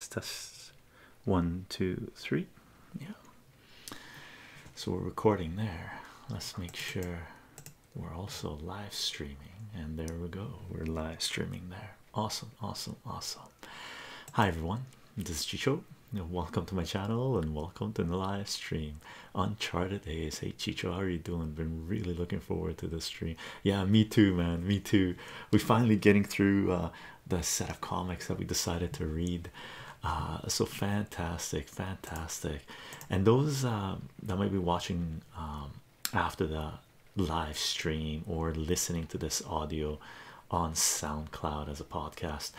Let's test one, two, three. Yeah. So we're recording there. Let's make sure we're also live streaming. And there we go. We're live streaming there. Awesome, awesome, awesome. Hi everyone, this is Chicho. Welcome to my channel and welcome to the live stream. Uncharted A's. Hey Chicho, how are you doing? Been really looking forward to this stream. Yeah, me too, man. Me too. We're finally getting through uh, the set of comics that we decided to read. Uh, so fantastic, fantastic. And those uh, that might be watching um, after the live stream or listening to this audio on SoundCloud as a podcast.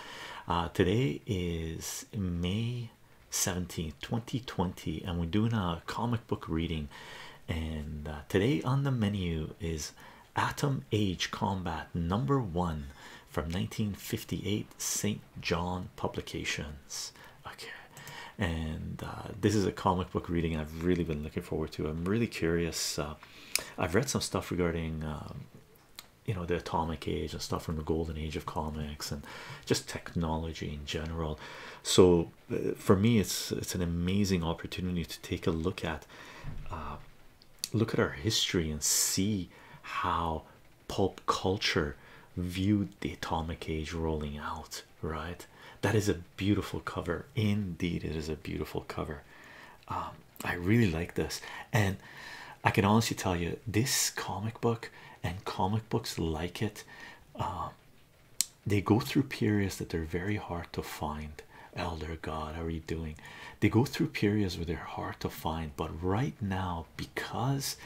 Uh, today is May 17th, 2020, and we're doing a comic book reading. And today on the menu is Atom Age Combat number one from 1958 St. John Publications. Okay, and uh, this is a comic book reading I've really been looking forward to. I'm really curious. Uh, I've read some stuff regarding. Um, you know the atomic age and stuff from the golden age of comics and just technology in general so uh, for me it's it's an amazing opportunity to take a look at look at our history and see how pulp culture viewed the atomic age rolling out right that is a beautiful cover indeed it is a beautiful cover um, i really like this and i can honestly tell you this comic book and comic books like it uh, they go through periods that they're very hard to find Elder God, how are you doing? They go through periods where they're hard to find, but right now, because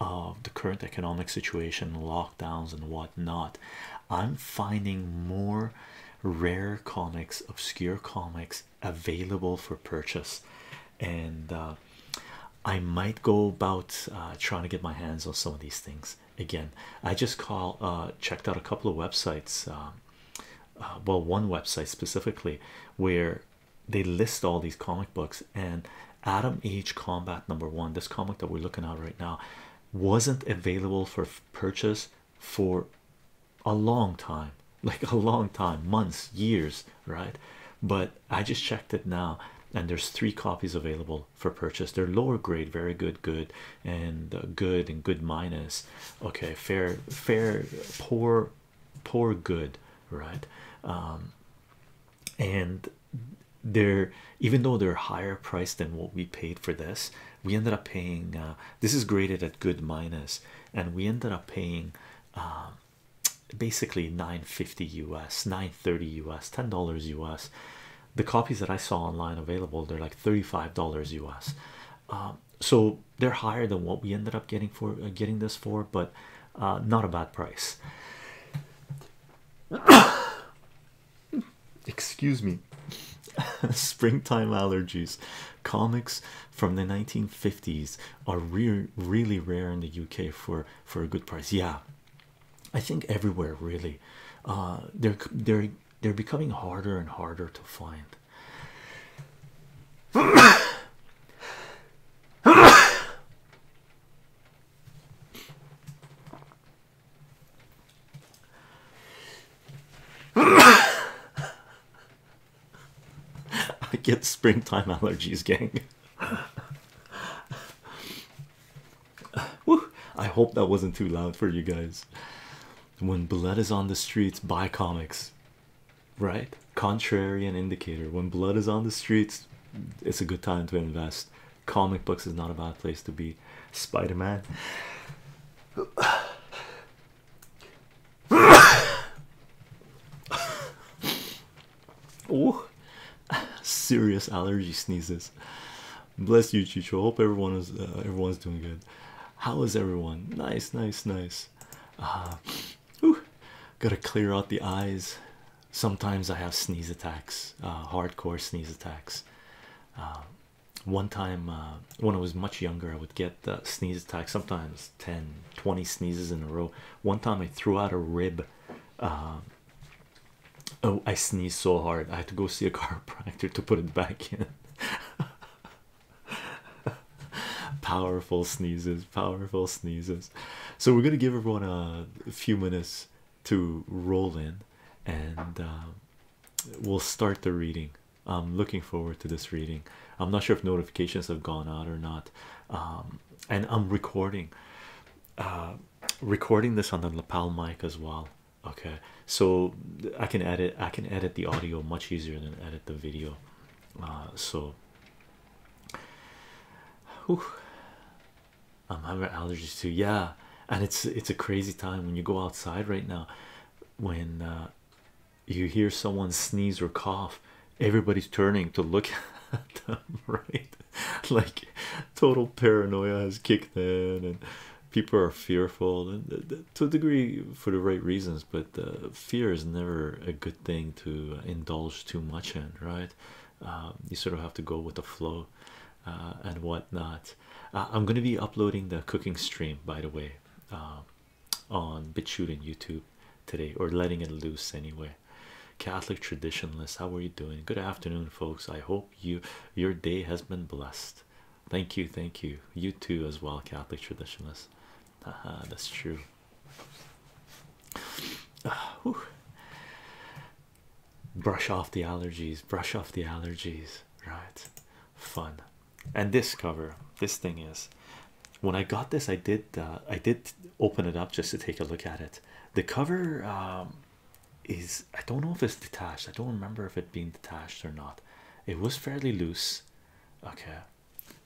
of the current economic situation, lockdowns, and whatnot, I'm finding more rare comics, obscure comics available for purchase, and uh, I might go about uh, trying to get my hands on some of these things again. I just call uh, checked out a couple of websites. Um, uh, well one website specifically where they list all these comic books and Adam Age Combat number one this comic that we're looking at right now wasn't available for purchase for a long time like a long time months years right but I just checked it now and there's three copies available for purchase they're lower grade very good good and uh, good and good minus okay fair fair poor poor good right um and they're even though they're higher priced than what we paid for this we ended up paying uh, this is graded at good minus and we ended up paying uh, basically 950 us 930 us 10 dollars us the copies that i saw online available they're like 35 dollars us um, so they're higher than what we ended up getting for uh, getting this for, but uh, not a bad price. Excuse me. Springtime allergies. Comics from the 1950s are re really rare in the UK for for a good price. Yeah, I think everywhere really. Uh, they're they're they're becoming harder and harder to find. I get springtime allergies, gang. Woo. I hope that wasn't too loud for you guys. When blood is on the streets, buy comics, right? Contrary and indicator. When blood is on the streets, it's a good time to invest. Comic books is not a bad place to be. Spider Man. oh, serious allergy sneezes. Bless you, Chicho. Hope everyone is uh, everyone's doing good. How is everyone? Nice, nice, nice. Uh, whew, gotta clear out the eyes. Sometimes I have sneeze attacks, uh, hardcore sneeze attacks. Uh, one time uh, when I was much younger, I would get uh, sneeze attacks, sometimes 10, 20 sneezes in a row. One time I threw out a rib. Uh, oh, I sneezed so hard, I had to go see a chiropractor to put it back in. powerful sneezes, powerful sneezes. So, we're gonna give everyone a, few minutes to roll in and uh, we'll start the reading. I'm looking forward to this reading. I'm not sure if notifications have gone out or not. Um, and I'm recording, uh, recording this on the lapel mic as well okay so i can edit i can edit the audio much easier than edit the video uh, so um, i'm having allergies too yeah and it's it's a crazy time when you go outside right now when uh, you hear someone sneeze or cough everybody's turning to look at them right like total paranoia has kicked in and people are fearful and to a degree for the right reasons, but fear is never a good thing to indulge too much in, right? Um, you sort of have to go with the flow uh, and whatnot. Uh, I'm going to be uploading the cooking stream, by the way, um, on BitChute and YouTube today, or letting it loose anyway. Catholic traditionalist, how are you doing? Good afternoon, folks. I hope you your day has been blessed. Thank you, thank you. You too, as well, Catholic traditionalists. that's true. Uh, brush off the allergies, brush off the allergies, right? Fun. And this cover, this thing is when I got this, I did, uh, I did open it up just to take a look at it. The cover, um, is I don't know if it's detached, I don't remember if it being detached or not. It was fairly loose okay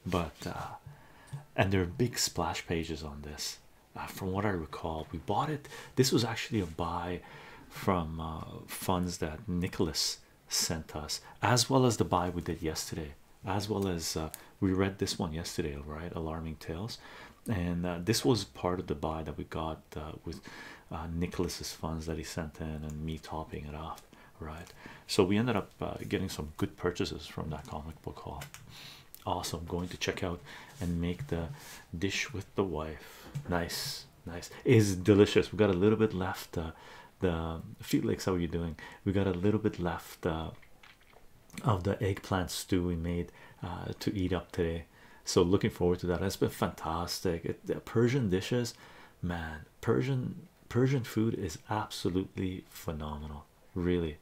but uh, and there are big splash pages on this uh, from what i recall we bought it this was actually a buy from uh, funds that nicholas sent us as well as the buy we did yesterday as well as we read this one yesterday right alarming tales and this was part of the buy that we got with nicholas's funds that he sent in and me topping it off right? So we ended up uh, getting some good purchases from that comic book haul. Also, going to check out and make the dish with the wife. Nice, nice. Is delicious. We got a little bit left. Uh, the Felix, how are you doing? We got a little bit left uh, of the eggplant stew we made uh, to eat up today. So looking forward to that. It's been fantastic. the Persian dishes man persian persian food is absolutely phenomenal really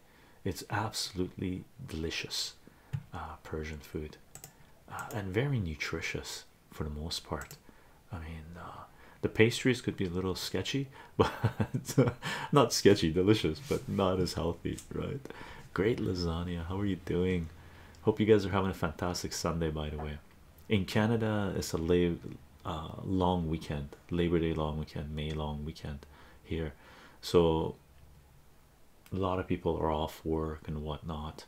it's absolutely delicious uh, persian food uh, and very nutritious for the most part i mean uh, the pastries could be a little sketchy but not sketchy delicious but not as healthy right great lasagna how are you doing hope you guys are having a fantastic sunday by the way in Canada, it's a uh, long weekend, Labor Day long weekend, May long weekend here, so a lot of people are off work and whatnot.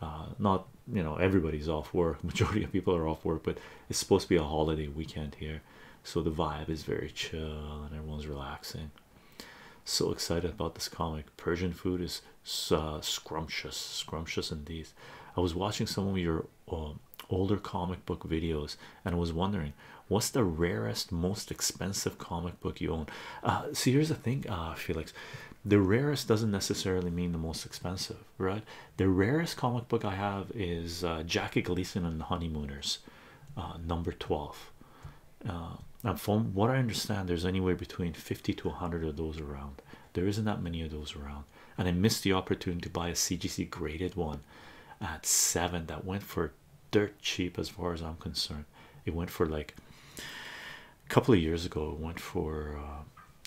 Uh, not you know, everybody's off work, majority of people are off work, but it's supposed to be a holiday weekend here, so the vibe is very chill and everyone's relaxing. So excited about this comic! Persian food is uh, scrumptious, scrumptious indeed. I was watching some of your um, older comic book videos and I was wondering what's the rarest, most expensive comic book you own. Uh, so here's the thing, uh, Felix the rarest doesn't necessarily mean the most expensive, right? The rarest comic book I have is uh, Jackie Gleason and the Honeymooners, number 12. and from what I understand, there's anywhere between 50 to 100 of those around there isn't that many of those around and i missed the opportunity to buy a cgc graded one at seven that went for dirt cheap as far as i'm concerned it went for like a couple of years ago it went for uh,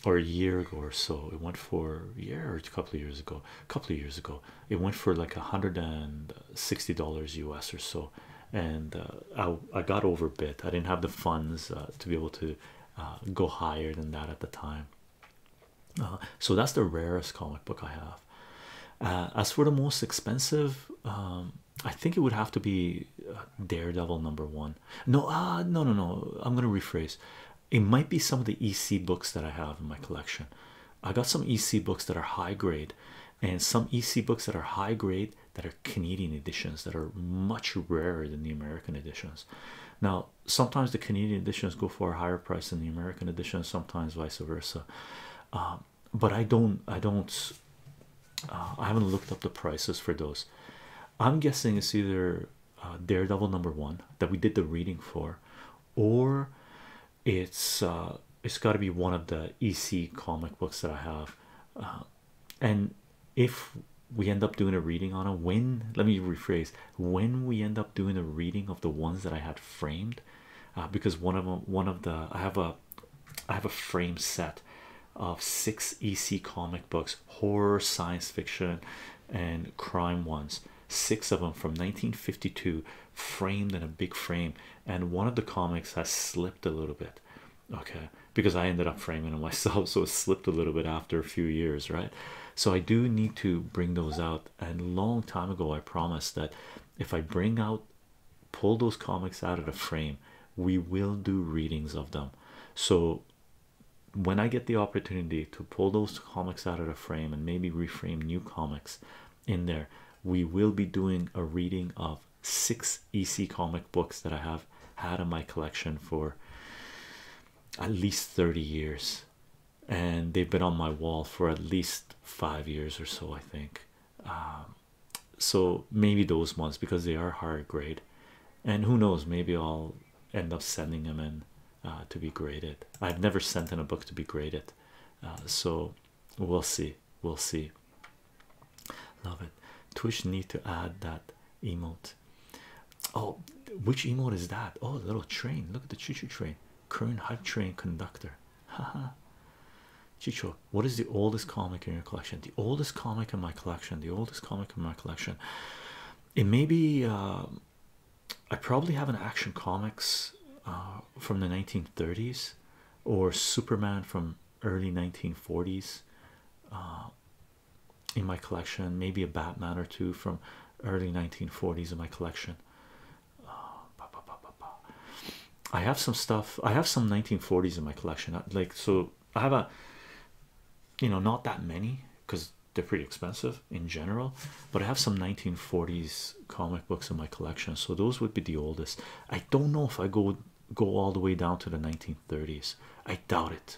or a year ago or so it went for a year or a couple of years ago a couple of years ago it went for like a hundred and sixty dollars us or so and uh, I, I got overbid i didn't have the funds uh, to be able to uh, go higher than that at the time. Uh, so that's the rarest comic book I have. Uh, as for the most expensive, um, I think it would have to be Daredevil number one. No, uh, no, no, no. I'm gonna rephrase. It might be some of the EC books that I have in my collection. I got some EC books that are high grade, and some EC books that are high grade that are Canadian editions that are much rarer than the American editions. Now, sometimes the Canadian editions go for a higher price than the American edition, sometimes vice versa. Um, but I don't, I don't, uh, I haven't looked up the prices for those. I'm guessing it's either uh, Daredevil number one that we did the reading for, or it's uh, it's got to be one of the EC comic books that I have. and if we end up doing a reading on a when let me rephrase when we end up doing a reading of the ones that I had framed, uh, because one of them, one of the I have a I have a frame set of six EC comic books, horror, science fiction, and crime ones. Six of them from 1952, framed in a big frame, and one of the comics has slipped a little bit. Okay, because I ended up framing it myself, so it slipped a little bit after a few years, right? So I do need to bring those out. And long time ago, I promised that if I bring out, pull those comics out of the frame, we will do readings of them. So when I get the opportunity to pull those comics out of the frame and maybe reframe new comics in there, we will be doing a reading of six EC comic books that I have had in my collection for at least 30 years and they've been on my wall for at least five years or so i think um, so maybe those ones because they are higher grade and who knows maybe i'll end up sending them in uh, to be graded i've never sent in a book to be graded uh, so we'll see we'll see love it twitch need to add that emote Oh, which emote is that? Oh, little train. Look at the choo train. Current hype train conductor. Haha. Chicho, what is the oldest comic in your collection? The oldest comic in my collection. The oldest comic in my collection. It may be. Uh, I probably have an action comics uh, from the 1930s or Superman from early 1940s. Uh, in my collection, maybe a Batman or two from early 1940s in my collection. Uh, I have some stuff, I have some 1940s in my collection, uh, like so. I have a you know, not that many because they're pretty expensive in general, but I have some 1940s comic books in my collection, so those would be the oldest. I don't know if I go go all the way down to the 1930s. I doubt it.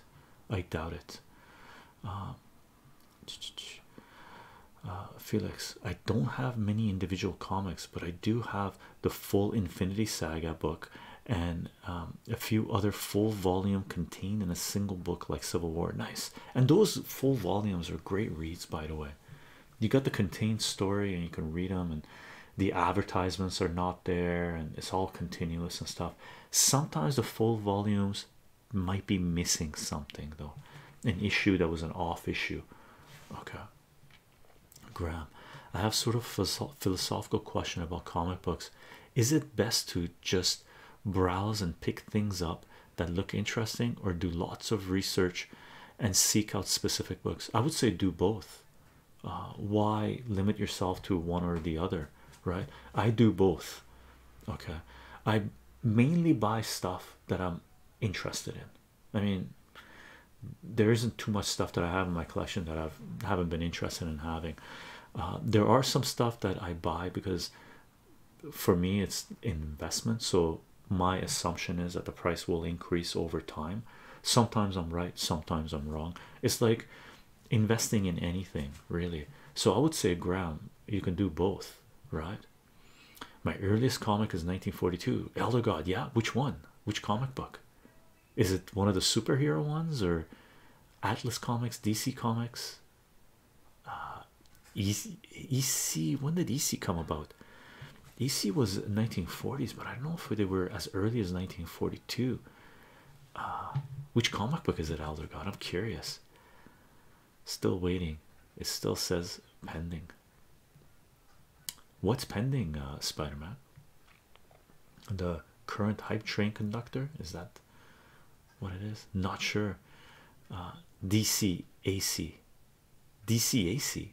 I doubt it. Uh, uh, Felix, I don't have many individual comics, but I do have the full Infinity Saga book and um, a few other full volume contained in a single book, like Civil War. Nice, and those full volumes are great reads, by the way. You got the contained story, and you can read them, and the advertisements are not there, and it's all continuous and stuff. Sometimes the full volumes might be missing something, though, an issue that was an off issue. Okay, Graham, I have sort of philosophical question about comic books. Is it best to just browse and pick things up that look interesting, or do lots of research and seek out specific books? I would say do both. Uh, why limit yourself to one or the other? right i do both okay i mainly buy stuff that i'm interested in i mean there isn't too much stuff that i have in my collection that i've haven't been interested in having uh, there are some stuff that i buy because for me it's investment so my assumption is that the price will increase over time sometimes i'm right sometimes i'm wrong it's like investing in anything really so i would say graham you can do both right my earliest comic is 1942 elder god yeah which one which comic book is it one of the superhero ones or atlas comics dc comics uh, ec when did ec come about ec was 1940s but i don't know if they were as early as 1942 uh, which comic book is it, Elder God? I'm curious. Still waiting. It still says pending. What's pending, uh, Spider Man? The current hype train conductor is that what it is? Not sure. Uh, DC AC. DCAC.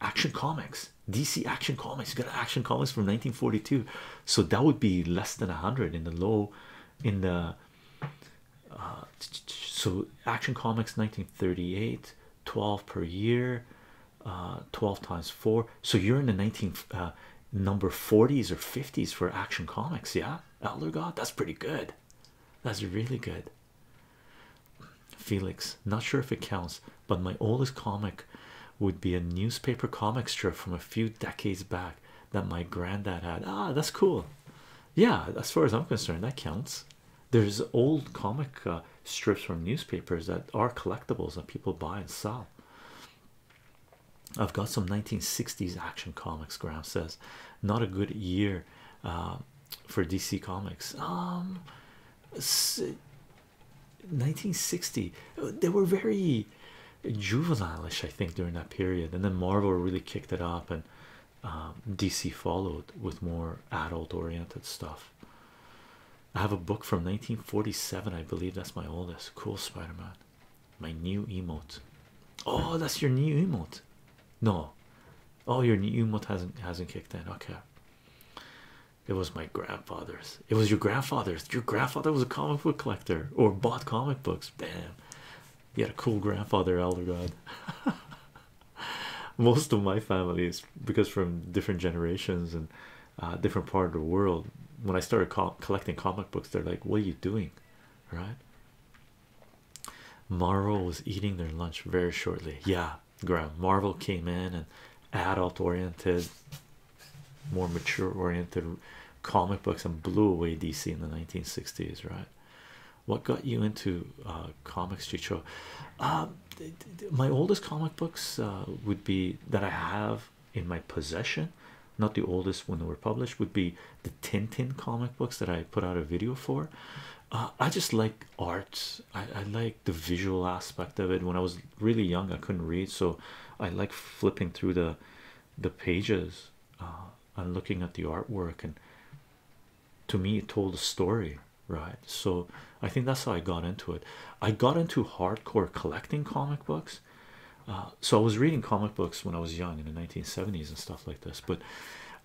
Action Comics dc action comics you got action comics from 1942 so that would be less than 100 in the low in the uh, so action comics 1938 12 per year uh, 12 times 4 so you're in the 19 uh, number 40s or 50s for action comics yeah elder god that's pretty good that's really good felix not sure if it counts but my oldest comic would be a newspaper comic strip from a few decades back that my granddad had. Ah, that's cool. Yeah, as far as I'm concerned, that counts. There's old comic uh, strips from newspapers that are collectibles that people buy and sell. I've got some 1960s action comics, Graham says. Not a good year uh, for DC Comics. Um, 1960 they were very juvenilish i think during that period and then marvel really kicked it up and um, dc followed with more adult oriented stuff i have a book from 1947 i believe that's my oldest cool spider-man my new emote oh that's your new emote no oh your new emote hasn't hasn't kicked in okay it was my grandfather's. It was your grandfather's. Your grandfather was a comic book collector or bought comic books. Bam. You had a cool grandfather, Elder God. Most of my family is because from different generations and uh, different part of the world. When I started collecting comic books, they're like, "What are you doing?" Right? Marvel was eating their lunch very shortly. Yeah, Graham. Marvel came in and adult-oriented more mature oriented comic books and blew away DC in the 1960s, right? What got you into uh, comics, Chicho? Um, my oldest comic books uh, would be that I have in my possession, not the oldest when they were published, would be the Tintin comic books that I put out a video for. Uh, I just like art, I like the visual aspect of it. When I was really young. I couldn't read, so I like flipping through the the pages uh, and looking at the artwork. And to me, it told a story, right? So I think that's how I got into it. I got into hardcore collecting comic books. Uh, so I was reading comic books when I was young in the 1970s and stuff like this, but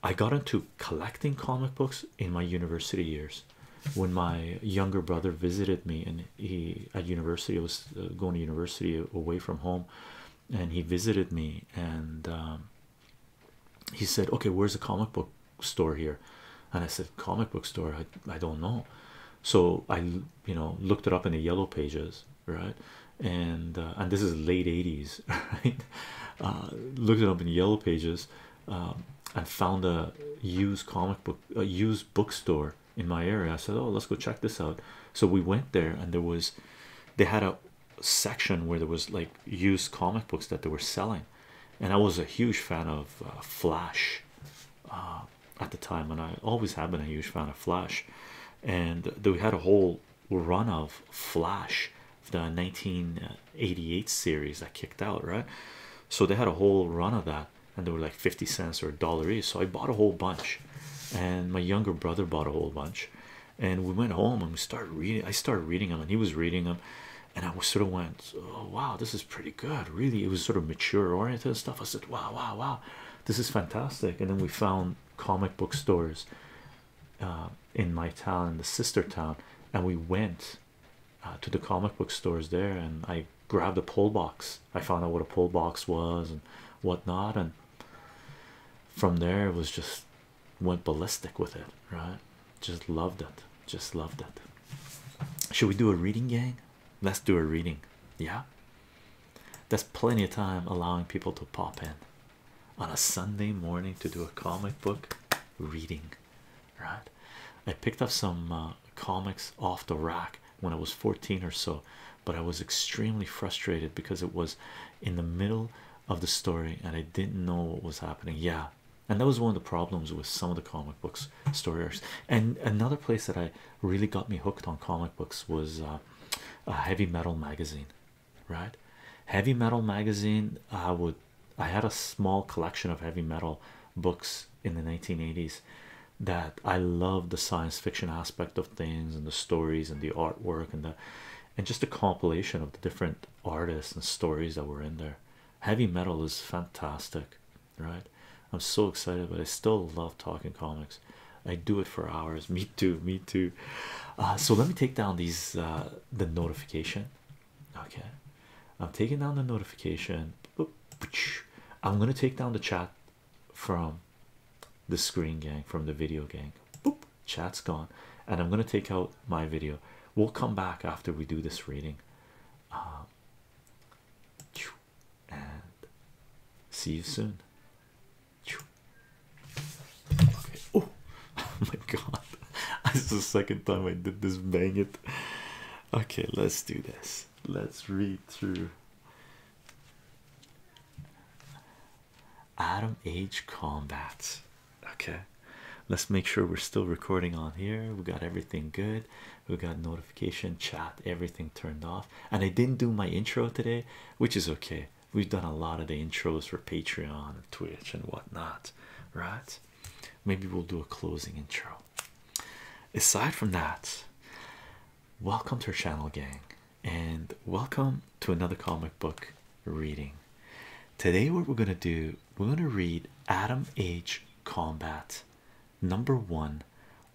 I got into collecting comic books in my university years when my younger brother visited me and he at university I was uh, going to university away from home and he visited me and um, he said okay where's the comic book store here and I said comic book store I, I don't know so I you know looked it up in the yellow pages right and uh, and this is late 80s right uh, looked it up in the yellow pages um, and found a used comic book a used bookstore in my area i said oh let's go check this out so we went there and there was they had a section where there was like used comic books that they were selling and i was a huge fan of uh, flash uh, at the time and i always have been a huge fan of flash and they had a whole run of flash the 1988 series that kicked out right so they had a whole run of that and they were like 50 cents or a dollar each so i bought a whole bunch and my younger brother bought a whole bunch and we went home and we started reading i started reading them and he was reading them and i was sort of went oh wow this is pretty good really it was sort of mature oriented stuff i said wow wow wow this is fantastic and then we found comic book stores uh, in my town in the sister town and we went uh, to the comic book stores there and i I grabbed a pull box. I found out what a pull box was and whatnot, and from there it was just went ballistic with it, right? Just loved it. Just loved it. Should we do a reading, gang? Let's do a reading. Yeah. That's plenty of time allowing people to pop in on a Sunday morning to do a comic book reading, right? I picked up some uh, comics off the rack when I was 14 or so, but I was extremely frustrated because it was in the middle of the story and I didn't know what was happening. Yeah, and that was one of the problems with some of the comic books stories. And another place that I really got me hooked on comic books was uh, a heavy metal magazine, right? Heavy metal magazine. I would. I had a small collection of heavy metal books in the 1980s that I love the science fiction aspect of things and the stories and the artwork and the and just a compilation of the different artists and stories that were in there. Heavy metal is fantastic, right? I'm so excited, but I still love talking comics. I do it for hours. Me too, me too. Uh, so let me take down these uh, the notification. Okay, I'm taking down the notification. I'm gonna take down the chat from the screen gang from the video gang boop chat's gone and i'm going to take out my video we'll come back after we do this reading um, and see you soon okay. Oh, oh, my god that's the second time i did this bang it okay let's do this let's read through Adam Age Combat. Okay, let's make sure we're still recording on here. We got everything good. We got notification, chat, everything turned off. And I didn't do my intro today, which is okay. We've done a lot of the intros for Patreon and Twitch and whatnot, right? Maybe we'll do a closing intro. Aside from that, welcome to our channel, gang, and welcome to another comic book reading. Today, what we're going to do, we're going to read *Atom H. Combat number one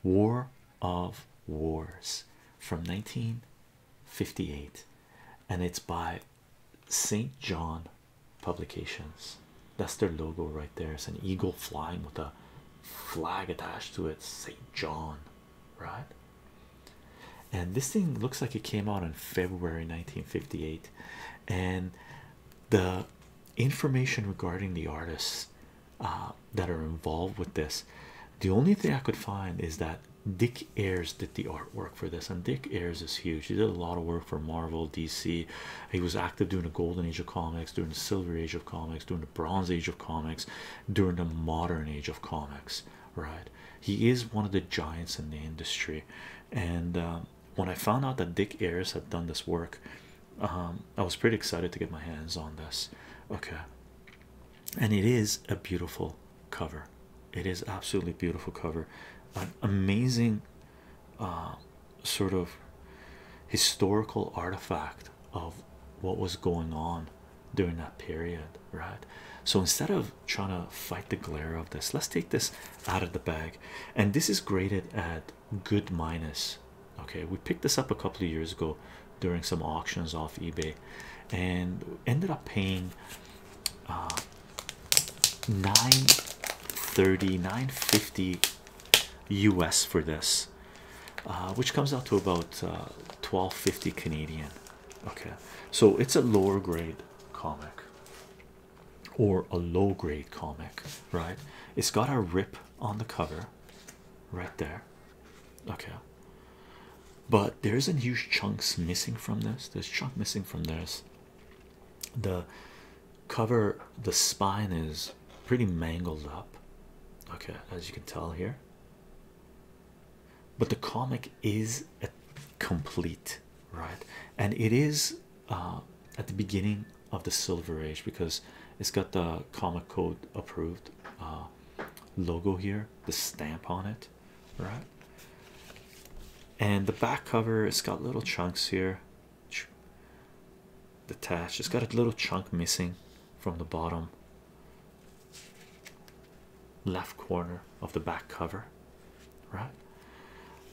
War of Wars from 1958, and it's by St. John Publications. That's their logo right there. It's an eagle flying with a flag attached to it, St. John, right? And this thing looks like it came out in February 1958, and the information regarding the artists uh, that are involved with this. The only thing I could find is that Dick Ayers did the artwork for this, and Dick Ayers is huge. He did a lot of work for Marvel, DC. He was active during the Golden Age of comics, during the Silver Age of comics during the bronze age of comics during the modern age of comics right he is one of the giants in the industry and um, when i found out that dick ayers had done this work um, i was pretty excited to get my hands on this okay and it is a beautiful cover it is absolutely beautiful cover an amazing uh, sort of historical artifact of what was going on during that period, right? So instead of trying to fight the glare of this, let's take this out of the bag. And this is graded at good minus. Okay, we picked this up a couple of years ago during some auctions off eBay and ended up paying uh 930 950 US for this, uh, which comes out to about 1250 uh, Canadian. Okay, so it's a lower grade comic or a low grade comic, right? It's got a rip on the cover right there, okay. But there isn't huge chunks missing from this, there's chunk missing from this. The cover, the spine is pretty mangled up okay as you can tell here but the comic is complete right and it is uh, at the beginning of the silver age because it's got the comic code approved uh, logo here the stamp on it right and the back cover it's got little chunks here detached it's got a little chunk missing from the bottom left corner of the back cover, right?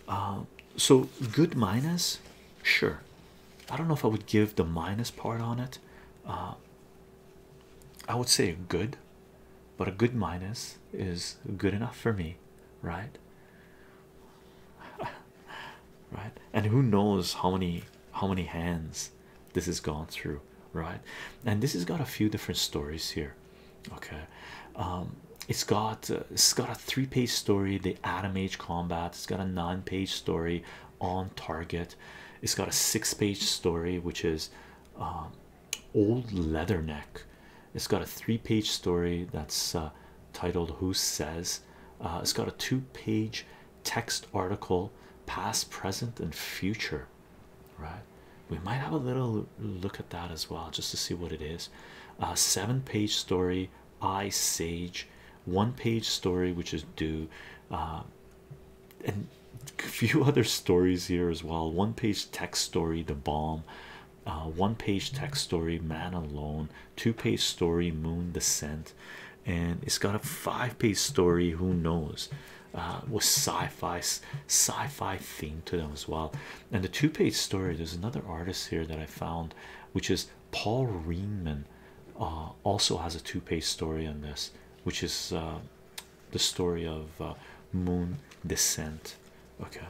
Um, so good minus, sure. I don't know if I would give the minus part on it. Uh, I would say good, but a good minus is good enough for me, right? right and who knows how many how many hands this has gone through right and this has got a few different stories here okay um, it's got uh, it's got a three-page story the Adam age combat it's got a nine-page story on target it's got a six-page story which is um, old leatherneck it's got a three-page story that's uh, titled who says uh, it's got a two-page text article past present and future right we might have a little look at that as well just to see what it is a seven page story i sage one page story which is due uh, and a few other stories here as well one page text story the bomb uh, one page text story man alone two page story moon descent and it's got a five-page story who knows uh, sci-fi sci-fi theme to them as well and the two-page story there's another artist here that I found which is Paul Reeman uh, also has a two-page story on this which is uh, the story of uh, moon descent okay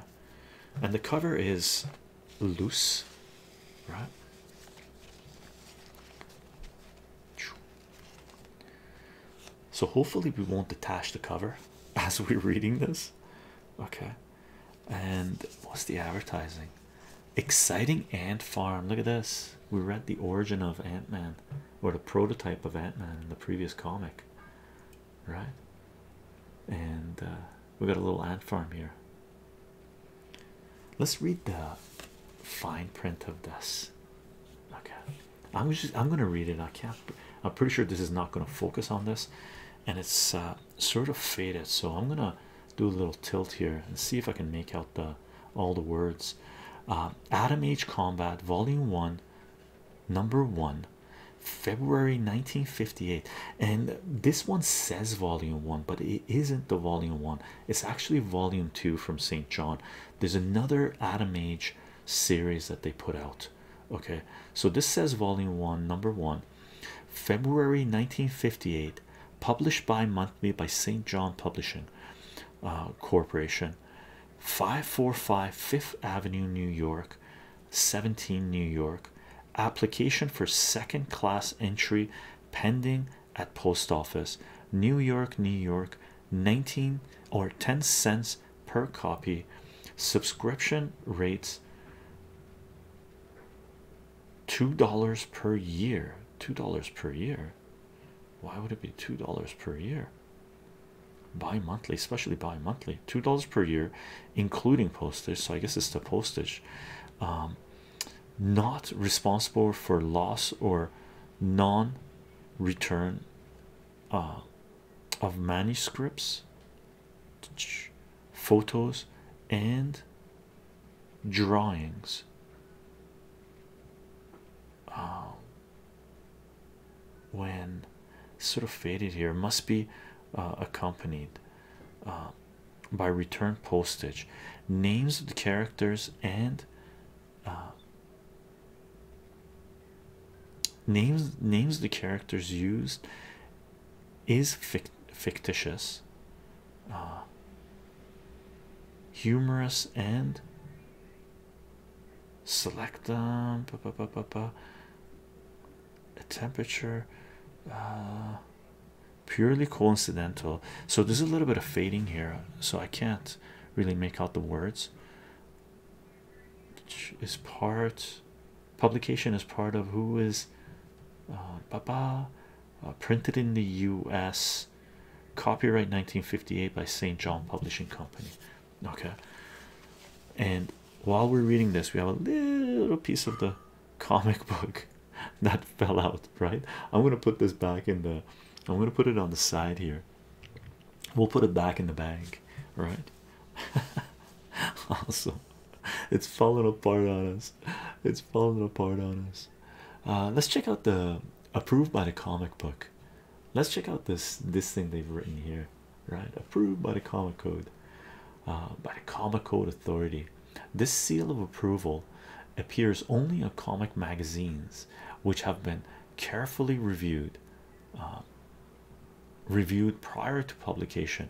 and the cover is loose right? So, hopefully, we won't detach the cover as we're reading this, okay? And what's the advertising? Exciting Ant Farm. Look at this. We are at the origin of Ant Man or the prototype of Ant Man in the previous comic, right? And uh, we got a little ant farm here. Let's read the fine print of this. Okay, I'm just I'm gonna read it. I can't. I'm pretty sure this is not gonna focus on this, and it's uh, sort of faded. So I'm gonna do a little tilt here and see if I can make out the all the words. Uh, Adam H. Combat, Volume One, Number One. February 1958, and this one says volume one, but it isn't the volume one, it's actually volume two from St. John. There's another Adam Age series that they put out. Okay, so this says volume one, number one, February 1958, published bi monthly by St. John Publishing uh, Corporation, 545 Fifth Avenue, New York, 17 New York. Application for second class entry pending at post office new york new york 19 or 10 cents per copy subscription rates two dollars per year two dollars per year why would it be two dollars per year bi-monthly especially bi-monthly two dollars per year including postage so i guess it's the postage um, not responsible for loss or non return uh, of manuscripts, photos, and drawings. Um, when sort of faded here, must be uh, accompanied. Uh, by return postage names of the characters and uh, names names the characters used is fictitious uh, humorous and select a temperature uh, purely coincidental. So there's a little bit of fading here, so I can't really make out the words. is part publication is part of who is Baba uh, uh, printed in the U.S. Copyright 1958 by St. John Publishing Company. Okay, and while we're reading this, we have a little piece of the comic book that fell out right i'm going to put this back in the i'm going to put it on the side here we'll put it back in the bag right awesome it's falling apart on us it's falling apart on us uh, let's check out the approved by the comic book let's check out this this thing they've written here right approved by the comic code uh by the comic code authority this seal of approval appears only on comic magazines, which have been carefully reviewed, uh, reviewed prior to publication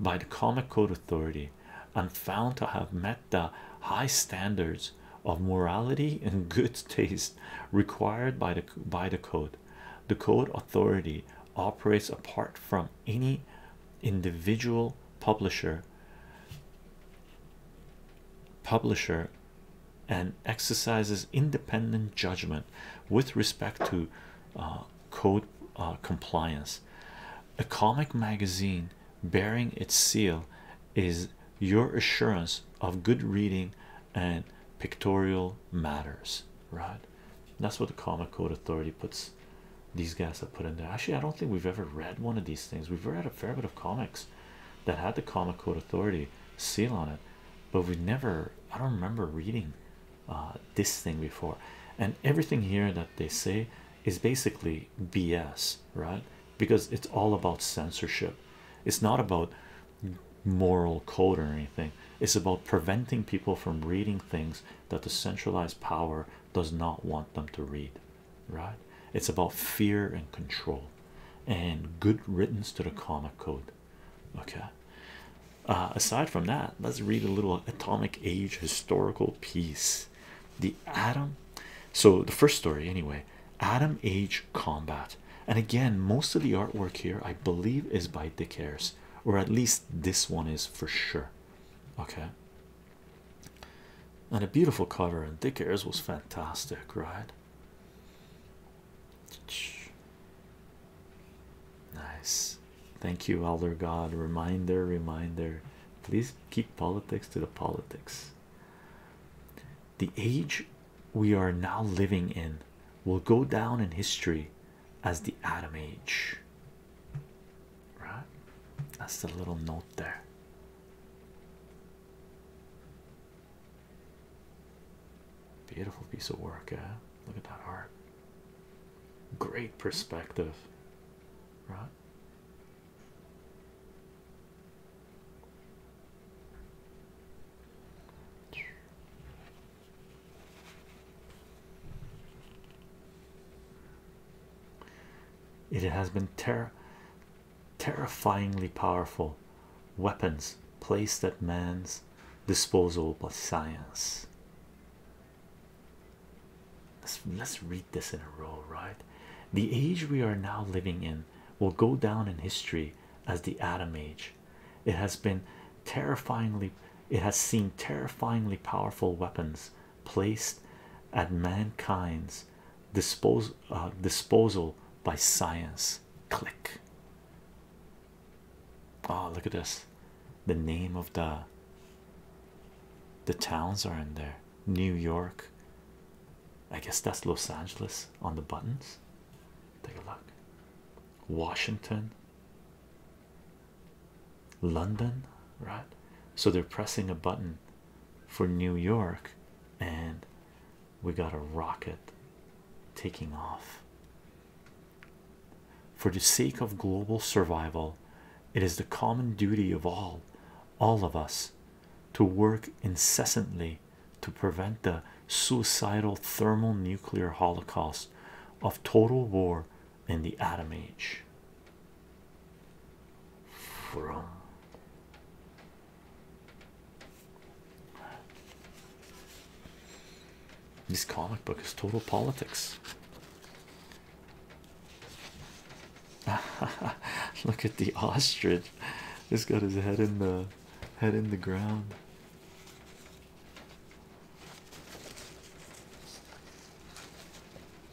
by the Comic Code Authority, and found to have met the high standards of morality and good taste required by the by the code. The code authority operates apart from any individual publisher publisher and exercises independent judgment with respect to uh, code uh, compliance a comic magazine bearing its seal is your assurance of good reading and pictorial matters right that's what the comic code authority puts these guys have put in there. Actually, I don't think we've ever read one of these things. We've read a fair bit of comics that had the Comic Code Authority seal on it, but we never, I don't remember reading uh, this thing before. And everything here that they say is basically BS, right? Because it's all about censorship, it's not about moral code or anything, it's about preventing people from reading things that the centralized power does not want them to read right? It's about fear and control and good riddance to the comic code, okay? Uh, aside from that, let's read a little atomic age historical piece. The atom, so the first story, anyway, atom age combat. And again, most of the artwork here, I believe, is by Dick Ayers, or at least this one is for sure. Okay, and a beautiful cover and Dick airs was fantastic, right? Nice. Thank you, Elder God. Reminder, reminder. Please keep politics to the politics. The age we are now living in will go down in history as the Atom Age right? That's the little note there. Beautiful piece of work, eh? Look at that art. Great perspective, right? It has been ter terrifyingly powerful weapons placed at man's disposal by science. Let's, let's read this in a row, right? The age we are now living in will go down in history as the atom age. It has been terrifyingly, it has seen terrifyingly powerful weapons placed at mankind's uh, disposal by science. Click. Oh, look at this. The name of the the towns are in there. New York. I guess that's Los Angeles on the buttons. Take a look. Washington. London, right? So they're pressing a button for New York, and we got a rocket taking off. For the sake of global survival, it is the common duty of all, all of us, to work incessantly to prevent the suicidal thermal nuclear holocaust of total war in the atom age from this comic book is total politics. Look at the ostrich. He's got his head in the head in the ground.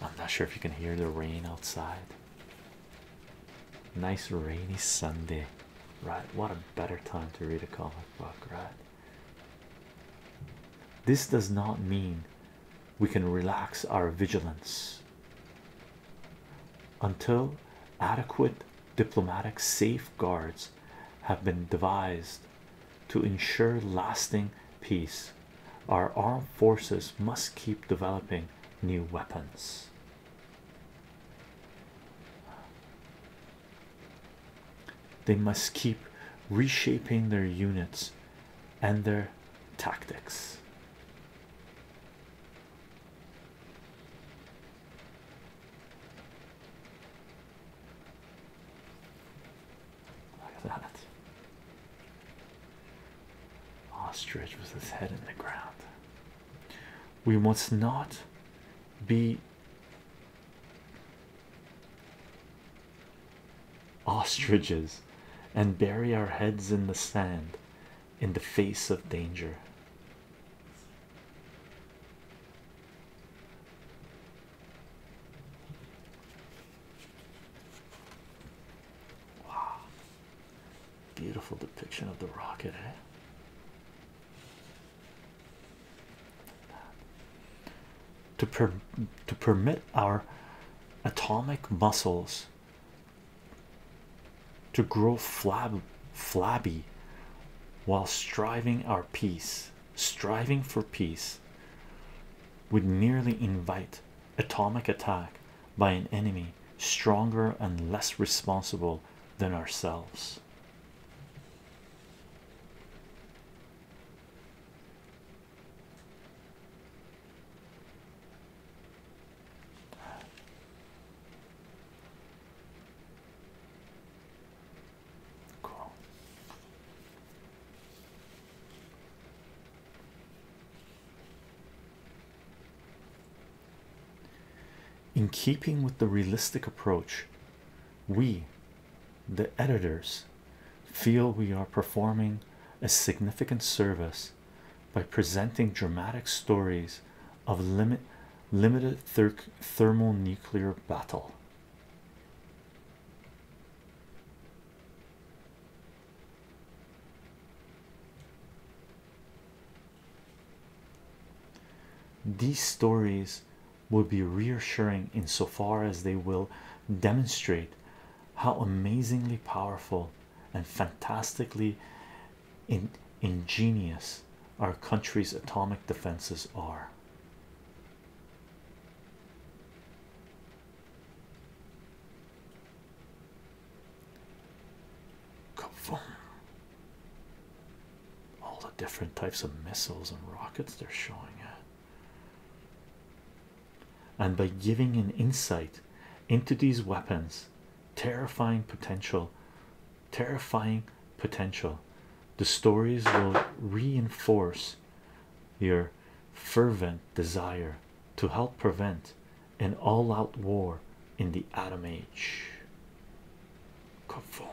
I'm not sure if you can hear the rain outside. Nice rainy Sunday, right? What a better time to read a comic book, right? This does not mean we can relax our vigilance until adequate diplomatic safeguards have been devised to ensure lasting peace. Our armed forces must keep developing new weapons. They must keep reshaping their units and their tactics. Like that. Ostrich with his head in the ground. We must not be ostriches and bury our heads in the sand in the face of danger. Beautiful depiction of the rocket, eh? To per to permit our atomic muscles to grow flab flabby while striving our peace, striving for peace, would nearly invite atomic attack by an enemy stronger and less responsible than ourselves. In keeping with the realistic approach, we, the editors, feel we are performing a significant service by presenting dramatic stories of limited ther thermonuclear battle. These stories will be reassuring insofar as they will demonstrate how amazingly powerful and fantastically ingenious our country's atomic defenses are. All the different types of missiles and rockets they're showing And by giving an insight into these weapons, terrifying potential, terrifying potential, the stories will reinforce your fervent desire to help prevent an all-out war in the atom age. Kaboom.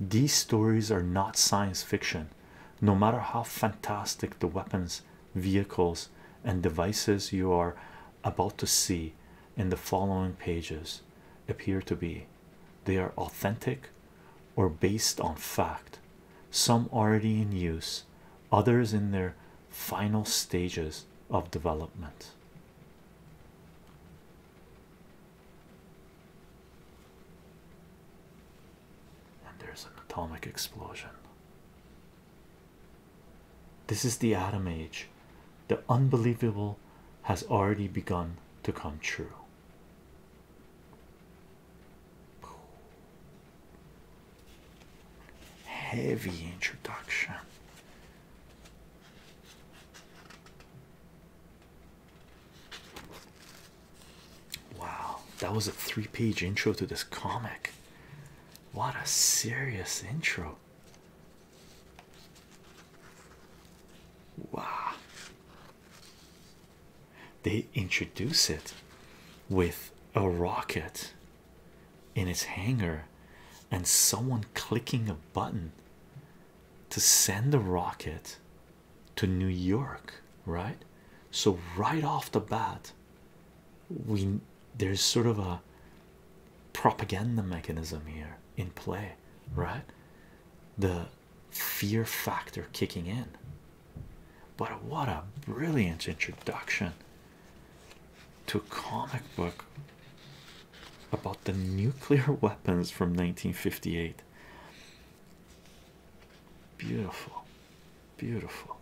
These stories are not science fiction, no matter how fantastic the weapons vehicles and devices you are about to see in the following pages appear to be they are authentic or based on fact some already in use others in their final stages of development and there's an atomic explosion this is the atom age. The unbelievable has already begun to come true. Heavy introduction. Wow, that was a three page intro to this comic. What a serious intro! Wow, they introduce it with a rocket in its hangar and someone clicking a button to send the rocket to New York, right? So, right off the bat, we there's sort of a propaganda mechanism here in play, right? The fear factor kicking in. But what a brilliant introduction to comic book about the nuclear weapons from 1958. Beautiful, Beautiful.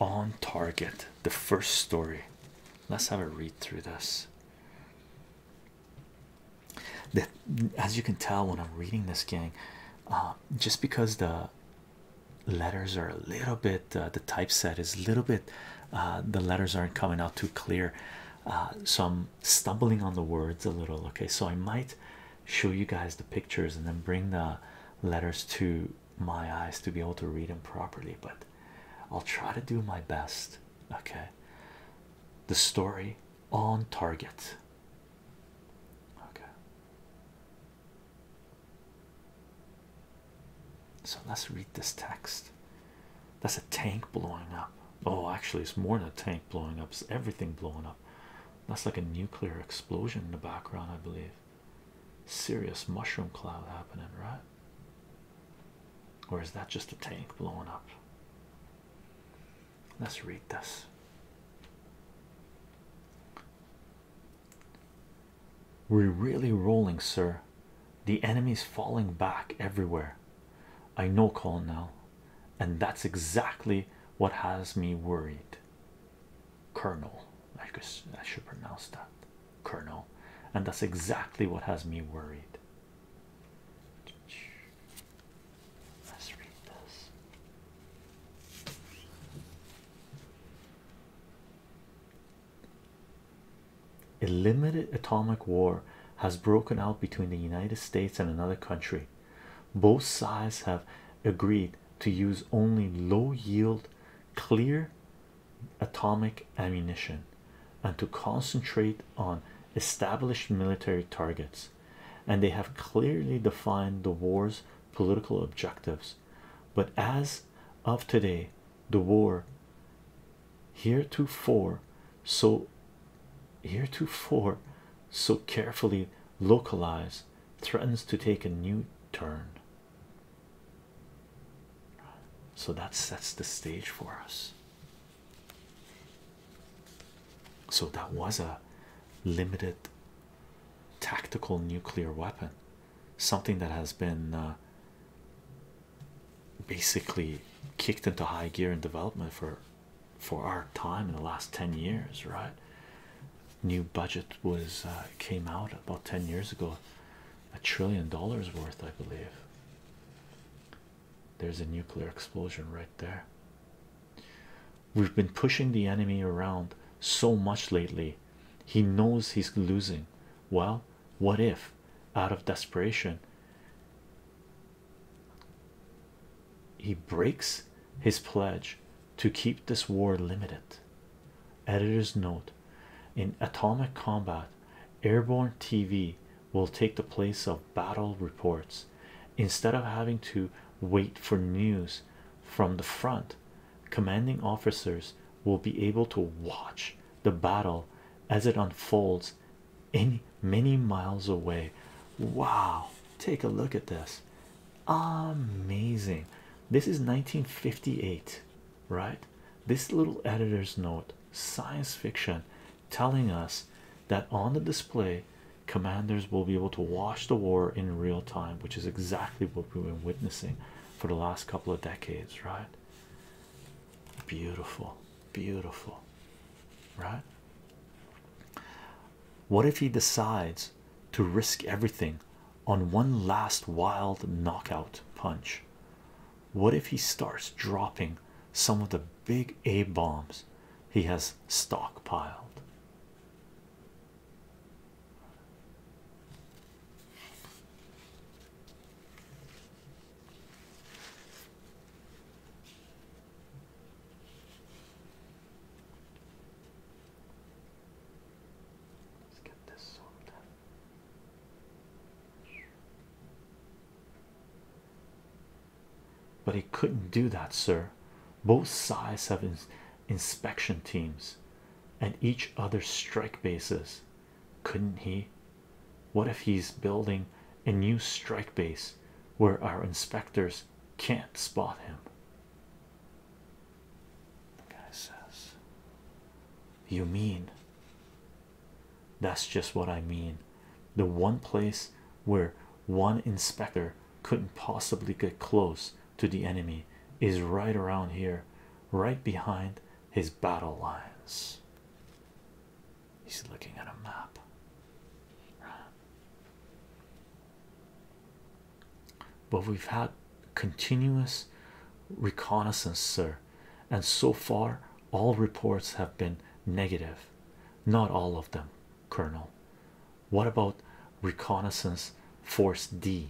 On target, the first story. Let's have a read through this. That, as you can tell, when I'm reading this, gang, uh, just because the letters are a little bit, uh, the typeset is a little bit, uh, the letters aren't coming out too clear. Uh, so I'm stumbling on the words a little, okay? So I might show you guys the pictures and then bring the letters to my eyes to be able to read them properly, but I'll try to do my best, okay? The story on target, okay? So let's read this text. That's a tank blowing up. Oh, actually, it's more than a tank blowing up, it's everything blowing up. That's like a nuclear explosion in the background, I believe. Serious mushroom cloud happening, right? Or is that just a tank blowing up? Let's read this. We're really rolling, sir. The enemy's falling back everywhere. I know, Colonel and that's exactly what has me worried. Colonel, I, could, I should pronounce that. Colonel, and that's exactly what has me worried. Let's read this. A limited atomic war has broken out between the United States and another country. Both sides have agreed to use only low yield, clear atomic ammunition and to concentrate on established military targets. And they have clearly defined the war's political objectives. But as of today, the war heretofore so heretofore so carefully localized threatens to take a new turn so that sets the stage for us so that was a limited tactical nuclear weapon something that has been uh, basically kicked into high gear in development for for our time in the last 10 years right new budget was uh, came out about 10 years ago a trillion dollars worth i believe there's a nuclear explosion right there we've been pushing the enemy around so much lately he knows he's losing well what if out of desperation he breaks his pledge to keep this war limited. Editor's note in atomic combat, airborne TV will take the place of battle reports instead of having to wait for news from the front. Commanding officers will be able to watch the battle as it unfolds in many miles away. Wow, take a look at this. Amazing. This is 1958, right? This little editor's note, science fiction, telling us that on the display, commanders will be able to watch the war in real time, which is exactly what we've been witnessing for the last couple of decades, right? Beautiful, beautiful, right? What if he decides to risk everything on one last wild knockout punch? What if he starts dropping some of the big A bombs he has stockpiled? Let's get this sorted. But he couldn't do that, sir. Both sides have inspection teams and each other's strike bases. Couldn't he? What if he's building a new strike base where our inspectors can't spot him? The guy says, You mean? That's just what I mean. The one place where one inspector couldn't possibly get close to the enemy is right around here, right behind his battle lines. He's looking at a map. But we've had continuous reconnaissance, sir, and so far all reports have been negative. Not all of them, Colonel. What about reconnaissance force D?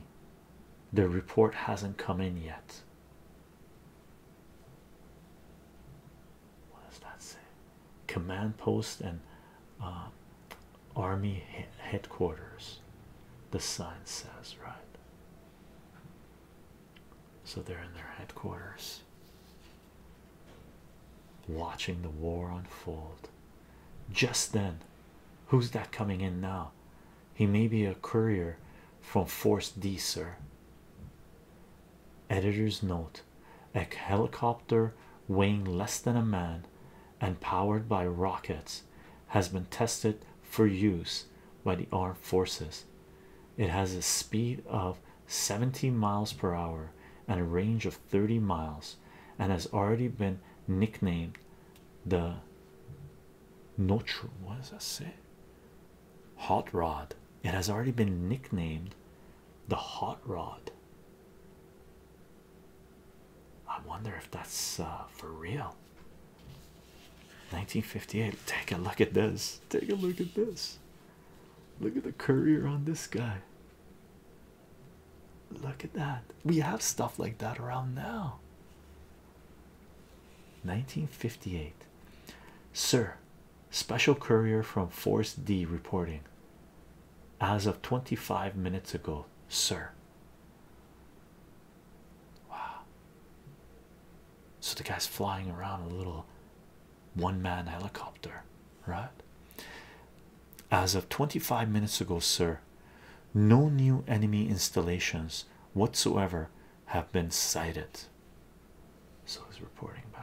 The report hasn't come in yet. What does that say? command post and uh, army headquarters the sign says right so they're in their headquarters watching the war unfold just then who's that coming in now he may be a courier from force d sir editor's note a helicopter weighing less than a man and powered by rockets, has been tested for use by the armed forces. It has a speed of 70 miles per hour and a range of 30 miles, and has already been nicknamed the Hot Rod. It has already been nicknamed the Hot Rod. I wonder if that's uh, for real. 1958. Take a look at this. Take a look at this. Look at the courier on this guy. Look at that. We have stuff like that around now. 1958. Sir, special courier from Force D reporting as of 25 minutes ago, sir. Wow. So the guy's flying around a little one man helicopter, right? As of 25 minutes ago, sir, no new enemy installations whatsoever have been sighted. So he's reporting back.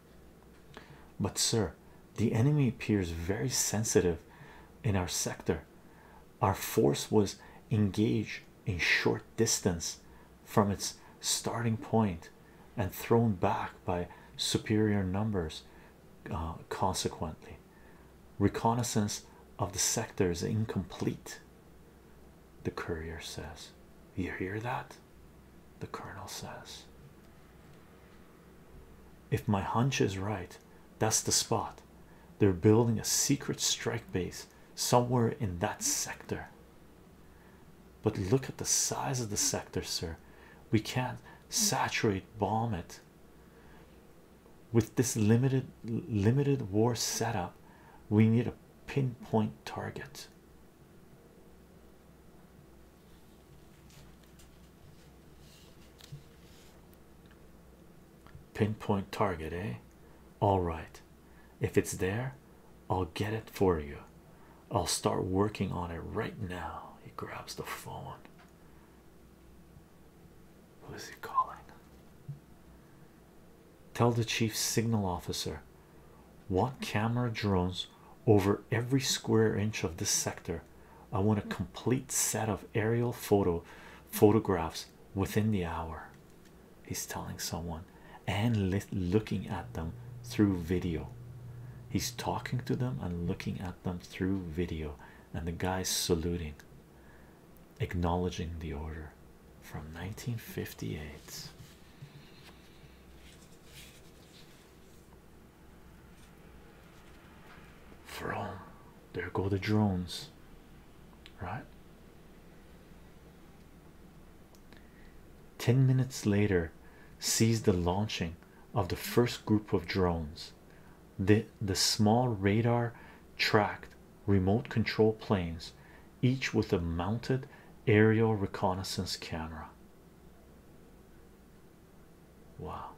But, sir, the enemy appears very sensitive in our sector. Our force was engaged in short distance from its starting point and thrown back by superior numbers. Uh, consequently, reconnaissance of the sector is incomplete. The courier says, You hear that? the colonel says. If my hunch is right, that's the spot. They're building a secret strike base somewhere in that sector. But look at the size of the sector, sir. We can't saturate bomb it. With this limited limited war setup, we need a pinpoint target. Pinpoint target, eh? All right, if it's there, I'll get it for you. I'll start working on it right now. He grabs the phone. Who is he calling? Tell the chief signal officer want camera drones over every square inch of this sector i want a complete set of aerial photo photographs within the hour he's telling someone and looking at them through video he's talking to them and looking at them through video and the guy's saluting acknowledging the order from 1958 for all, There go the drones. Right? Ten minutes later, sees the launching of the first group of drones. The the small radar tracked remote control planes, each with a mounted aerial reconnaissance camera. Wow.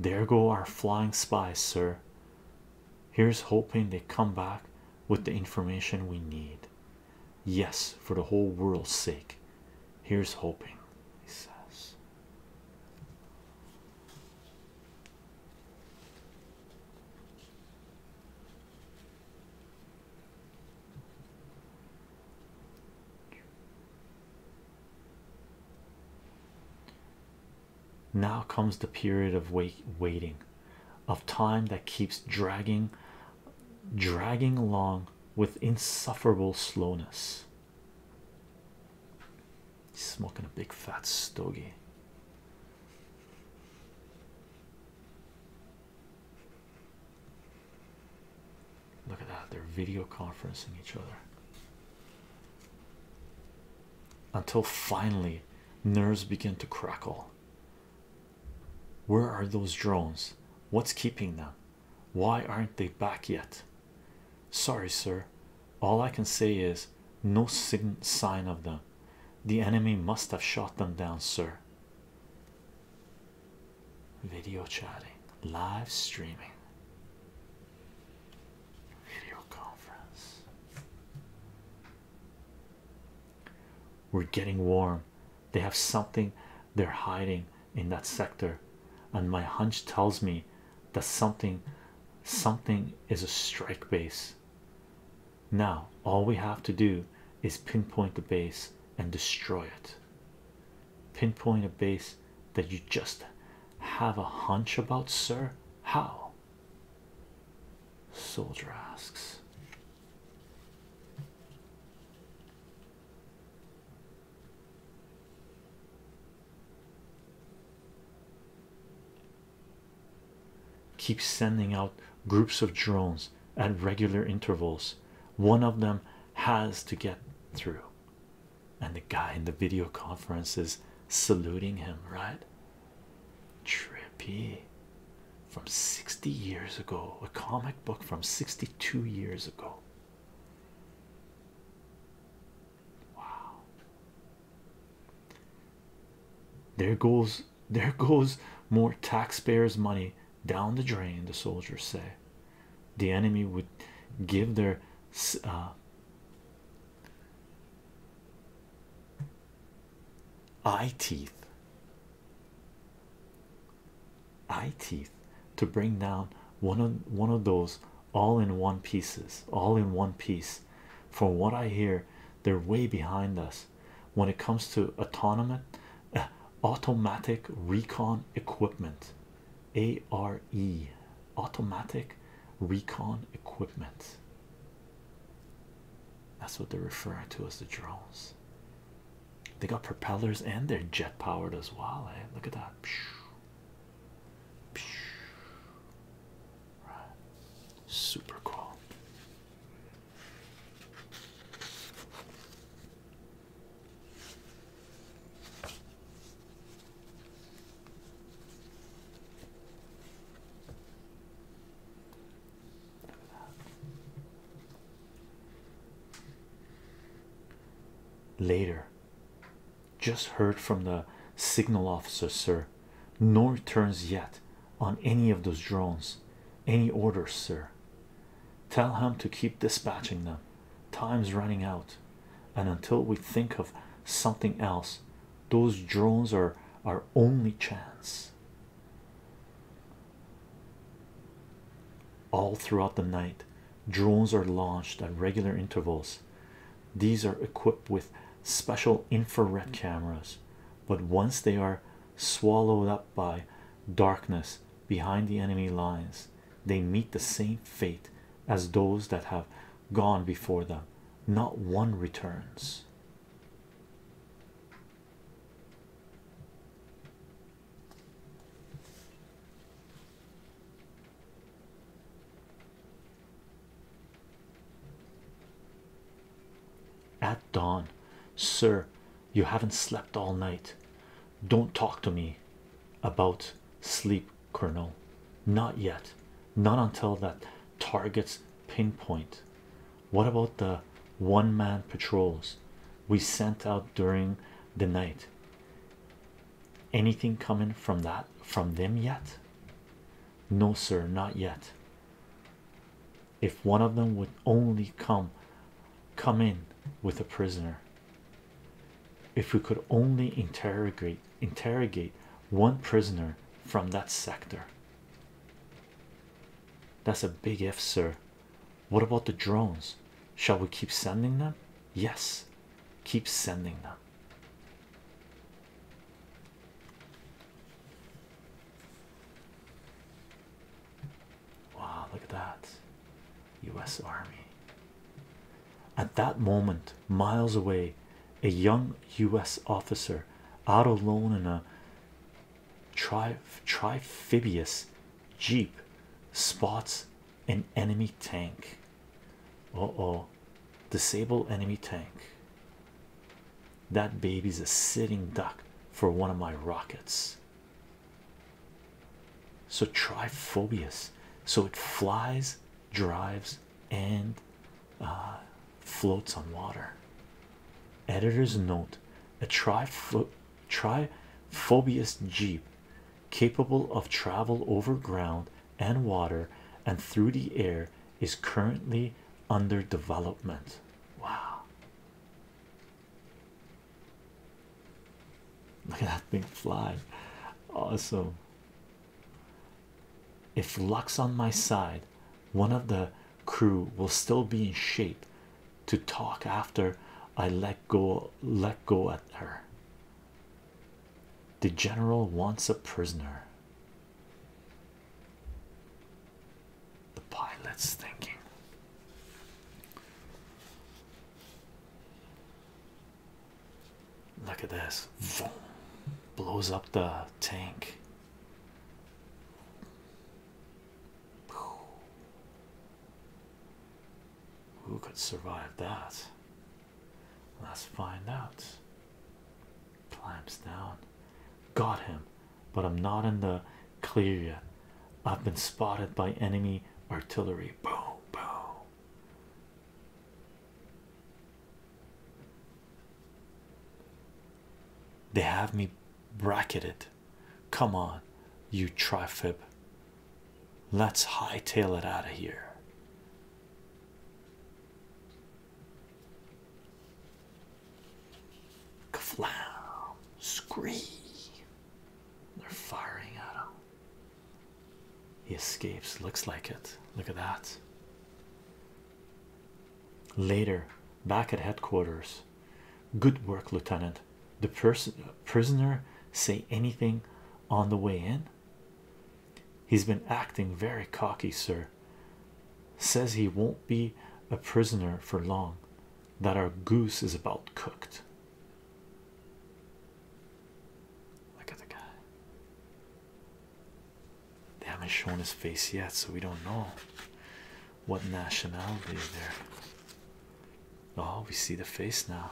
There go our flying spies, sir. Here's hoping they come back with the information we need. Yes, for the whole world's sake. Here's hoping, he says. Now comes the period of wait waiting of time that keeps dragging dragging along with insufferable slowness He's smoking a big fat stogie. Look at that, they're video conferencing each other. Until finally, nerves begin to crackle. Where are those drones? What's keeping them? Why aren't they back yet? Sorry, sir, all I can say is no sign of them. The enemy must have shot them down, sir. Video chatting, live streaming, video conference. We're getting warm. They have something they're hiding in that sector, and my hunch tells me that something something is a strike base now all we have to do is pinpoint the base and destroy it pinpoint a base that you just have a hunch about sir how soldier asks keep sending out groups of drones at regular intervals one of them has to get through and the guy in the video conference is saluting him right trippy from 60 years ago a comic book from 62 years ago Wow. There goes there goes more taxpayers' money down the drain, the soldiers say. The enemy would give their uh, eye teeth eye teeth to bring down one of one of those all in one pieces, all in one piece. From what I hear, they're way behind us when it comes to autonomous automatic recon equipment. ARE automatic recon equipment. That's what they're referring to as the drones. They got propellers and they're jet powered as well. Eh? Look at that. Right. Super cool. Later, just heard from the signal officer, sir. No returns yet on any of those drones. Any orders, sir? Tell him to keep dispatching them. Time's running out, and until we think of something else, those drones are our only chance. All throughout the night, drones are launched at regular intervals. These are equipped with special infrared mm. cameras, but once they are swallowed up by darkness behind the enemy lines, they meet the same fate as those that have gone before them. Not one returns. At dawn, sir, you haven't slept all night. Don't talk to me about sleep, Colonel. Not yet, not until that target's pinpoint. What about the one man patrols we sent out during the night? Anything coming from that from them yet? No, sir, not yet. If one of them would only come come in with a prisoner. If we could only interrogate interrogate one prisoner from that sector. That's a big if, sir. What about the drones? Shall we keep sending them? Yes, keep sending them. Wow, look at that. US Army. At that moment, miles away, a young US officer out alone in a tri trifibious jeep spots an enemy tank. Uh oh, disable enemy tank. That baby's a sitting duck for one of my rockets. So try So it flies, drives, and uh, floats on water. Editor's note a tri Jeep capable of travel over ground and water and through the air is currently under development. Wow. Look at that thing fly. Awesome. If luck's on my side, one of the crew will still be in shape to talk after I let go let go at her. The general wants a prisoner. The pilot's thinking. Look at this. Vroom. Blows up the tank. Who could survive that? Let's find out. Climbs down. Got him, but I'm not in the clear yet. I've been spotted by enemy artillery. Boom, boom. They have me bracketed. Come on, you trifib. Let's hightail it out of here. Kaflam! Scree! They're firing at him. He escapes. Looks like it. Look at that. Later, back at headquarters. Good work, Lieutenant. The prisoner say anything on the way in? He's been acting very cocky, sir. Says he won't be a prisoner for long, that our goose is about cooked. Look at the guy. They haven't shown his face yet, so we don't know what nationality is there. Oh, we see the face now.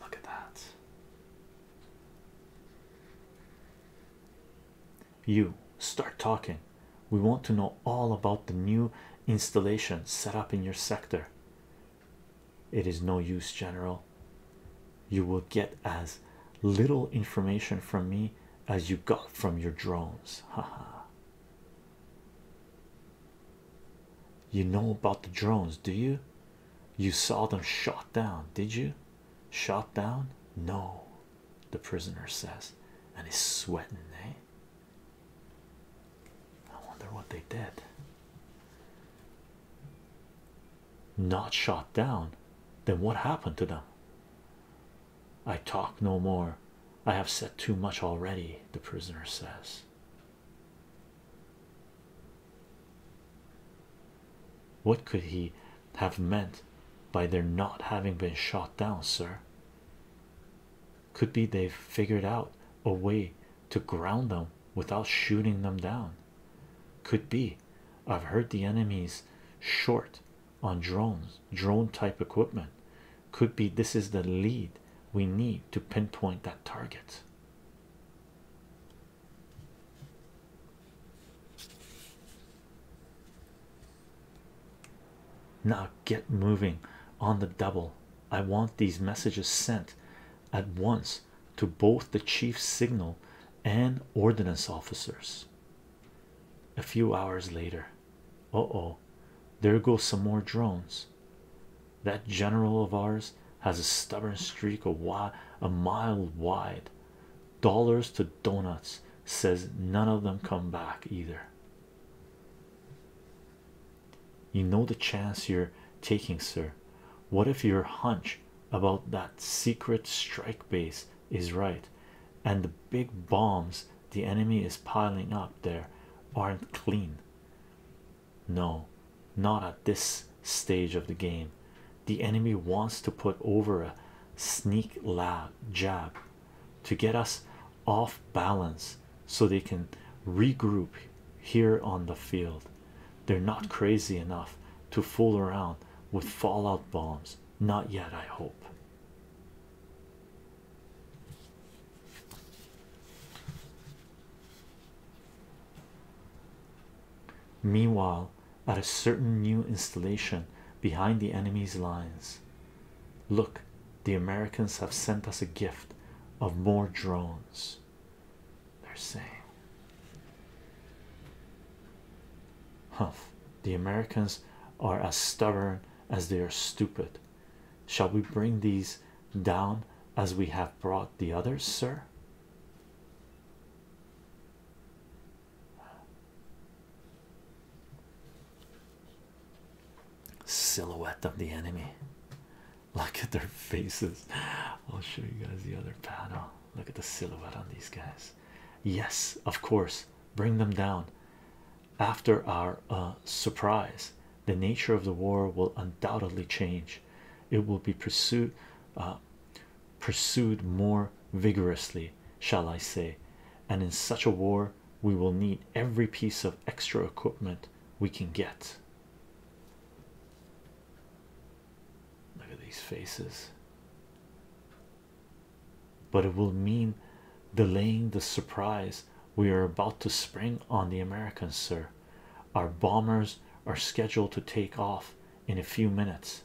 Look at that. You start talking. We want to know all about the new installation set up in your sector. It is no use, General. You will get as little information from me as you got from your drones. Haha. You know about the drones, do you? You saw them shot down, did you? Shot down? No, the prisoner says, and he's sweating, eh? I wonder what they did. Not shot down, then what happened to them? I talk no more. I have said too much already, the prisoner says. What could he have meant by their not having been shot down, sir? Could be they've figured out a way to ground them without shooting them down. Could be. I've heard the enemy's short on drones, drone type equipment. Could be this is the lead we need to pinpoint that target. Now get moving on the double. I want these messages sent at once to both the chief signal and ordnance officers. A few hours later, oh oh, there go some more drones. That general of ours has a stubborn streak of wi a mile wide. Dollars to donuts says none of them come back either. You know the chance you're taking, sir. What if your hunch about that secret strike base is right and the big bombs the enemy is piling up there aren't clean? No, not at this stage of the game. The enemy wants to put over a sneak lab jab to get us off balance so they can regroup here on the field. They're not mm-hmm. crazy enough to fool around with fallout bombs. Not yet, I hope. Meanwhile, at a certain new installation behind the enemy's lines, look, the Americans have sent us a gift of more drones. They're saying, Huff, the Americans are as stubborn as they are stupid. Shall we bring these down as we have brought the others, sir? Silhouette of the enemy. Look at their faces. I'll show you guys the other panel. Look at the silhouette on these guys. Yes, of course, bring them down. After our uh, surprise, the nature of the war will undoubtedly change it will be pursued uh, pursued more vigorously shall i say and in such a war we will need every piece of extra equipment we can get look at these faces but it will mean delaying the surprise we are about to spring on the americans sir our bombers are scheduled to take off in a few minutes.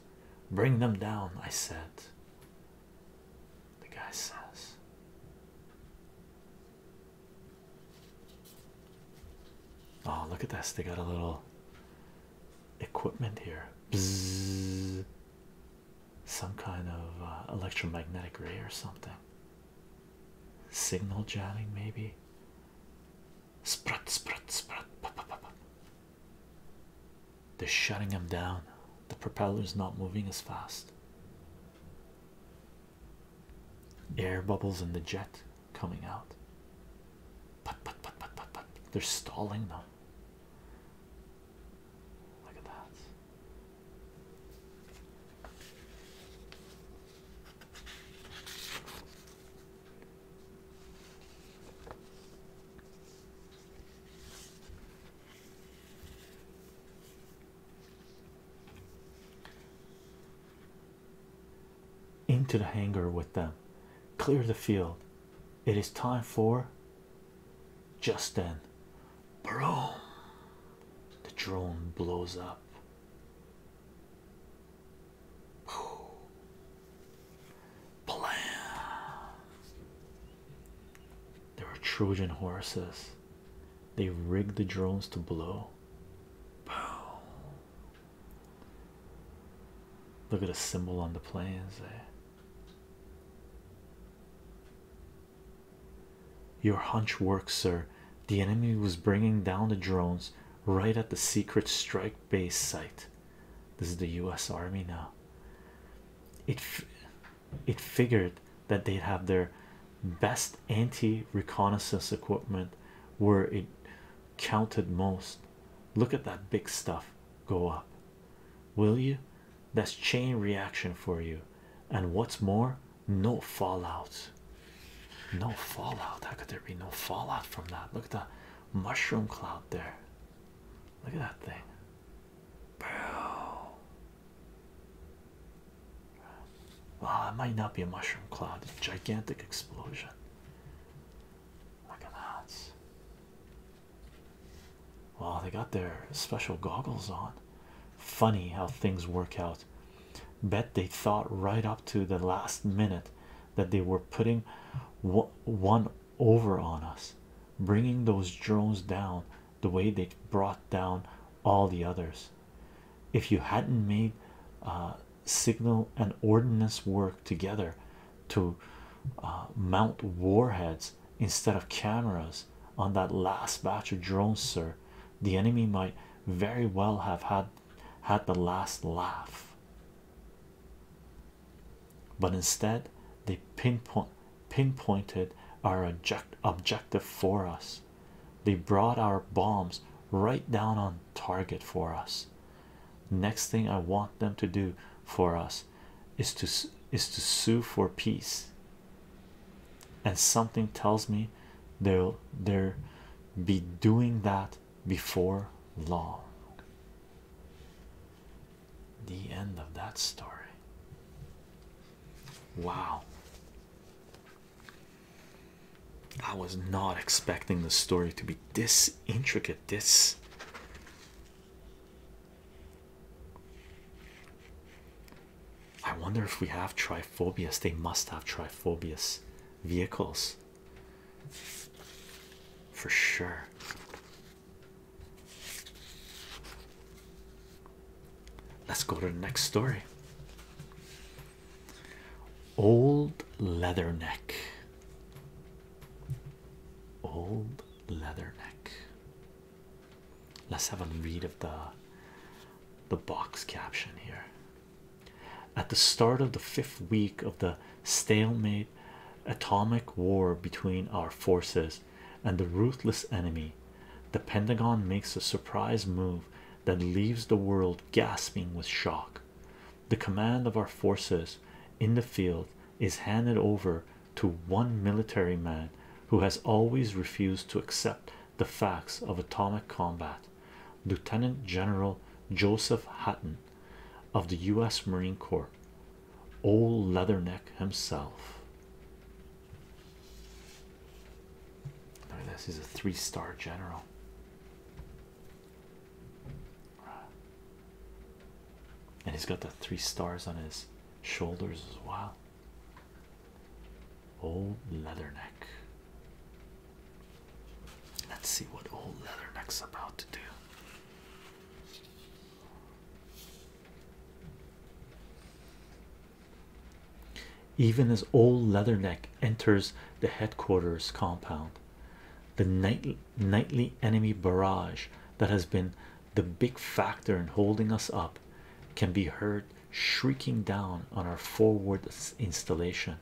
Bring them down, I said. The guy says. Oh, look at this. They got a little equipment here. Some kind of uh, electromagnetic ray or something. Signal jamming, maybe. Sprut, sprut, sprut. They're shutting him down. The propeller is not moving as fast. Air bubbles in the jet coming out. Put, put, put, put, put, put. They're stalling them. Look at that into the hangar with them. Clear the field. It is time for. Just then, bro, the drone blows up. Blam. There were Trojan horses. They rigged the drones to blow. Boom. Look at the symbol on the planes. Eh? Your hunch worked, sir. The enemy was bringing down the drones right at the secret strike base site. This is the US Army now. It it figured that they'd have their best anti-reconnaissance equipment where it counted most. Look at that big stuff go up. Will you? That's chain reaction for you. And what's more, no fallout. No fallout. How could there be no fallout from that? Look at the mushroom cloud there. Look at that thing. Wow. Well, it might not be a mushroom cloud, it's a gigantic explosion. Look at that. Well, they got their special goggles on. Funny how things work out bet they thought right up to the last minute that they were putting one over on us, bringing those drones down the way they brought down all the others. If you hadn't made uh, signal and ordnance work together to uh, mount warheads instead of cameras on that last batch of drones, sir, the enemy might very well have had had the last laugh but instead they pinpointed our objective for us they brought our bombs right down on target for us next thing i want them to do for us is to is to sue for peace and something tells me they'll they're be doing that before long. The end of that story. Wow. I was not expecting the story to be this intricate, this I wonder if we have triphobias. They must have triphobias vehicles for sure. Let's go to the next story. Old leather neck. Old leather neck. Let's have a read of the the box caption here. At the start of the fifth week of the stalemate atomic war between our forces and the ruthless enemy, the Pentagon makes a surprise move that leaves the world gasping with shock. The command of our forces in the field is handed over to one military man who has always refused to accept the facts of atomic combat. Lieutenant General Joseph Hutton of the U.S. Marine Corps, old Leatherneck himself. I mean, this is a three-star general. And he's got the three stars on his shoulders as well. Old Leatherneck. Let's see what old Leatherneck's about to do. Even as old Leatherneck enters the headquarters compound, the night nightly enemy barrage that has been the big factor in holding us up can be heard shrieking down on our forward installation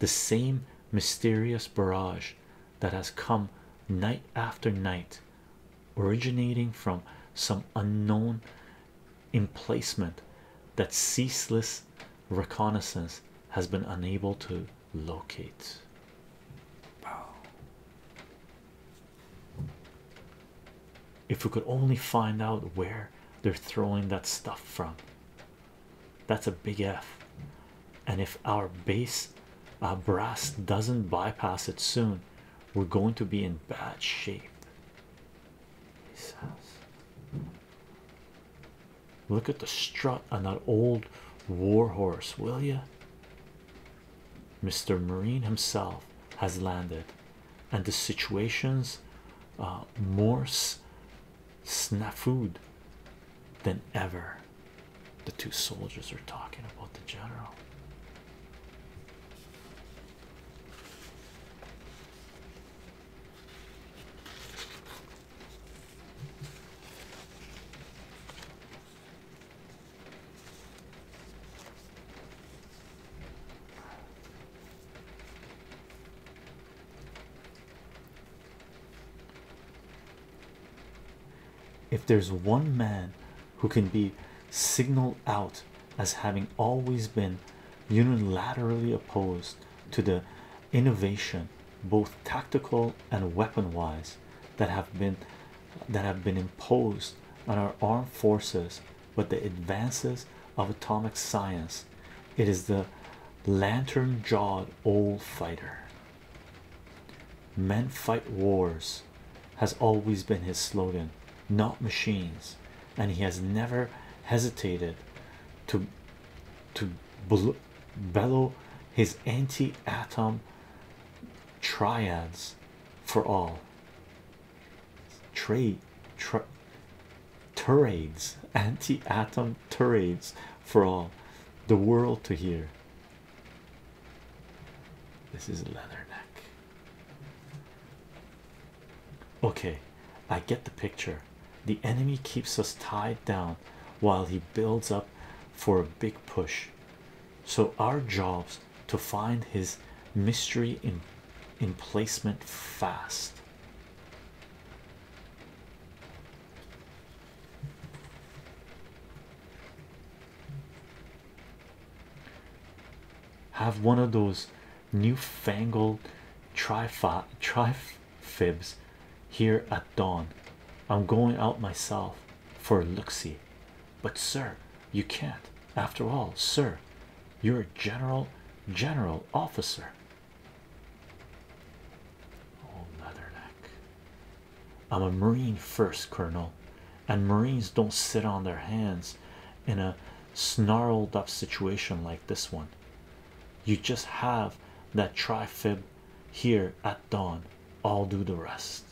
the same mysterious barrage that has come night after night, originating from some unknown emplacement that ceaseless reconnaissance has been unable to locate. If we could only find out where they're throwing that stuff from, that's a big F. And if our base uh, brass doesn't bypass it soon, we're going to be in bad shape. He says, Look at the strut on that old warhorse, will you? Mr. Marine himself has landed, and the situation's uh, Morse snafu'd than ever. The two soldiers are talking about the general. If there's one man who can be signaled out as having always been unilaterally opposed to the innovation, both tactical and weapon wise, that have been that have been imposed on our armed forces with the advances of atomic science, it is the lantern jawed old fighter. Men fight wars has always been his slogan, not machines, and he has never hesitated to to bellow his anti-atom triads for all trade tirades, anti-atom tirades for all the world to hear. This is leatherneck. Okay, I get the picture. The enemy keeps us tied down while he builds up for a big push. So our job's to find his mystery in placement fast. Have one of those newfangled tri fibs here at dawn. I'm going out myself for a look but sir, you can't. After all, sir, you're a general, general officer. Oh, leatherneck. I'm a Marine first, Colonel, and Marines don't sit on their hands in a snarled up situation like this one. You just have that trifib here at dawn, I'll do the rest.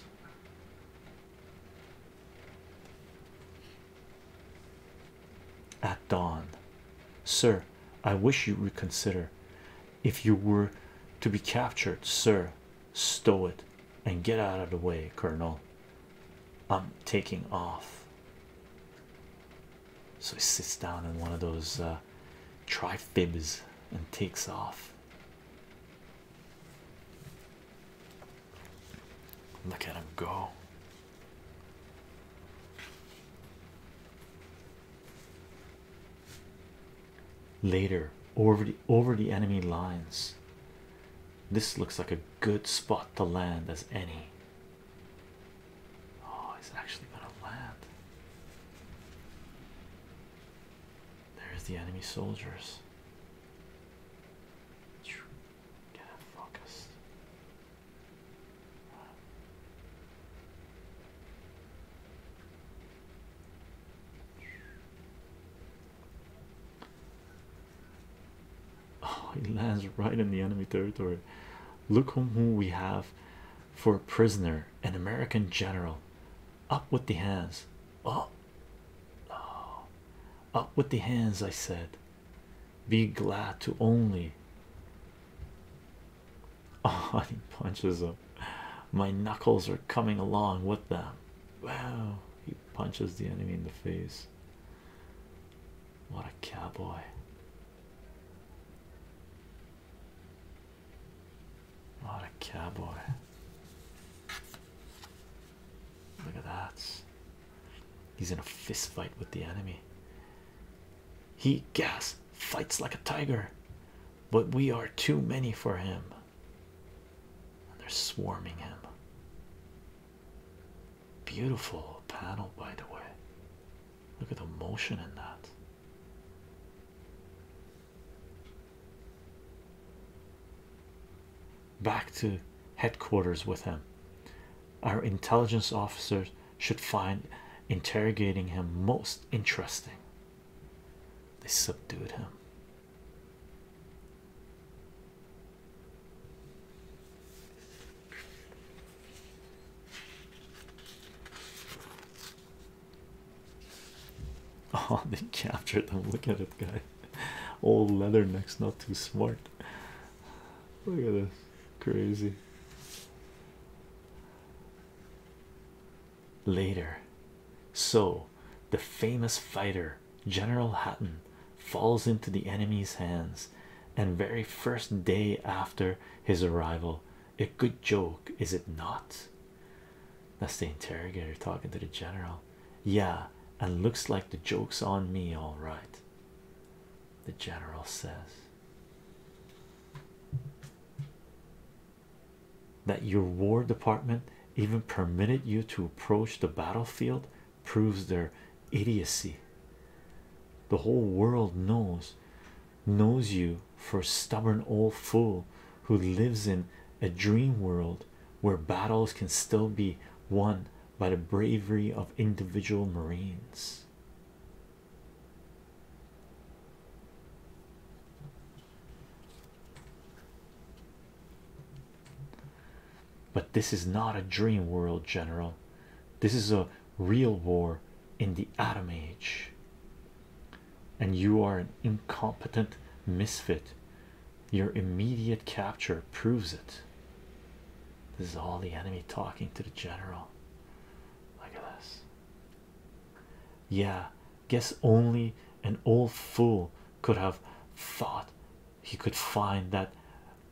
At dawn, sir, I wish you reconsider if you were to be captured, sir. Stow it and get out of the way, Colonel. I'm taking off. So he sits down in one of those uh, trifibs and takes off. Look at him go later over the enemy lines this looks like a good spot to land as any oh it's actually gonna land there's the enemy soldiers get focused Oh, he lands right in the enemy territory. Look whom we have for a prisoner, an American general. Up with the hands. oh. oh. up with the hands, I said. Be glad to only Oh, he punches him. My knuckles are coming along with them. Wow, he punches the enemy in the face. What a cowboy! What a cowboy! Look at that. He's in a fist fight with the enemy. He gas fights like a tiger, but we are too many for him. And they're swarming him. Beautiful panel, by the way. Look at the motion in that. Back to headquarters with him. Our intelligence officers should find interrogating him most interesting. They subdued him. Oh, they captured them. Look at it, guy. Old leather necks, not too smart. Look at this, crazy later. So, the famous fighter General Hatton falls into the enemy's hands, and very first day after his arrival, a good joke, is it not? That's the interrogator talking to the general. Yeah, and looks like the joke's on me, all right. The general says, that your War Department even permitted you to approach the battlefield proves their idiocy. The whole world knows knows you for a stubborn old fool who lives in a dream world where battles can still be won by the bravery of individual Marines. But this is not a dream world, General. This is a real war in the atom age, and you are an incompetent misfit. Your immediate capture proves it. This is all the enemy talking to the general. Look at this. Yeah, guess only an old fool could have thought he could find that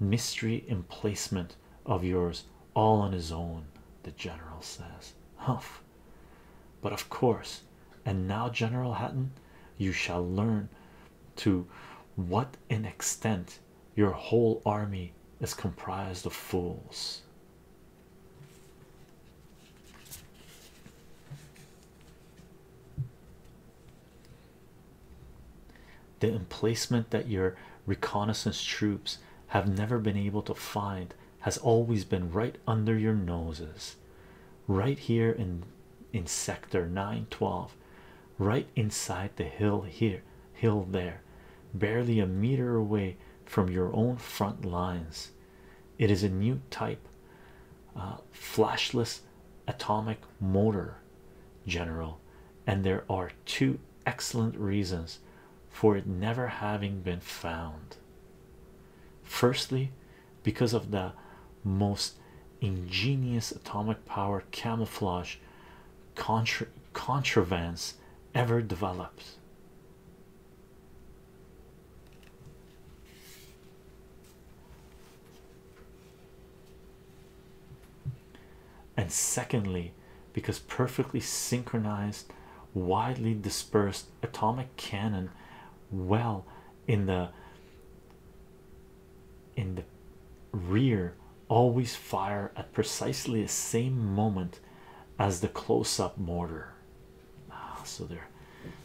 mystery emplacement of yours all on his own, the general says. Humph, but of course, and now, General Hatton, you shall learn to what an extent your whole army is comprised of fools. The emplacement that your reconnaissance troops have never been able to find has always been right under your noses, right here in in sector 912, right inside the hill here, hill there, barely a meter away from your own front lines. It is a new type uh, flashless atomic motor, General, and there are two excellent reasons for it never having been found. Firstly, because of the most ingenious atomic power camouflage contrivance ever developed and secondly, because perfectly synchronized, widely dispersed atomic cannon, well in the in the rear, always fire at precisely the same moment as the close-up mortar. Ah, so they're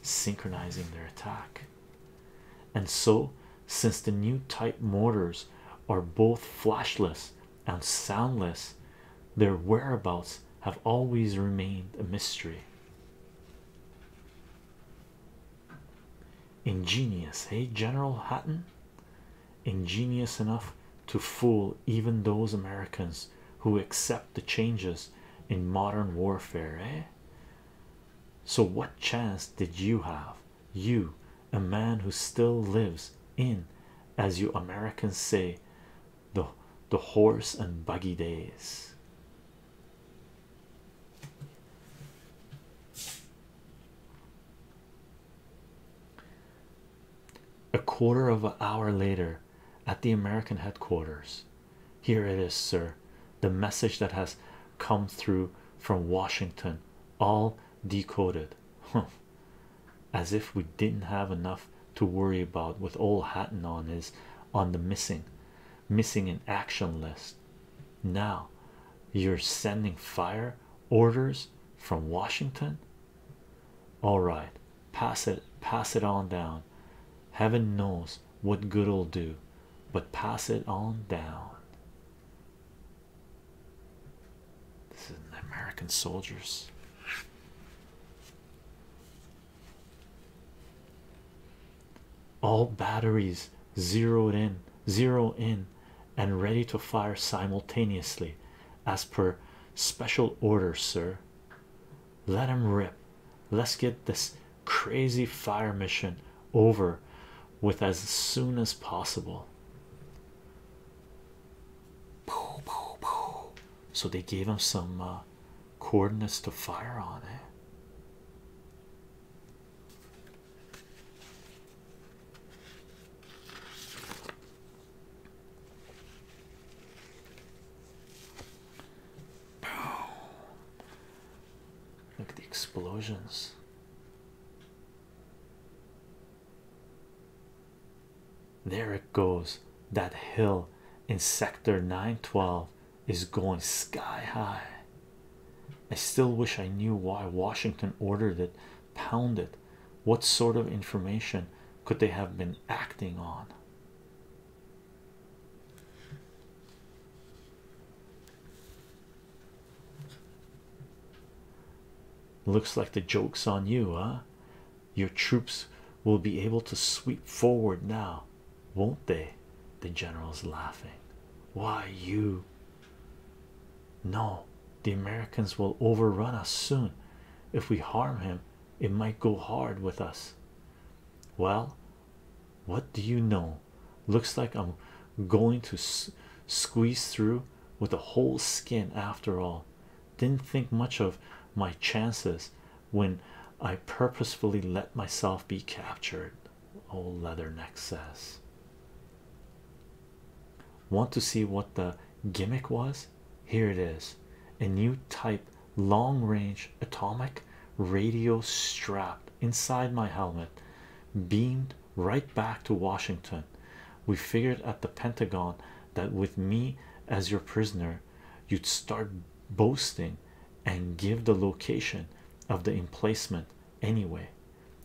synchronizing their attack. And so, since the new type mortars are both flashless and soundless, their whereabouts have always remained a mystery. Ingenious, eh, General Hatton? Ingenious enough to fool even those Americans who accept the changes in modern warfare, eh? So, what chance did you have? You, a man who still lives in, as you Americans say, the the horse and buggy days. A quarter of an hour later, at the American headquarters. Here it is, sir. The message that has come through from Washington, all decoded. As if we didn't have enough to worry about with old Hatton on his on the missing, missing in action list. Now you're sending fire orders from Washington all right pass it pass it on down heaven knows what good'll it do but pass it on down this is an american soldiers all batteries zeroed in zeroed in and ready to fire simultaneously as per special orders, sir let him rip. Let's get this crazy fire mission over with as soon as possible. So they gave him some uh, coordinates to fire on it. Eh? Look at the explosions. There it goes. That hill in sector 912 is going sky high. I still wish I knew why Washington ordered it, pounded. What sort of information could they have been acting on? Looks like the joke's on you, huh? Your troops will be able to sweep forward now, won't they? The general's laughing. Why, you? No, the Americans will overrun us soon. If we harm him, it might go hard with us. Well, what do you know? Looks like I'm going to squeeze through with a whole skin after all. Didn't think much of my chances when I purposefully let myself be captured. Old Leatherneck says. Want to see what the gimmick was? Here it is a new type long range atomic radio strapped inside my helmet, beamed right back to Washington. We figured at the Pentagon that with me as your prisoner, you'd start boasting and give the location of the emplacement anyway,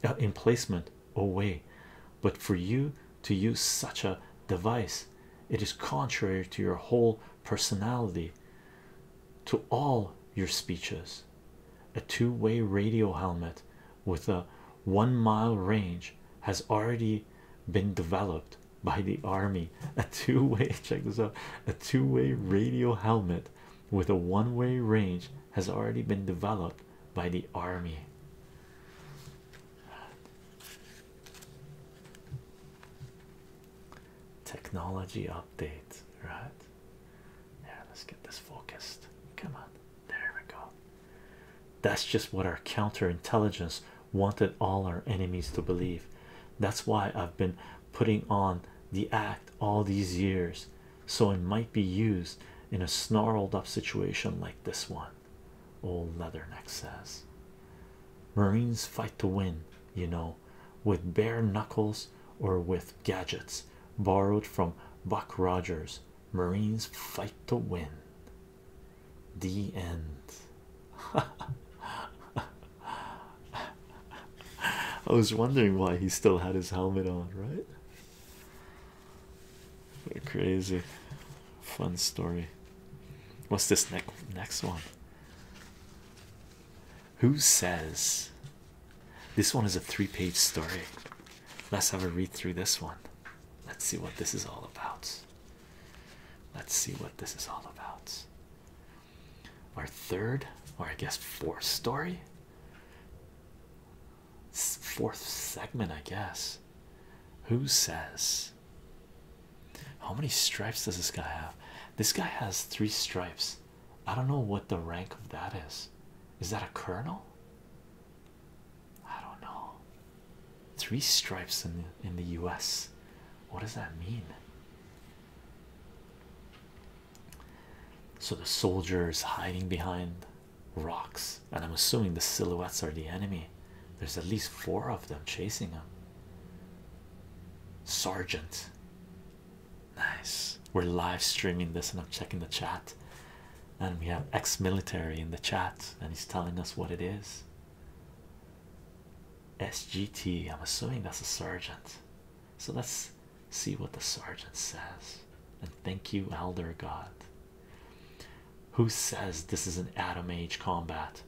uh, emplacement away. But for you to use such a device it is contrary to your whole personality to all your speeches a two-way radio helmet with a one-mile range has already been developed by the army a two-way check this out a two-way radio helmet with a one-way range has already been developed by the army Technology update, right? Yeah, let's get this focused. Come on, there we go. That's just what our counterintelligence wanted all our enemies to believe. That's why I've been putting on the act all these years so it might be used in a snarled up situation like this one old Leatherneck says. Marines fight to win, you know, with bare knuckles or with gadgets borrowed from Buck Rogers. Marines fight to win. The end. I was wondering why he still had his helmet on, right? They're crazy. Fun story. What's this next next one? Who says this one is a three-page story? Let's have a read through this one. Let's see what this is all about. Let's see what this is all about. Our third, or I guess fourth story, fourth segment, I guess. Who says? How many stripes does this guy have? This guy has three stripes. I don't know what the rank of that is. Is that a colonel? I don't know. Three stripes in the, in the U.S. What does that mean? So the soldier is hiding behind rocks, and I'm assuming the silhouettes are the enemy. There's at least four of them chasing him. Sergeant. Nice. We're live streaming this, and I'm checking the chat. And we have ex military in the chat, and he's telling us what it is. SGT, I'm assuming that's a sergeant. So let's see what the sergeant says. And thank you, Elder God. Who says this is an Adam age combat?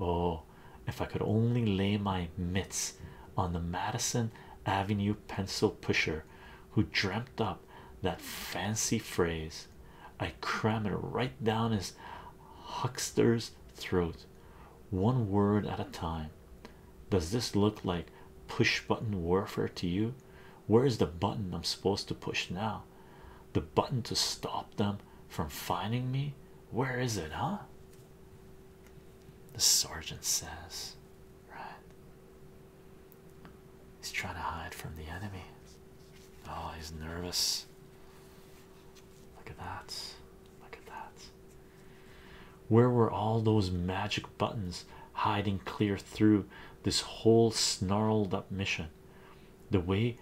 Oh, if I could only lay my mitts on the Madison Avenue pencil pusher who dreamt up that fancy phrase, I cram it right down his huckster's throat, one word at a time. Does this look like push button warfare to you? Where is the button I'm supposed to push now? The button to stop them from finding me. Where is it, huh? The sergeant says, Right, he's trying to hide from the enemy. Oh, he's nervous. Look at that. Look at that. Where were all those magic buttons hiding clear through this whole snarled up mission? the way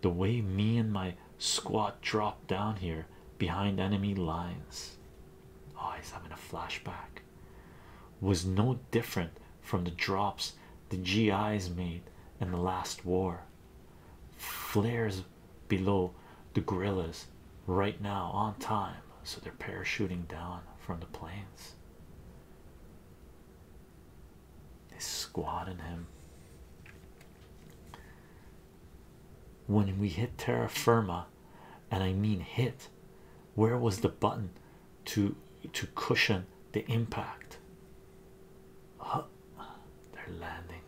the way me and my squad dropped down here behind enemy lines oh he's having a flashback was no different from the drops the GIs made in the last war flares below the gorillas right now on time so they're parachuting down from the planes they squatted him. When we hit terra firma, and I mean hit, where was the button to to cushion the impact? they're landing.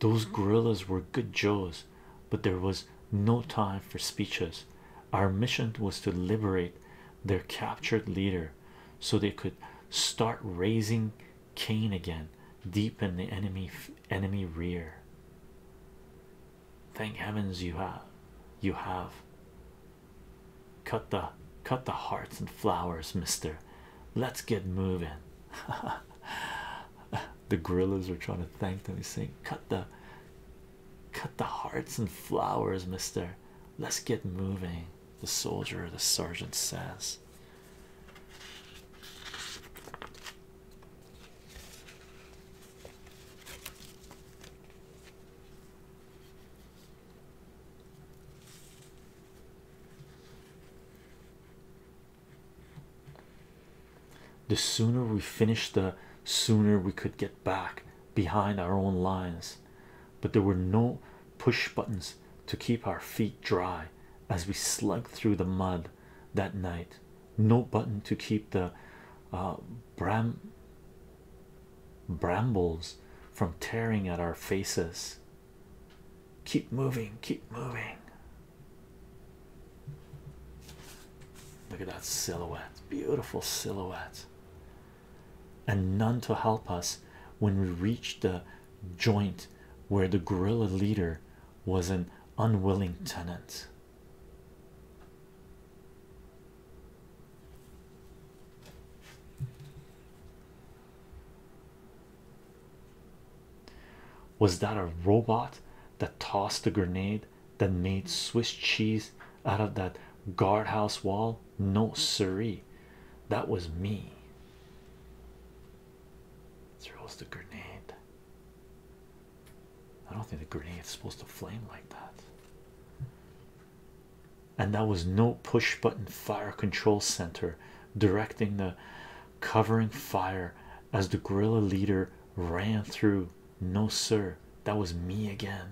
Those gorillas were good Joes, but there was no time for speeches. Our mission was to liberate their captured leader so they could start raising Cain again deep in the enemy enemy rear. Thank heavens you have you have cut the cut the hearts and flowers, mister. Let's get moving. the gorillas are trying to thank them. He's saying, Cut the Cut the hearts and flowers, mister. Let's get moving, the soldier, the sergeant says. The sooner we finish, the sooner we could get back behind our own lines but there were no push buttons to keep our feet dry as we slugged through the mud that night. No button to keep the uh, bram brambles from tearing at our faces. Keep moving, keep moving. Look at that silhouette, beautiful silhouette and none to help us when we reached the joint where the guerrilla leader was an unwilling tenant. Was that a robot that tossed the grenade that made Swiss cheese out of that guardhouse wall no siree that was me throws the grenade i don't think the grenade's supposed to flame like that and that was no push button fire control center directing the covering fire as the guerrilla leader ran through no sir that was me again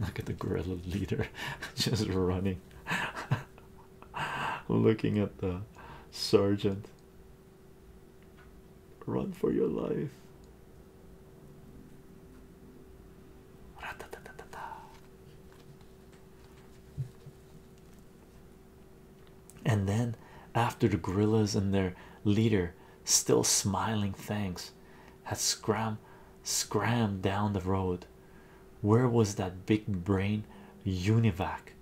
Look at the guerrilla leader just running, looking at the sergeant. Run for your life. And then, after the gorillas and their leader, still smiling, thanks, had scram Scrammed down the road. Where was that big brain univac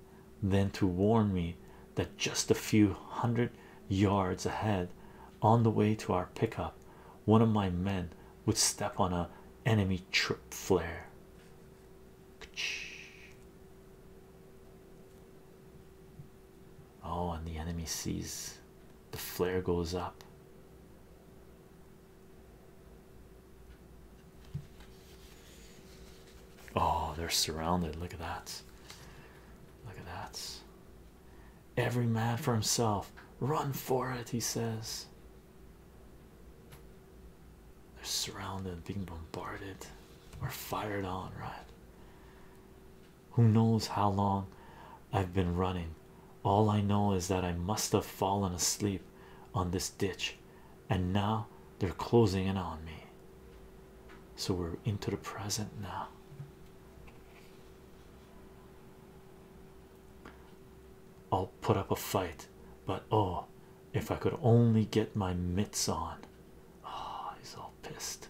then to warn me that just a few hundred yards ahead on the way to our pickup one of my men would step on a enemy trip flare? Oh, and the enemy sees the flare goes up. Oh, they're surrounded. Look at that. Look at that. Every man for himself. Run for it, he says. They're surrounded, being bombarded, We're fired on, right? Who knows how long I've been running? All I know is that I must have fallen asleep on this ditch, and now they're closing in on me. So we're into the present now. I'll put up a fight, but oh, if I could only get my mitts on. Ah, he's all pissed.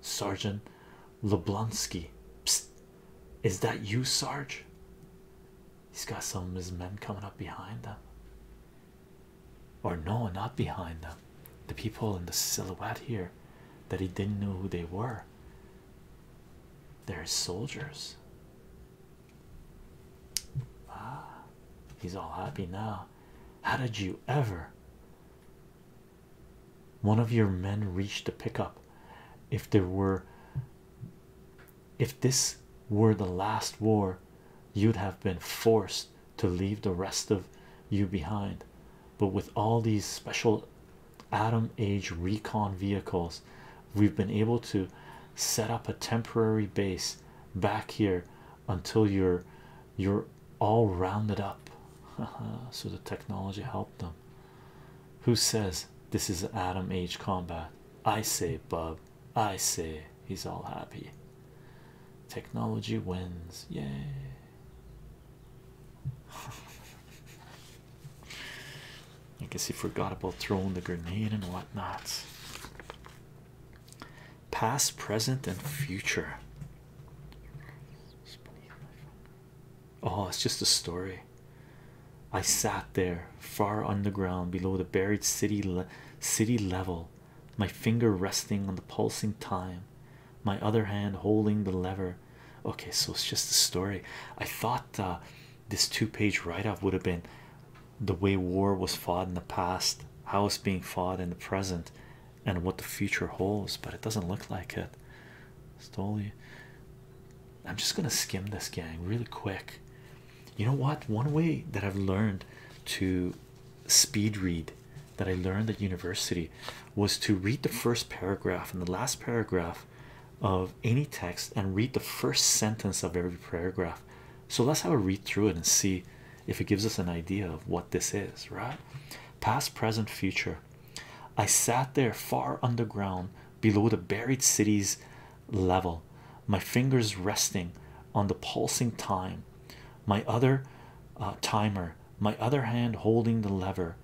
Sergeant Leblonsky. Psst, is that you, Sarge? He's got some of his men coming up behind them. Or no, not behind them. The people in the silhouette here that he didn't know who they were. They're soldiers. Ah, he's all happy now. How did you ever? one of your men reached the pickup if there were if this were the last war you'd have been forced to leave the rest of you behind but with all these special Adam age recon vehicles we've been able to set up a temporary base back here until your your all rounded up. so the technology helped them. Who says this is atom age combat? I say, Bub. I say he's all happy. Technology wins. Yay. I guess he forgot about throwing the grenade and whatnot. Past, present, and future. Oh, it's just a story. I sat there far underground below the buried city city level, my finger resting on the pulsing time, my other hand holding the lever. Okay, so it's just a story. I thought uh, this two-page write-up would have been the way war was fought in the past, how it's being fought in the present, and what the future holds, but it doesn't look like it. Stoli. I'm just gonna skim this gang really quick. You know what? One way that I've learned to speed read that I learned at university was to read the first paragraph and the last paragraph of any text and read the first sentence of every paragraph. So let's have a read through it and see if it gives us an idea of what this is, right? past, present, future. I sat there far underground below the buried city's level, my fingers resting on the pulsing time, my other uh, timer, my other hand holding the lever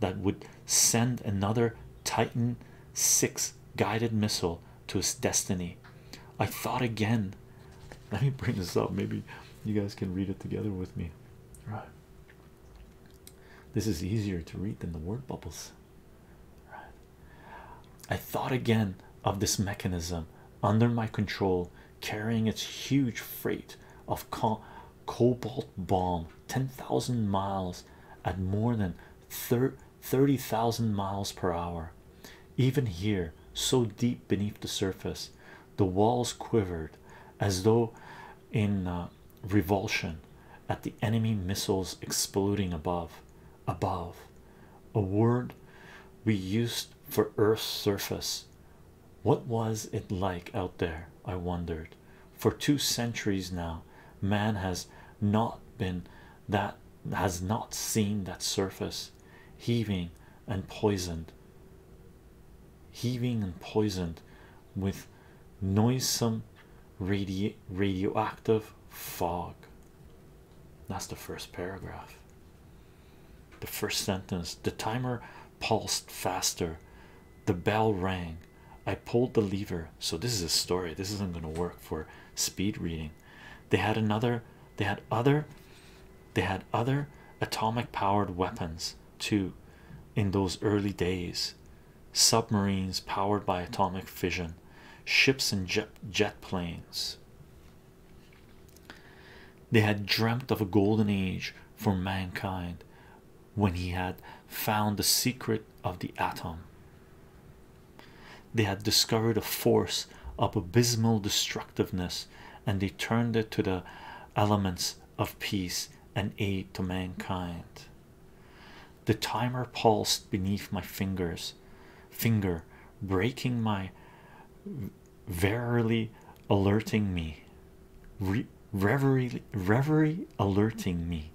that would send another Titan 6 guided missile to its destiny. I thought again. Let me bring this up. Maybe you guys can read it together with me. Right. This is easier to read than the word bubbles. I thought again of this mechanism under my control, carrying its huge freight of cobalt bomb 10,000 miles at more than 30,000 miles per hour. Even here, so deep beneath the surface, the walls quivered as though in uh, revulsion at the enemy missiles exploding above above a word we used for earth's surface what was it like out there i wondered for two centuries now man has not been that has not seen that surface heaving and poisoned heaving and poisoned with noisome radio radioactive fog. That's the first paragraph. The first sentence the timer pulsed faster, the bell rang. I pulled the lever. So, this is a story, this isn't going to work for speed reading. They had another, they had other, they had other atomic powered weapons too in those early days submarines powered by atomic fission ships and jet, jet planes they had dreamt of a golden age for mankind when he had found the secret of the atom they had discovered a force of abysmal destructiveness and they turned it to the elements of peace an aid to mankind. The timer pulsed beneath my fingers, finger breaking my verily alerting me, reverie, reverie alerting me.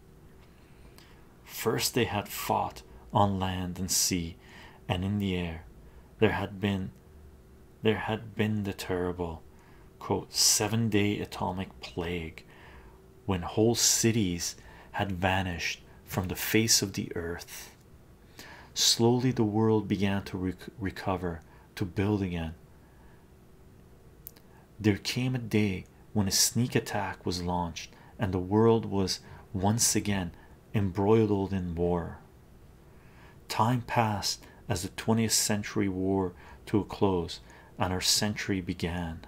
First, they had fought on land and sea and in the air. There had been there had been the terrible seven day atomic plague when whole cities had vanished from the face of the earth slowly the world began to recover to build again there came a day when a sneak attack was launched and the world was once again embroiled in war time passed as the 20th century wore to a close and our century began.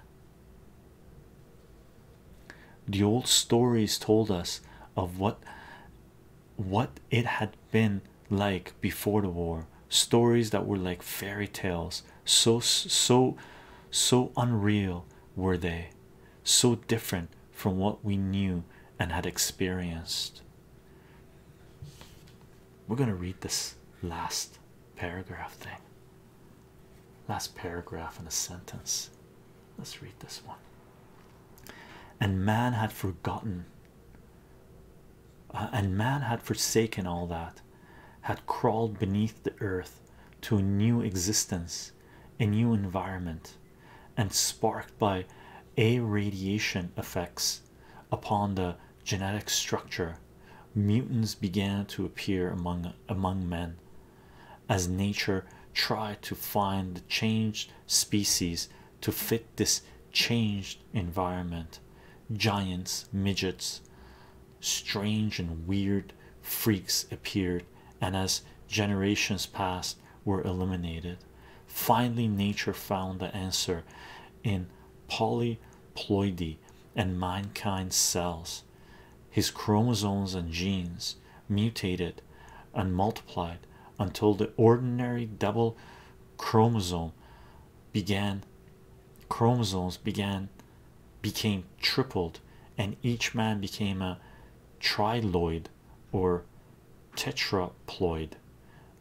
The old stories told us of what what it had been like before the war, stories that were like fairy tales, so so so unreal were they, so different from what we knew and had experienced. We're gonna read this last paragraph thing. Last paragraph in a sentence. Let's read this one. And man had forgotten, uh, and man had forsaken all that, had crawled beneath the earth to a new existence, a new environment, and sparked by a radiation effects upon the genetic structure, mutants began to appear among among men as nature tried to find the changed species to fit this changed environment. Giants, midgets, strange and weird freaks appeared, and as generations passed, were eliminated. Finally, nature found the answer in poly ploidy and mankind's cells his chromosomes and genes mutated and multiplied until the ordinary double chromosome began chromosomes began became tripled and each man became a triloid or tetraploid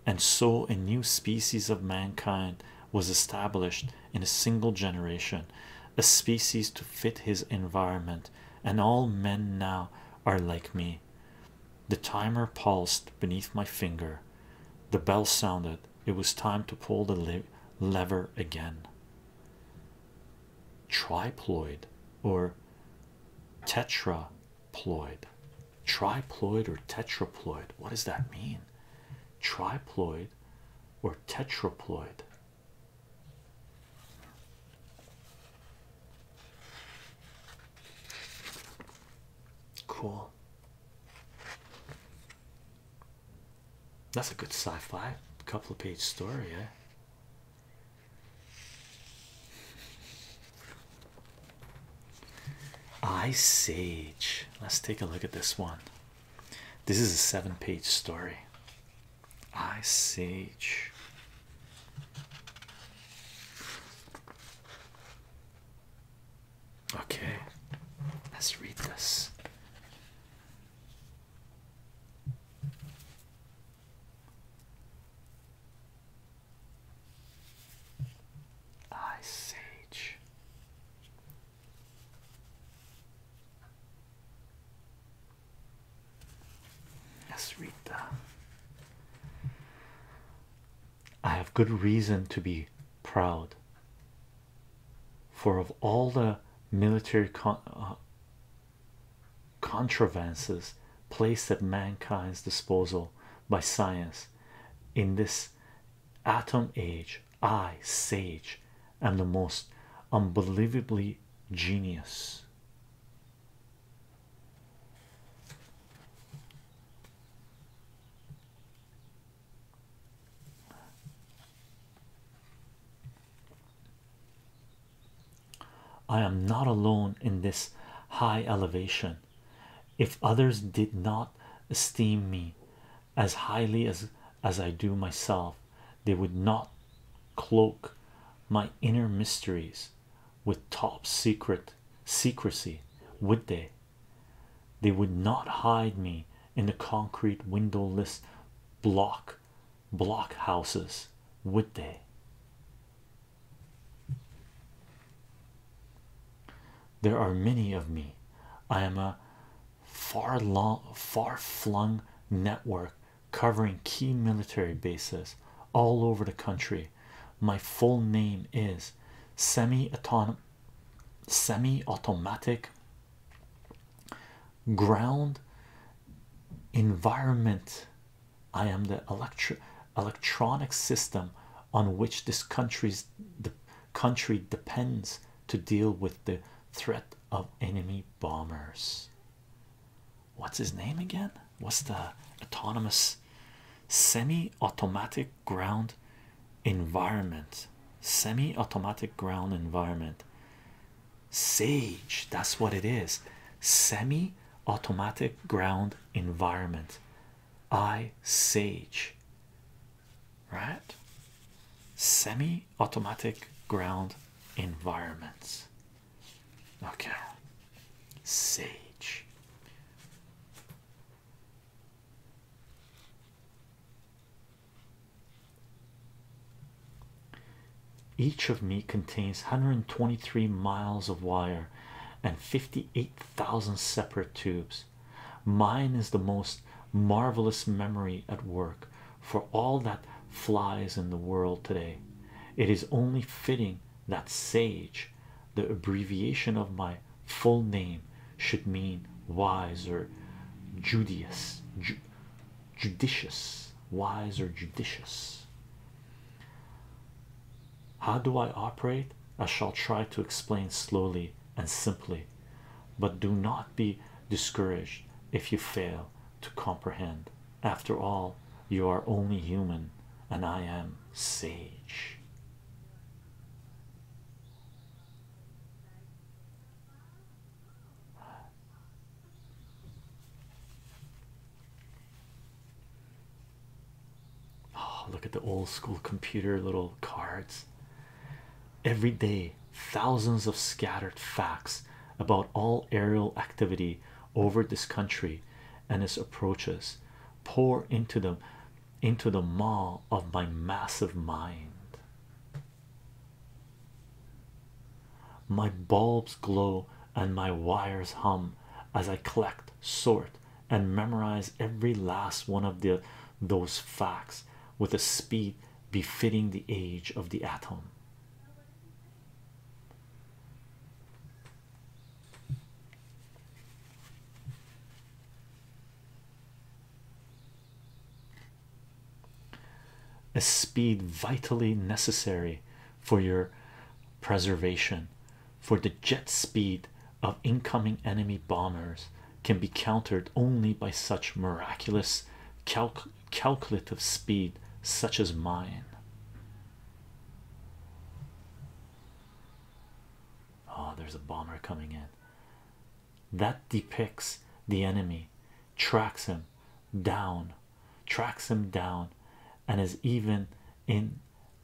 and so a new species of mankind was established in a single generation, a species to fit his environment, and all men now are like me. The timer pulsed beneath my finger. The bell sounded. It was time to pull the lever again. Triploid or tetraploid triploid or tetraploid. What does that mean? Triploid or tetraploid? Cool. That's a good sci-fi couple of page story, eh? Ice Age. Let's take a look at this one. This is a seven page story. Ice Age. Okay, let's read this. Ice Age. Let's I have good reason to be proud, for of all the military con uh, contrivances placed at mankind's disposal, by science in this atom age i sage am the most unbelievably genius I am not alone in this high elevation if others did not esteem me as highly as as I do myself they would not cloak my inner mysteries with top secret secrecy would they they would not hide me in the concrete windowless block block houses would they there are many of me. I am a far long, far flung network covering key military bases all over the country. My full name is semi autonomous, semi automatic ground environment. I am the electro electronic system on which this country's de country depends to deal with the threat of enemy bombers. What's his name again? What's the autonomous semi automatic ground environment? Semi automatic ground environment. Sage, that's what it is. Semi automatic ground environment. I Sage, right? Semi automatic ground environments. Okay, Sage. Each of me contains 123 miles of wire and 58,000 separate tubes. Mine is the most marvelous memory at work for all that flies in the world today. It is only fitting that sage, the abbreviation of my full name, should mean wise or judicious, wise or judicious. How do I operate? I shall try to explain slowly and simply, but do not be discouraged if you fail to comprehend. After all, you are only human, and I am sage. Oh, look at the old school computer little cards. Every day, thousands of scattered facts about all aerial activity over this country and its approaches pour into them into the maw of my massive mind. My bulbs glow and my wires hum as I collect, sort, and memorize every last one of the those facts with a speed befitting the age of the atom a speed vitally necessary for your preservation for the jet speed of incoming enemy bombers can be countered only by such miraculous calc calculative speed such as mine oh there's a bomber coming in that depicts the enemy tracks him down tracks him down and is even in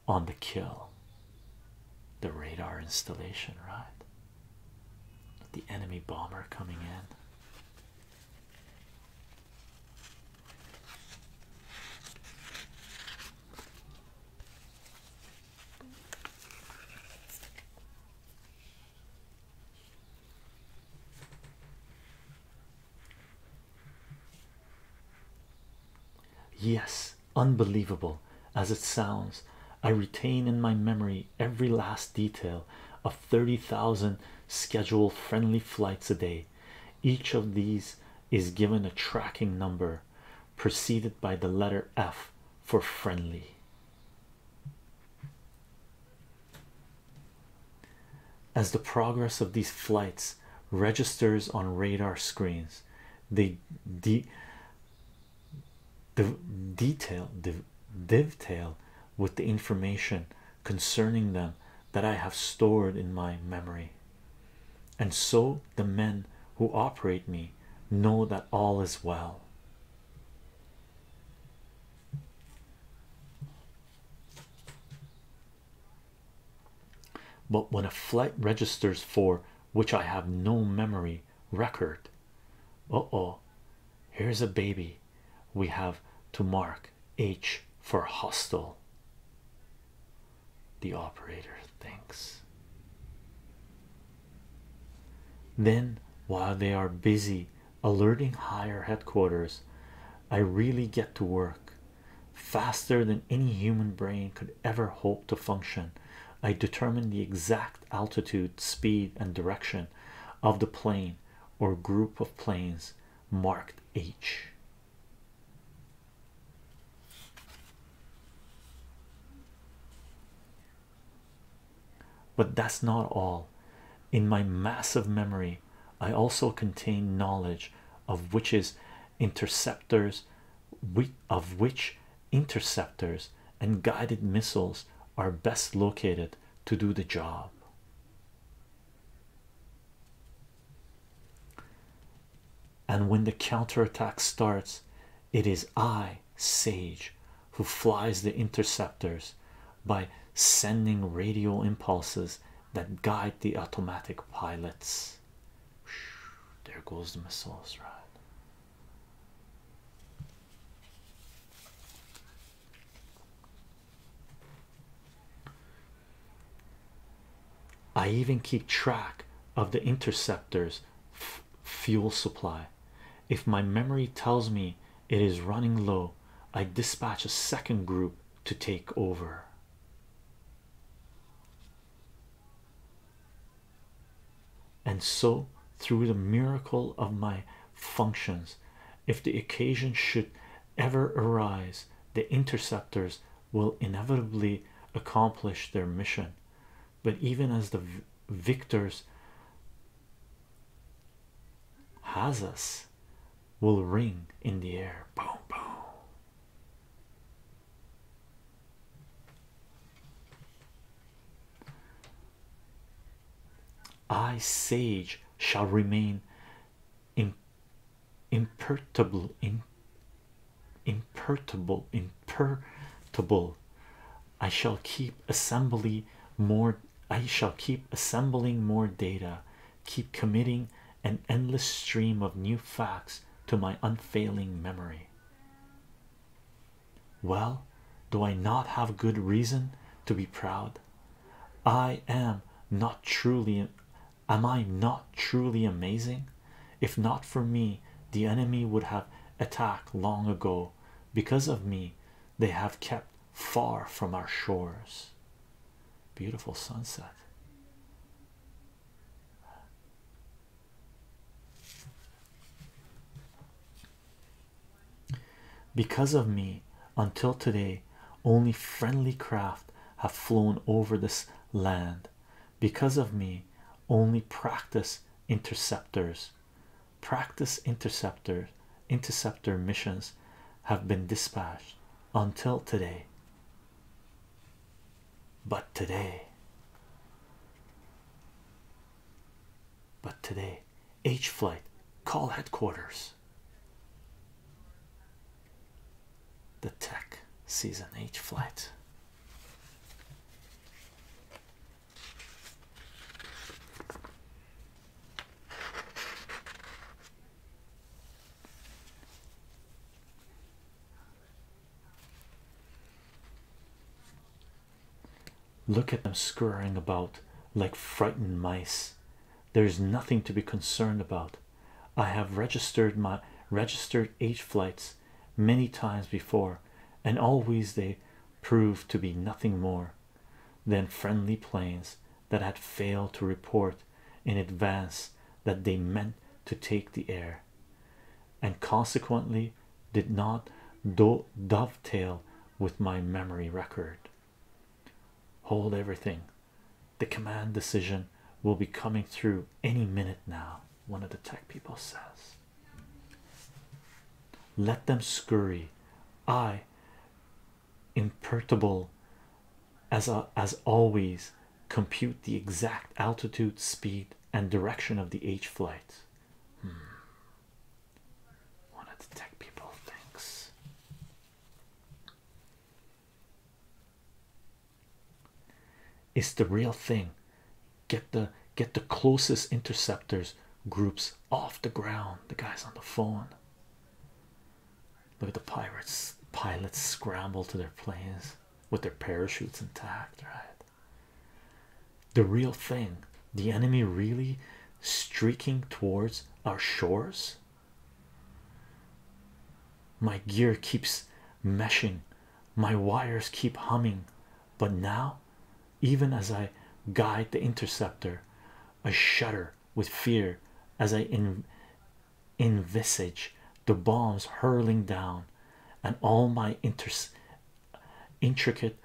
on the kill the radar installation right the enemy bomber coming in. Yes, unbelievable as it sounds. I retain in my memory every last detail of 30,000 scheduled friendly flights a day. Each of these is given a tracking number preceded by the letter F for friendly. As the progress of these flights registers on radar screens, they de the detail the dovetail with the information concerning them that I have stored in my memory, and so the men who operate me know that all is well. But when a flight registers for which I have no memory record, Oh oh here's a baby we have to mark h for hostile the operator thinks then while they are busy alerting higher headquarters i really get to work faster than any human brain could ever hope to function. I determine the exact altitude, speed, and direction of the plane or group of planes marked H. But that's not all. In my massive memory, I also contain knowledge of which is interceptors, of which interceptors, and guided missiles are best located to do the job. And when the counterattack starts, it is I, Sage, who flies the interceptors by sending radio impulses that guide the automatic pilots. There goes the missiles, Rod. I even keep track of the interceptors fuel supply. If my memory tells me it is running low, I dispatch a second group to take over and so through the miracle of my functions if the occasion should ever arise the interceptors will inevitably accomplish their mission but even as the victors has will ring in the air I, sage, shall remain in, imperturbable, in, imperturbable, imperturbable. I shall keep assembly more. I shall keep assembling more data, keep committing an endless stream of new facts to my unfailing memory. Well, do I not have good reason to be proud? I am not truly am I not truly amazing? If not for me, the enemy would have attacked long ago. Because of me, they have kept far from our shores. Beautiful sunset. Because of me, until today, only friendly craft have flown over this land. Because of me, only practice interceptors, practice interceptor, interceptor missions have been dispatched until today. But today, but today, H Flight, call headquarters. The Tech Season H Flight. Look at them scurrying about like frightened mice. There is nothing to be concerned about. I have registered my registered H flights many times before, and always they proved to be nothing more than friendly planes that had failed to report in advance that they meant to take the air and consequently did not dovetail with my memory record. Hold everything. The command decision will be coming through any minute now, one of the tech people says. Let them scurry. I, imperturbable as, as always, compute the exact altitude, speed, and direction of the H flight. Hmm. Wanted to tech people, thanks. It's the real thing. Get the get the closest interceptors groups off the ground. The guys on the phone. Look at the pirates. Pilots scramble to their planes with their parachutes intact, right? the real thing the enemy really streaking towards our shores my gear keeps meshing my wires keep humming but now even as i guide the interceptor i shudder with fear as i envisage the bombs hurling down and all my interests intricate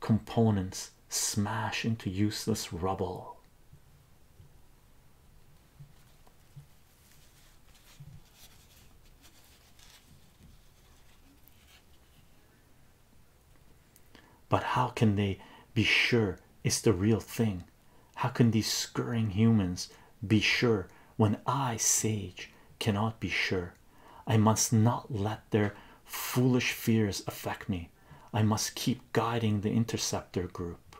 components smash into useless rubble. But how can they be sure it's the real thing? How can these scurrying humans be sure when I, Sage, cannot be sure? I must not let their foolish fears affect me. I must keep guiding the interceptor group.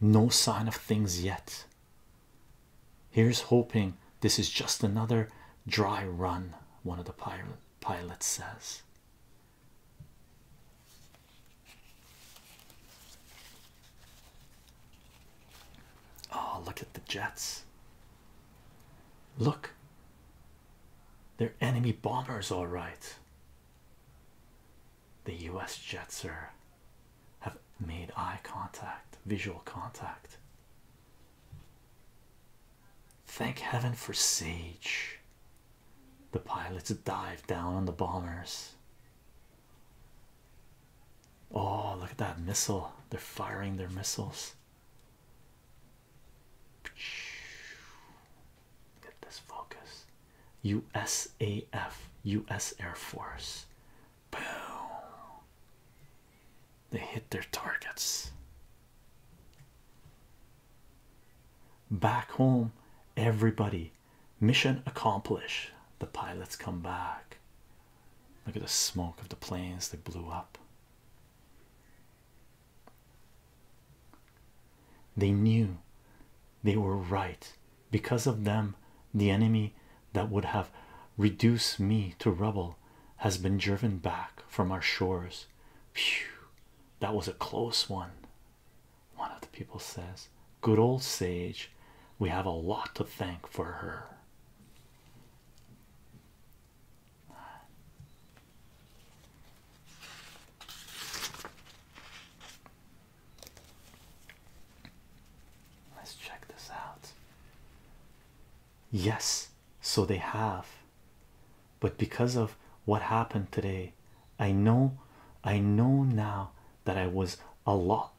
No sign of things yet. Here's hoping this is just another dry run, one of the pilot pilots says. Oh, look at the jets. Look, they're enemy bombers, all right. The US jets are have made eye contact, visual contact. Thank heaven for Sage. The pilots dive down on the bombers. Oh, look at that missile! They're firing their missiles. Get this focus. USAF, US Air Force. Boom. They hit their targets. Back home, everybody. Mission accomplished. The pilots come back. Look at the smoke of the planes that blew up. They knew they were right. Because of them, the enemy that would have reduced me to rubble has been driven back from our shores. Phew, that was a close one. One of the people says, Good old sage, we have a lot to thank for her. Let's check this out. Yes, so they have, but because of what happened today, I know I know now that I was a lot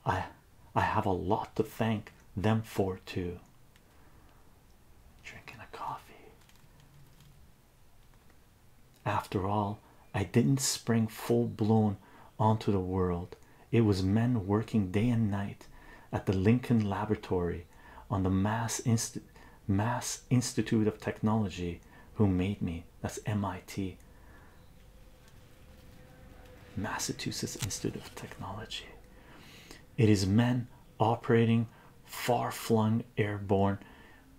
I have a lot to thank them for, too. Drinking a coffee. After all, I didn't spring full blown onto the world, it was men working day and night at the Lincoln Laboratory on the Mass, Mass Institute of Technology who made me. That's MIT. Massachusetts Institute of Technology. It is men operating far flung airborne,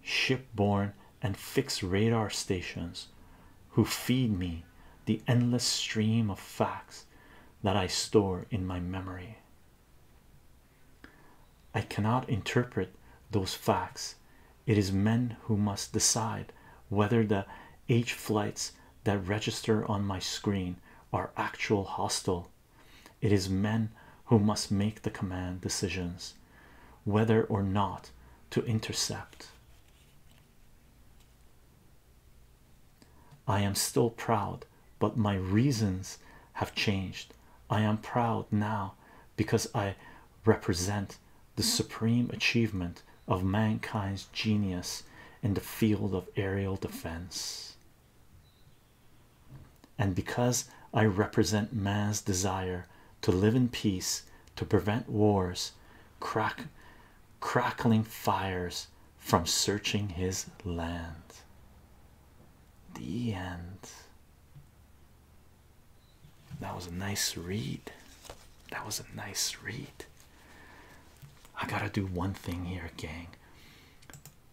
shipborne, and fixed radar stations who feed me the endless stream of facts that I store in my memory. I cannot interpret those facts. It is men who must decide whether the H flights that register on my screen are actual hostile. It is men who must make the command decisions whether or not to intercept. I am still proud, but my reasons have changed. I am proud now because I represent the supreme achievement of mankind's genius in the field of aerial defense. And because I represent man's desire to live in peace, to prevent wars, crack, crackling fires from searching his land. The end. That was a nice read. That was a nice read. I gotta do one thing here, gang.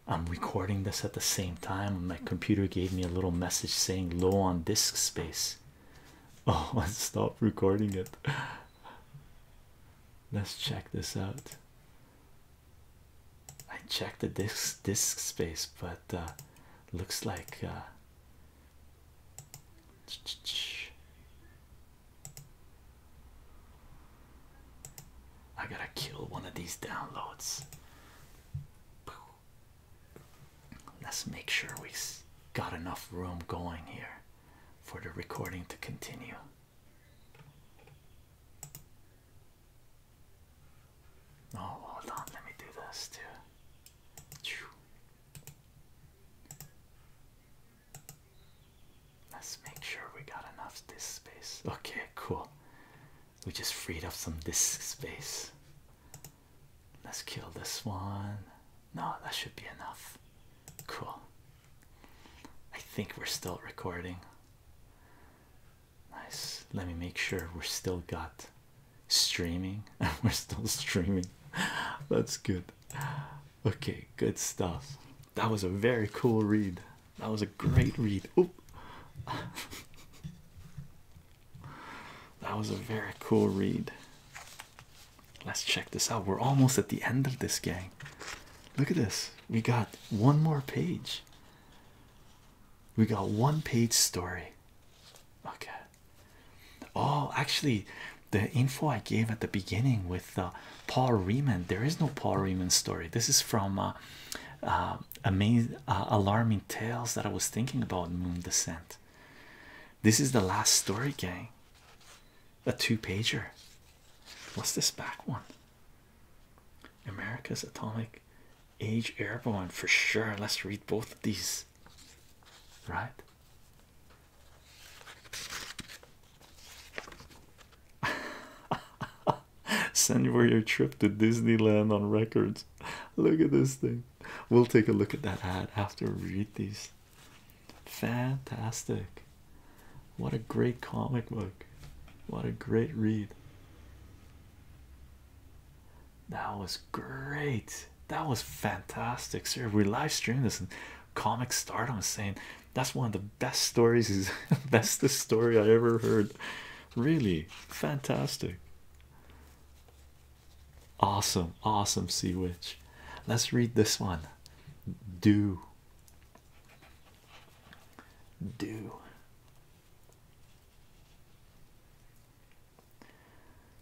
I'm recording this at the same time. My computer gave me a little message saying low on disk space. Oh, I stopped recording it. Let's check this out. I checked the disk disk space, but uh, looks like uh, I gotta kill one of these downloads. Let's make sure we have got enough room going here for the recording to continue. Oh, hold on, let me do this too. Let's make sure we got enough disk space. Okay, cool. We just freed up some disk space. Let's kill this one. No, that should be enough. Cool. I think we're still recording. Nice. Let me make sure we're still got streaming. we're still streaming. That's good. Okay, good stuff. That was a very cool read. That was a great read. Oop. that was a very cool read. Let's check this out. We're almost at the end of this game. Look at this. We got one more page. We got one page story. Okay. Oh, actually, the info I gave at the beginning with the. Uh, Paul Riemann. There is no Paul Riemann story. This is from uh, uh, amazing, uh, alarming tales that I was thinking about. Moon Descent. This is the last story, gang. A two pager. What's this back one? America's Atomic Age Airborne for sure. Let's read both of these, right? Send you for your trip to Disneyland on records. Look at this thing. We'll take a look at that ad after we read these. Fantastic. What a great comic book. What a great read. That was great. That was fantastic, sir. We live stream this and start stardom is saying that's one of the best stories. Is that's the story I ever heard. Really fantastic. Awesome, awesome sea witch. Let's read this one. Do do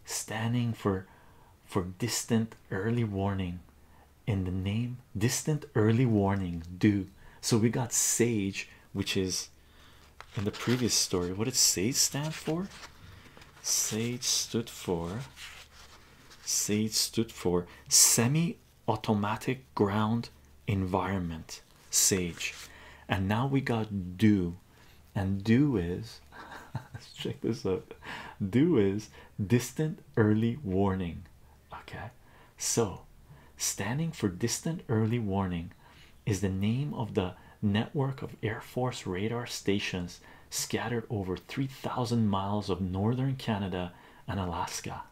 standing for for distant early warning in the name distant early warning do so we got sage which is in the previous story what did sage stand for sage stood for sage stood for semi automatic ground environment sage and now we got do and do is let's check this out do is distant early warning Okay, so standing for distant early warning is the name of the network of Air Force radar stations scattered over 3,000 miles of northern Canada and Alaska.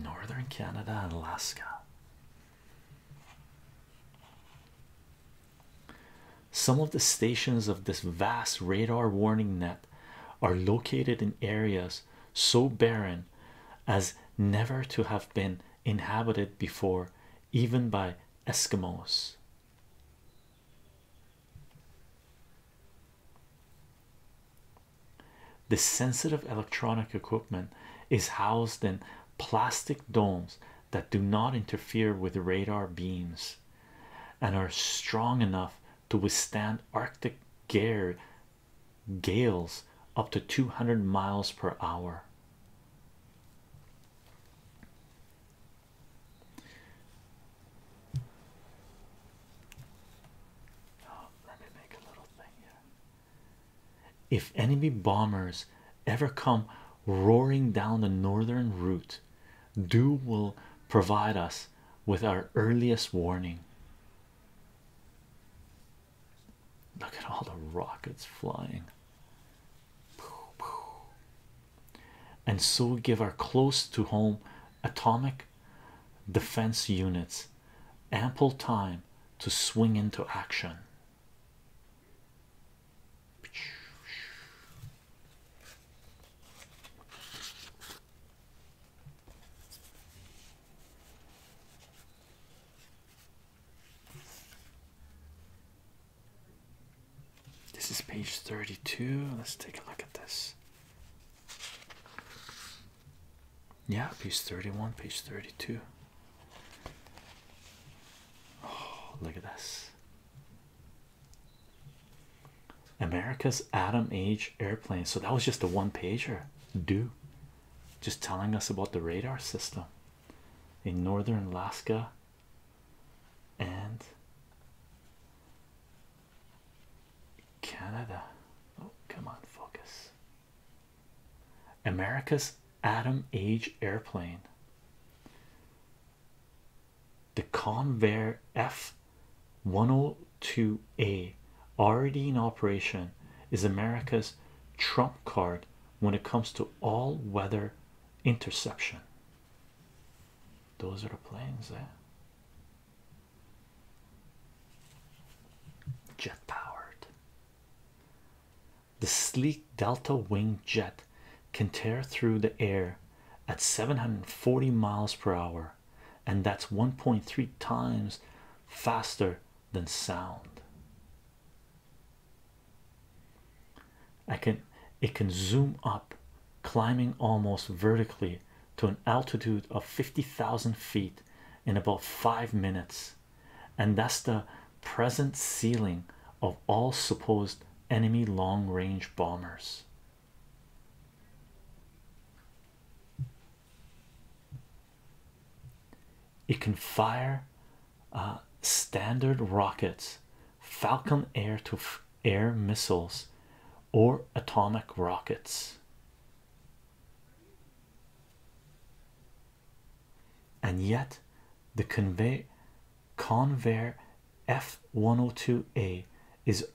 Northern Canada and Alaska. Some of the stations of this vast radar warning net are located in areas so barren as never to have been inhabited before, even by Eskimos. The sensitive electronic equipment is housed in plastic domes that do not interfere with radar beams and are strong enough to withstand Arctic gale gales up to 200 miles per hour. Oh, if enemy bombers ever come roaring down the northern route, out dew will provide us with our earliest warning look at all the rockets flying and so give our close to home atomic defense units ample time to swing into action this is page 32. Let's take a look at this. Yeah, page 31, page 32. Oh, look at this. America's Atom Age airplane. So that was just a one pager, do just telling us about the radar system in northern Alaska and Canada. Oh, come on, focus. America's Atom Age airplane the Convair F102A already in operation is America's trump card when it comes to all weather interception. Those are the planes there. Eh? Jet powered. The sleek delta wing jet can tear through the air at 740 miles per hour, and that's 1.3 times faster than sound. it can zoom up, climbing almost vertically to an altitude of 50,000 feet in about five minutes, and that's the present ceiling of all supposed enemy long range bombers. It can fire uh, standard rockets, Falcon air to air missiles, or atomic rockets. And yet, the convey Convair F102A is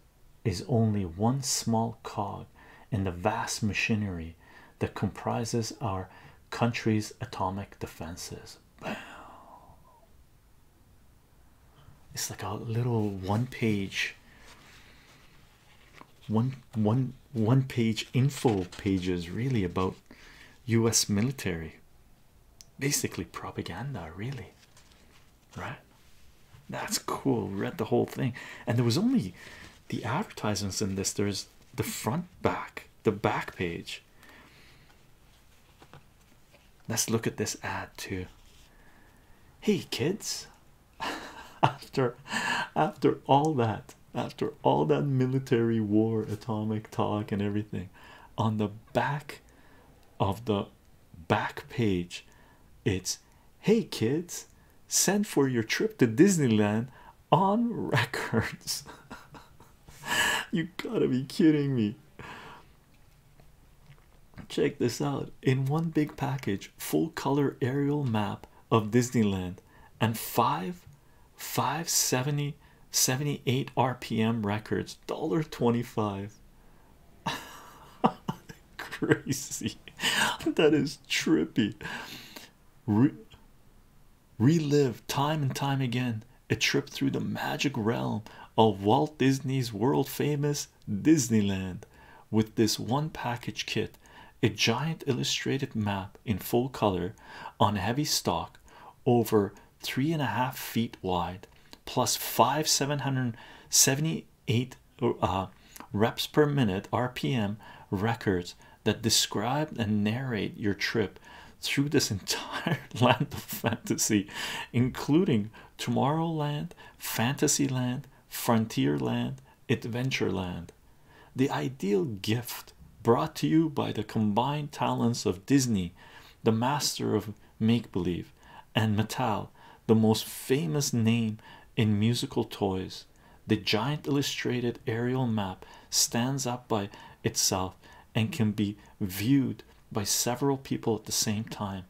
is only one small cog in the vast machinery that comprises our country's atomic defenses. It's like a little one page one one one page info pages really about US military basically propaganda, really. Right? That's cool. Read the whole thing, and there was only the advertisements in this. There's the front, back, the back page. Let's look at this ad too. Hey kids, after after all that, after all that military war, atomic talk, and everything, on the back of the back page it's hey kids send for your trip to disneyland on records you gotta be kidding me check this out in one big package full color aerial map of disneyland and five 570 78 rpm records dollar 25 Crazy, that is trippy. relive time and time again a trip through the magic realm of Walt Disney's world famous Disneyland with this one package kit a giant illustrated map in full color on heavy stock over three and a half feet wide plus five 778 uh, reps per minute RPM records that describe and narrate your trip through this entire land of fantasy, including Tomorrowland, Fantasyland, Frontierland, Adventureland. The ideal gift brought to you by the combined talents of Disney, the master of make believe, and Metal, the most famous name in musical toys. The giant illustrated aerial map stands up by itself and can be viewed by several people at the same time.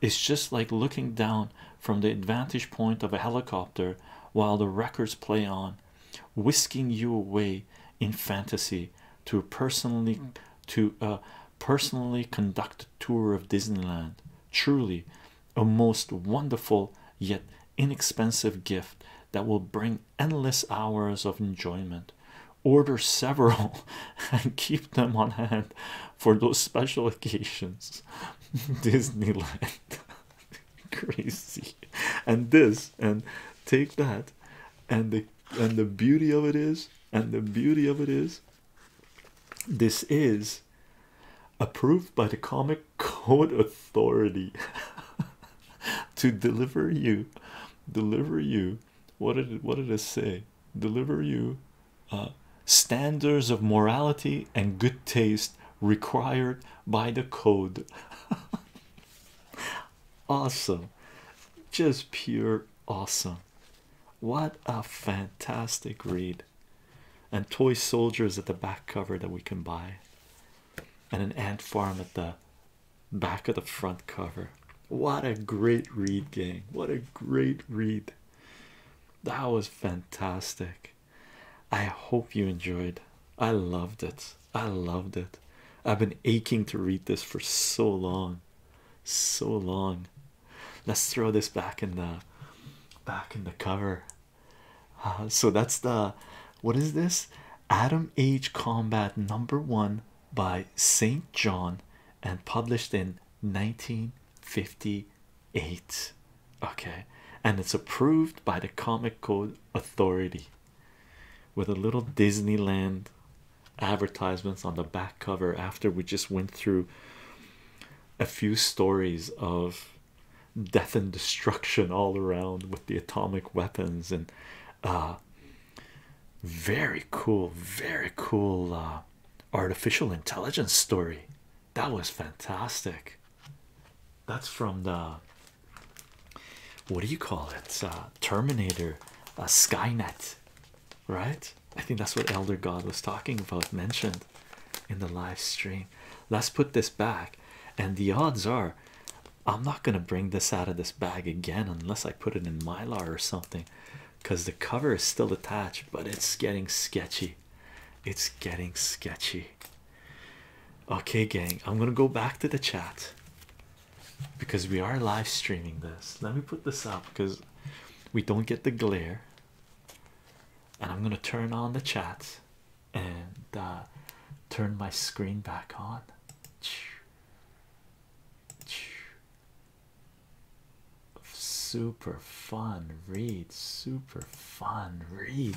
It's just like looking down from the vantage point of a helicopter while the records play on, whisking you away in fantasy to personally to a uh, personally conduct a tour of Disneyland. Truly a most wonderful yet inexpensive gift that will bring endless hours of enjoyment. Order several and keep them on hand for those special occasions. Disneyland. Crazy. And this and take that and the and the beauty of it is and the beauty of it is this is approved by the Comic Code Authority to deliver you, deliver you. What did it, what did it say? Deliver you uh, standards of morality and good taste required by the code. awesome, just pure awesome. What a fantastic read! And toy soldiers at the back cover that we can buy, and an ant farm at the back of the front cover. What a great read, gang! What a great read! That was fantastic. I hope you enjoyed. I loved it. I loved it. I've been aching to read this for so long. So long. Let's throw this back in the back in the cover. Uh, so that's the what is this? Adam Age Combat number one by St. John and published in 1958. Okay, and it's approved by the Comic Code Authority with a little Disneyland advertisements on the back cover after we just went through a few stories of death and destruction all around with the atomic weapons and uh very cool very cool uh, artificial intelligence story that was fantastic that's from the what do you call it uh, terminator uh, skynet right? I think that's what Elder God was talking about, mentioned in the live stream. Let's put this back, and the odds are I'm not going to bring this out of this bag again unless I put it in mylar or something because the cover is still attached, but it's getting sketchy. It's getting sketchy. Okay, gang, I'm gonna go back to the chat because we are live streaming this. Let me put this up because we don't get the glare and i'm going to turn on the chat and uh, turn my screen back on super fun read super fun read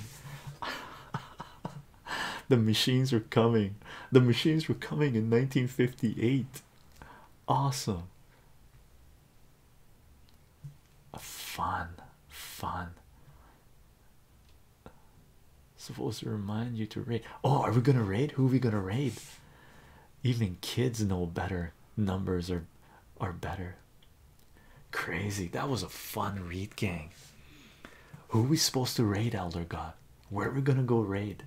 the machines were coming the machines were coming in 1958 Awesome. Fun, fun. Supposed to remind you to raid. Oh, are we gonna raid? Who are we gonna raid? Even kids know better. Numbers are are better. Crazy. That was a fun raid, gang. Who are we supposed to raid, Elder God? Where are we gonna go raid?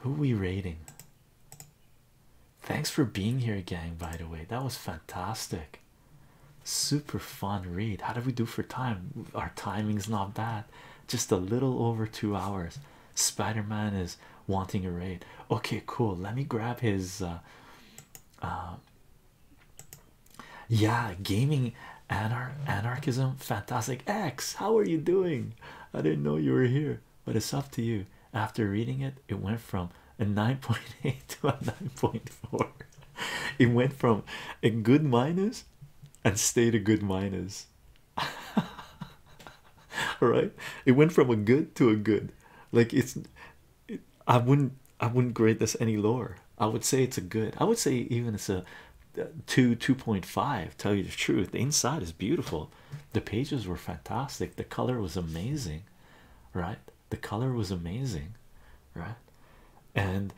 Who are we raiding? Thanks for being here, gang. By the way, that was fantastic. Super fun read. How do we do for time? Our timing's not bad, just a little over two hours. Spider Man is wanting a raid. Okay, cool. Let me grab his uh, uh, yeah, gaming anar anarchism. Fantastic X, how are you doing? I didn't know you were here but it's up to you. After reading it, it went from a 9.8 to a 9.4. It went from a good minus and stayed a good minus. All right, It went from a good to a good. Like it's I wouldn't I wouldn't grade this any lower. I would say it's a good. I would say even it's a uh, 2 2.5 tell you the truth. The inside is beautiful. The pages were fantastic. The color was amazing, right? The color was amazing, right? And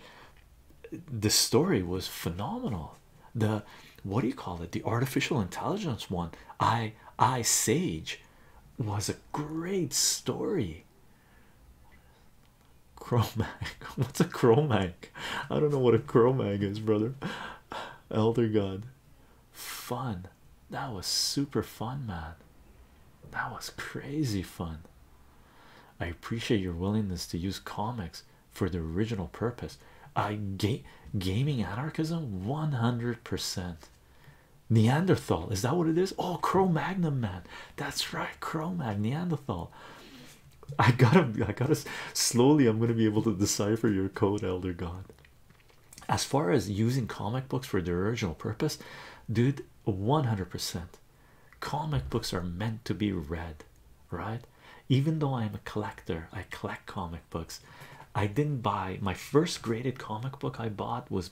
the story was phenomenal. The what do you call it? The artificial intelligence one. I I Sage was a great story. Chroma. What's a chroma? I don't know what a crow mag is, brother. Elder God. Fun. That was super fun, man. That was crazy fun. I appreciate your willingness to use comics for the original purpose. I ga gaming anarchism 100%. Neanderthal, is that what it is? Oh, Cro Magnum, man. That's right, Cro Mag Neanderthal. I gotta, I gotta, Slowly, I'm going to be able to decipher your code, Elder God. As far as using comic books for their original purpose, dude, 100%. Comic books are meant to be read, right? Even though I'm a collector, I collect comic books. I didn't buy my first graded comic book I bought was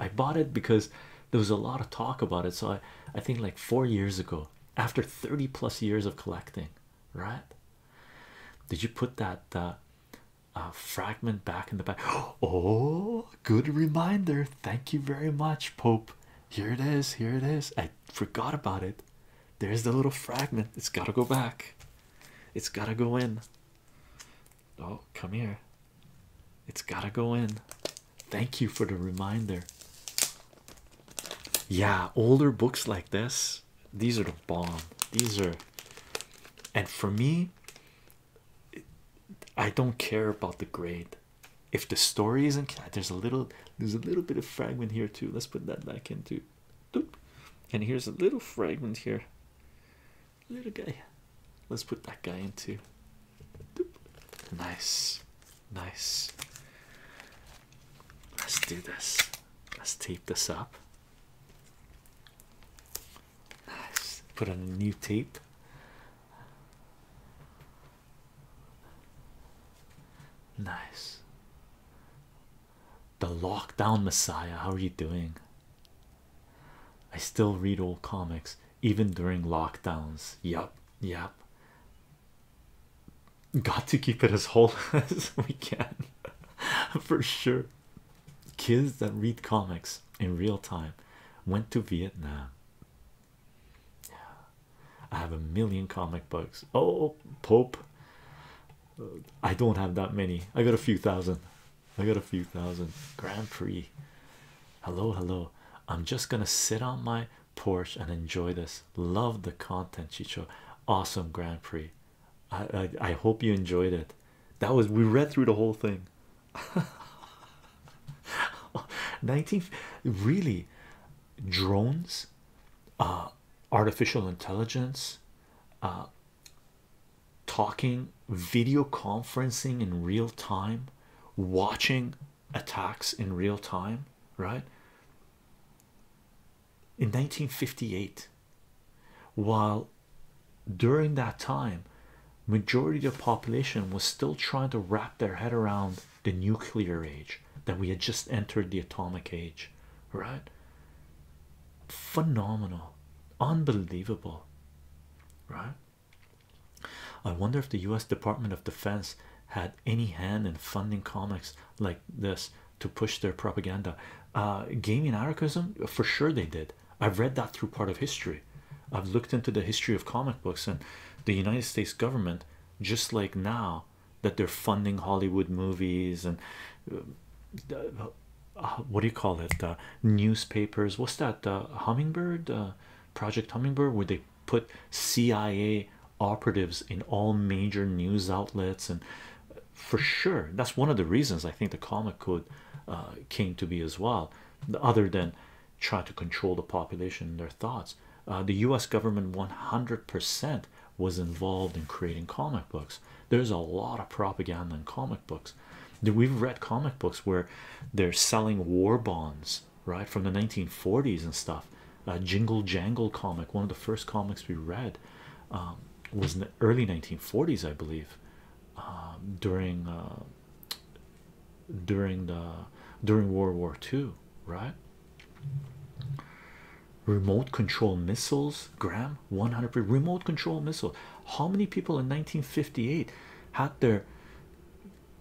I bought it because there was a lot of talk about it. So I, I think like four years ago, after 30 plus years of collecting, right? Did you put that uh, fragment back in the back? Oh, good reminder. Thank you very much, Pope. Here it is. Here it is. I forgot about it. There's the little fragment. It's got to go back. It's got to go in. Oh, come here. It's got to go in. Thank you for the reminder. Yeah, older books like this these are the bomb these are and for me i don't care about the grade if the story isn't there's a little there's a little bit of fragment here too let's put that back into Doop. and here's a little fragment here little guy let's put that guy into Doop. nice nice Let's do this. Let's tape this up. Nice. Put on a new tape. Nice. The Lockdown Messiah. How are you doing? I still read old comics even during lockdowns. Yup, yup. Got to keep it as whole as we can for sure. Kids that read comics in real time went to Vietnam. I have a million comic books. Oh, Pope. I don't have that many. I got a few thousand. I got a few thousand. Grand Prix. Hello, hello. I'm just gonna sit on my porch and enjoy this. Love the content, Chicho. Awesome Grand Prix. I, I hope you enjoyed it. That was we read through the whole thing. 19 really drones uh, artificial intelligence uh, talking video conferencing in real time watching attacks in real time right in 1958 while during that time majority of population was still trying to wrap their head around the nuclear age that we had just entered the atomic age right phenomenal unbelievable right i wonder if the u.s department of defense had any hand in funding comics like this to push their propaganda. Uh, gaming anarchism, for sure they did. I've read that through part of history. I've looked into the history of comic books and the United States government, just like now that they're funding Hollywood movies and uh, uh, what do you call it? Uh, newspapers. What's that? hummingbird. Project Hummingbird, where they put CIA operatives in all major news outlets and uh, for sure that's one of the reasons i think the comic code uh, came to be as well the other than try to control the population and their thoughts uh, the u.s government 100 percent was involved in creating comic books there's a lot of propaganda in comic books we've read comic books where they're selling war bonds right from the 1940s and stuff a uh, Jingle Jangle comic, one of the first comics we read, um, was in the early 1940s, I believe, um, during uh, during the during World War II, right? Remote control missiles, gram 100 remote control missile. How many people in 1958 had their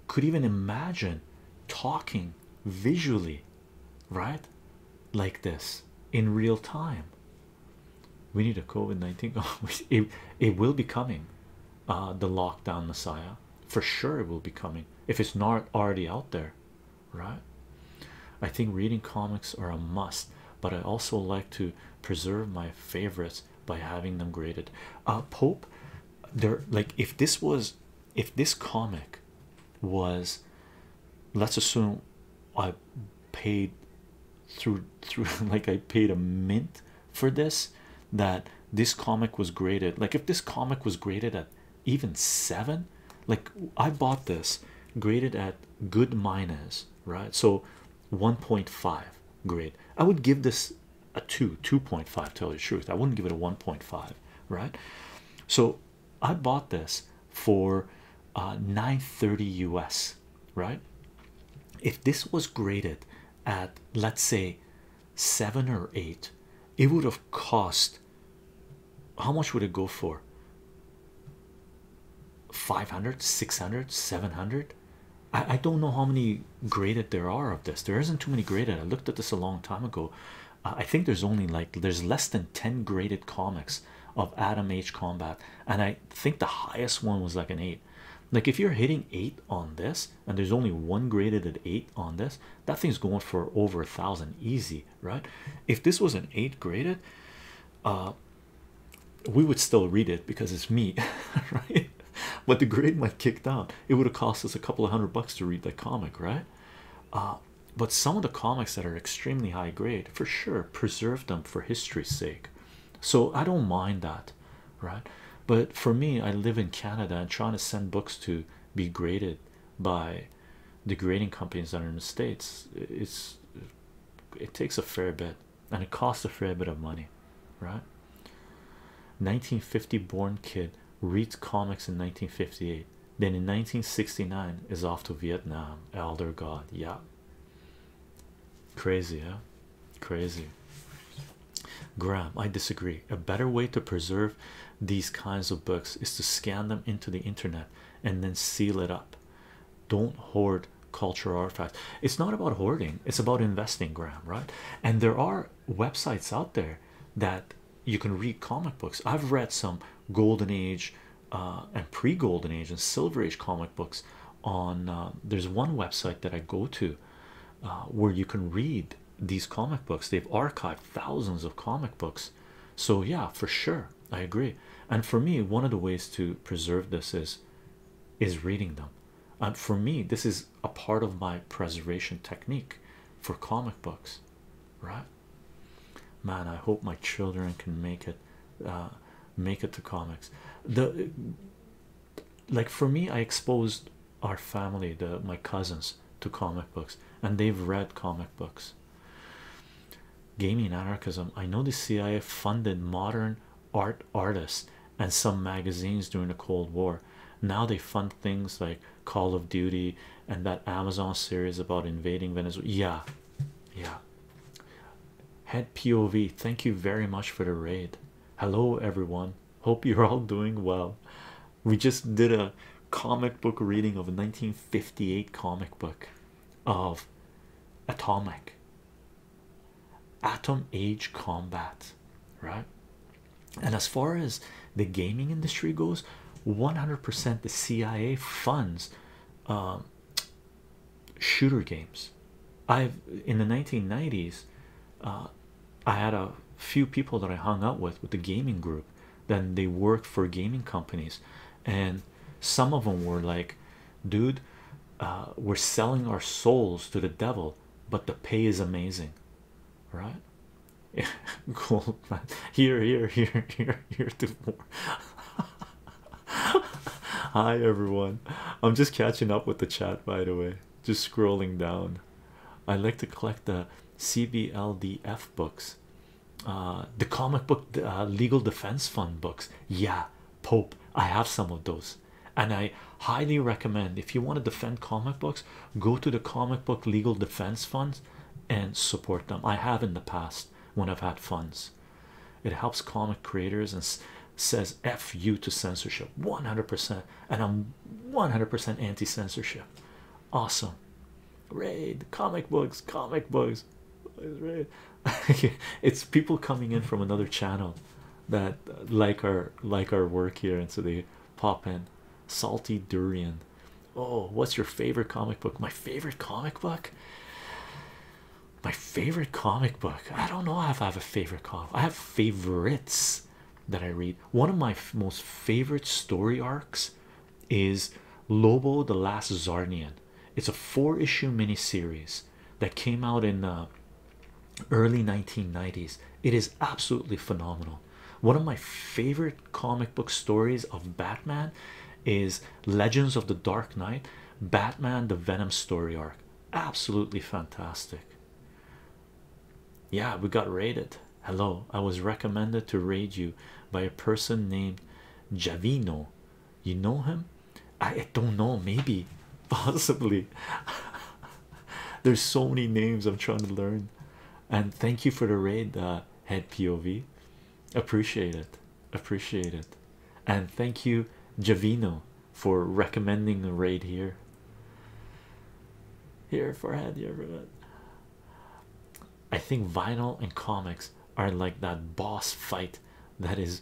could even imagine talking visually right? Like this in real time. We need a COVID 19. it, it will be coming, uh, the lockdown messiah for sure. It will be coming if it's not already out there, right? I think reading comics are a must, but I also like to preserve my favorites by having them graded. Uh, Pope, there like if this was if this comic was let's assume I paid through through like I paid a mint for this that this comic was graded like if this comic was graded at even seven like I bought this graded at good minus right so 1.5 grade I would give this a 2 2.5 tell you the truth I wouldn't give it a 1.5 right so I bought this for uh, 930 US, right? If this was graded at let's say seven or eight, it would have cost how much would it go for? 500, 600, 700. I don't know how many graded there are of this. There isn't too many graded. I looked at this a long time ago. Uh, I think there's only like there's less than 10 graded comics of Adam H Combat, and I think the highest one was like an eight. Like, if you're hitting eight on this, and there's only one graded at eight on this, that thing's going for over a thousand easy, right? If this was an eight graded, uh, we would still read it because it's me, right? But the grade might kick down, it would have cost us a couple of hundred bucks to read that comic, right? Uh, but some of the comics that are extremely high grade for sure preserve them for history's sake so i don't mind that right but for me i live in canada and trying to send books to be graded by the grading companies that are in the states it's it takes a fair bit and it costs a fair bit of money right 1950 born kid reads comics in 1958 then in 1969 is off to Vietnam. Elder God, yeah. Crazy, huh? Crazy. Graham, I disagree. A better way to preserve these kinds of books is to scan them into the internet and then seal it up. Don't hoard cultural artifacts. It's not about hoarding, it's about investing, Graham, right? And there are websites out there that you can read comic books. I've read some golden age uh, and pre-golden age and silver age comic books on um, there's one website that I go to uh, where you can read these comic books they've archived thousands of comic books so yeah for sure I agree and for me one of the ways to preserve this is is reading them and for me this is a part of my preservation technique for comic books right man i hope my children can make it uh, make it to comics the like for me i exposed our family the my cousins to comic books and they've read comic books gaming anarchism i know the cia funded modern art artists and some magazines during the cold war now they fund things like call of duty and that amazon series about invading venezuela yeah yeah. Head POV, thank you very much for the raid. Hello, everyone. Hope you're all doing well. We just did a comic book reading of a 1958 comic book of Atomic Atom Age Combat, right? And as far as the gaming industry goes, 100% the CIA funds um, shooter games. I've in the 1990s, uh, I had a few people that I hung out with with the gaming group, then they worked for gaming companies, and some of them were like, Dude, uh, we're selling our souls to the devil, but the pay is amazing, right? cool here here here here here hi everyone i'm just catching up with the chat by the way just scrolling down i like to collect the cbldf books uh the comic book uh, legal defense fund books yeah pope i have some of those and i highly recommend if you want to defend comic books go to the comic book legal defense fund and support them i have in the past when i've had funds it helps comic creators and says F you to censorship 100%. And I'm 100% anti censorship. Awesome. Raid comic books, comic books. it's people coming in from another channel that uh, like our like our work here and so they pop in salty durian Oh, what's your favorite comic book? My favorite comic book? My favorite comic book. I don't know if I have a favorite comic. I have favorites that I read. One of my most favorite story arcs is Lobo the Last Zarnian. It's a four issue miniseries that came out in the uh, early 1990s. It is absolutely phenomenal. One of my favorite comic book stories of Batman is Legends of the Dark Knight, Batman, the Venom story arc. Absolutely fantastic. Yeah, we got raided. Hello, I was recommended to raid you by a person named Javino. You know him? I, don't know, maybe, possibly. There's so many names I'm trying to learn. And thank you for the raid, uh, head POV. Appreciate it, appreciate it, and thank you, Javino, for recommending the raid here. Here for head, I think vinyl and comics are like that boss fight that is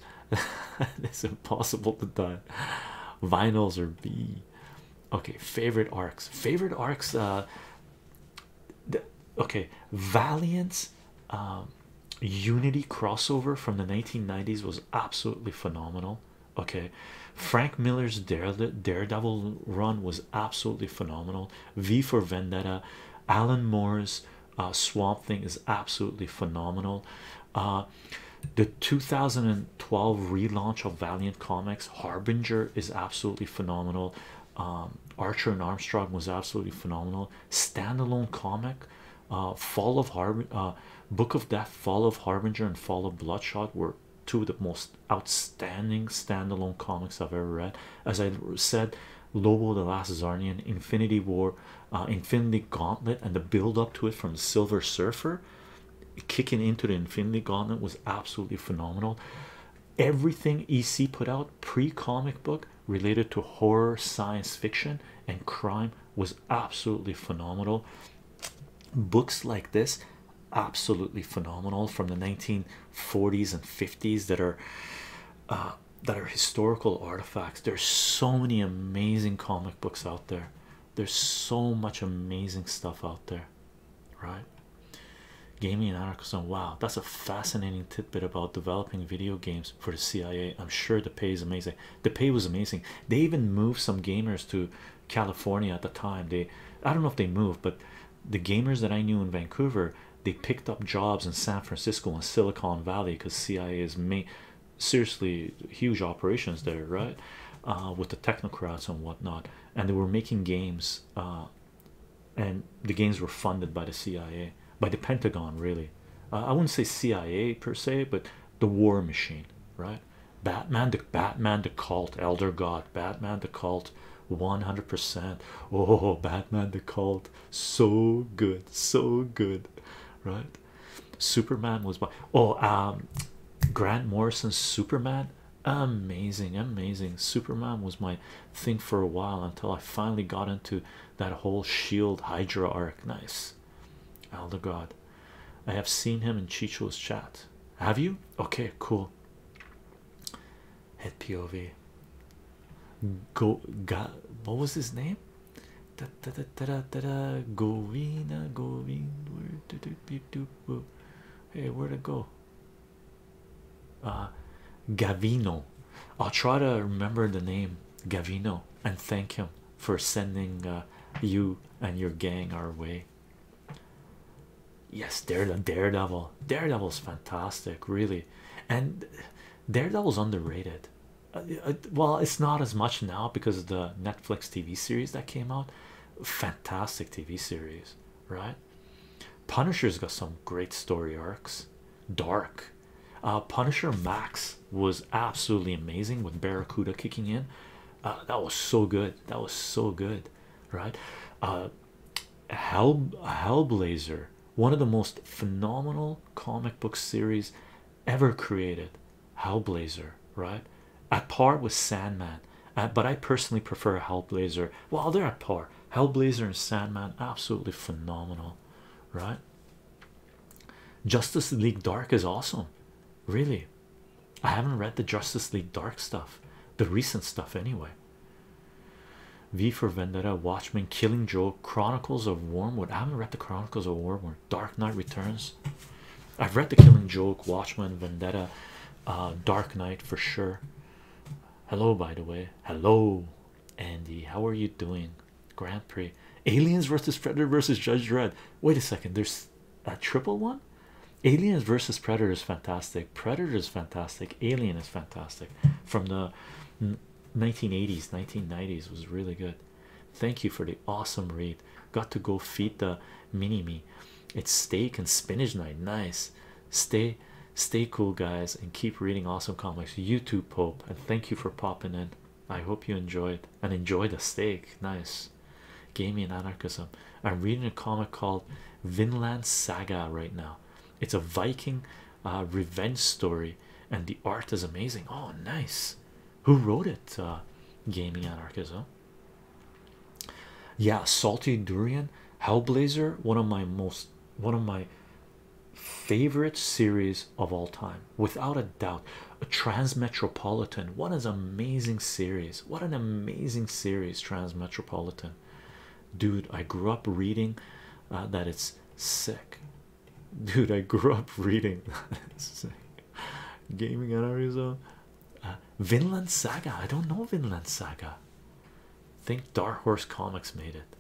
it's impossible to die. Vinyls are B. Okay, favorite arcs. Favorite arcs. Uh, the, okay valiant's um, unity crossover from the 1990s was absolutely phenomenal okay frank miller's daredevil run was absolutely phenomenal v for vendetta alan moore's uh, swamp thing is absolutely phenomenal uh, the 2012 relaunch of valiant comics harbinger is absolutely phenomenal um, Archer and Armstrong was absolutely phenomenal. Standalone comic, uh, Fall of Harb, uh, Book of Death, Fall of Harbinger, and Fall of Bloodshot were two of the most outstanding standalone comics I've ever read. As I said, Lobo, the Last Zarnian, Infinity War, uh, Infinity Gauntlet, and the build up to it from Silver Surfer kicking into the Infinity Gauntlet was absolutely phenomenal everything EC put out pre comic book related to horror, science fiction, and crime was absolutely phenomenal. Books like this, absolutely phenomenal from the 1940s and 50s that are uh, that are historical artifacts. There's so many amazing comic books out there. There's so much amazing stuff out there, right? Gaming and So Wow, that's a fascinating Bit about developing video games for the CIA. I'm sure the pay is amazing. The pay was amazing. They even moved some gamers to California at the time. They, I don't know if they moved, but the gamers that I knew in Vancouver, they picked up jobs in San Francisco and Silicon Valley because CIA is ma seriously huge operations there, right? Uh, with the technocrats and whatnot, and they were making games uh, and the games were funded by the CIA, by the Pentagon, really. Uh, I wouldn't say CIA per se, but the war machine, right? Batman, the Batman, the cult, Elder God, Batman, the cult, 100%. Oh, Batman, the cult, so good, so good, right? Superman was by oh, um, Grant Morrison Superman amazing amazing superman was my thing for a while until i finally got into that whole shield hydra arc nice elder god i have seen him in chicho's chat have you okay cool Head pov go got what was his name da, da, da, da, da, da, da. Govina, Govina. Where, do, hey where'd it go uh, Gavino. I'll try to remember the name Gavino and thank him for sending uh, you and your gang our way. Yes, Daredevil, Daredevil, Daredevil's fantastic, really, and Daredevil's underrated. Uh, well, it's not as much now because of the Netflix TV series that came out. Fantastic TV series, right? Punisher's got some great story arcs, dark, uh, Punisher Max was absolutely amazing with Barracuda kicking in. Uh, that was so good. That was so good, right? Uh, Hell Hellblazer, one of the most phenomenal comic book series ever created. Hellblazer, right? At par with Sandman, but I personally prefer Hellblazer. Well, they're at par. Hellblazer and Sandman, absolutely phenomenal right? Justice League Dark is awesome, really. I haven't read the Justice League Dark stuff, the recent stuff, anyway. V for Vendetta, Watchmen, Killing Joke, Chronicles of Wormwood. I haven't read the Chronicles of Wormwood, Dark Knight Returns. I've read the Killing Joke, Watchmen, Vendetta, uh, Dark Knight for sure. Hello, by the way. Hello, Andy. How are you doing? Grand Prix Aliens versus Predator versus Judge Dredd. Wait a second, there's a triple one. Aliens versus Predator is fantastic, Predator is fantastic, Alien is fantastic from the 1980s, 1990s was really good. Thank you for the awesome read. Got to go feed the mini me. It's steak and spinach night. Nice. Stay Stay cool, guys, and keep reading awesome comics. You too, Pope, and thank you for popping in. I hope you enjoyed and enjoy the steak. Nice. Gaming anarchism. I'm reading a comic called Vinland Saga right now. It's a Viking uh, revenge story, and the art is amazing. Oh, nice. Who wrote it? Uh, gaming anarchism. Yeah, Salty Durian, Hellblazer, one of my most one of my favorite series of all time without a doubt a transmetropolitan what an amazing series what an amazing series transmetropolitan dude i grew up reading uh, that it's sick dude i grew up reading gaming in arizona uh, vinland saga i don't know vinland saga think dark horse comics made it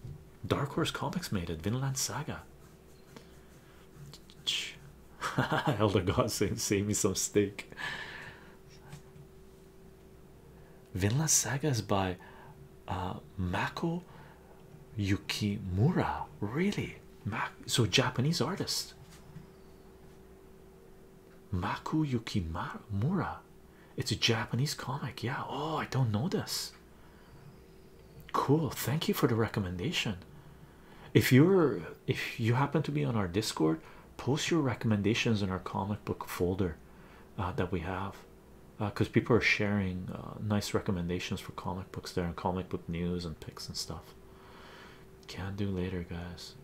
Dark Horse Comics made it. Vinland Saga. Elder God save me some steak. Vinland Saga is by uh, Mako Yukimura. Really? so Japanese artist. Maku Yukimura. It's a Japanese comic. Yeah. Oh, I don't know this. Cool. Thank you for the recommendation. If you're if you happen to be on our Discord, post your recommendations in our comic book folder uh, that we have, because uh, people are sharing uh, nice recommendations for comic books there and comic book news and picks and stuff. Can do later, guys.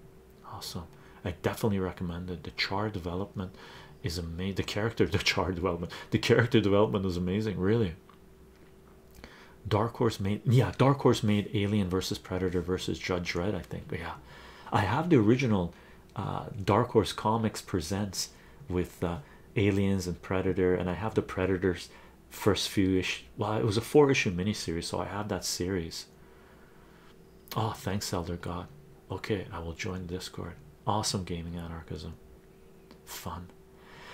Awesome. I definitely recommended the char development is amazing. The character, the char development, the character development is amazing, really. Dark Horse made, yeah, Dark Horse made Alien versus Predator versus Judge Dredd, I think. Yeah, I have the original uh, Dark Horse Comics presents with uh, Aliens and Predator, and I have the Predators first few ish. Well, it was a four issue miniseries, so I have that series. Oh, thanks, Elder God. Okay, I will join Discord. Awesome gaming anarchism. Fun.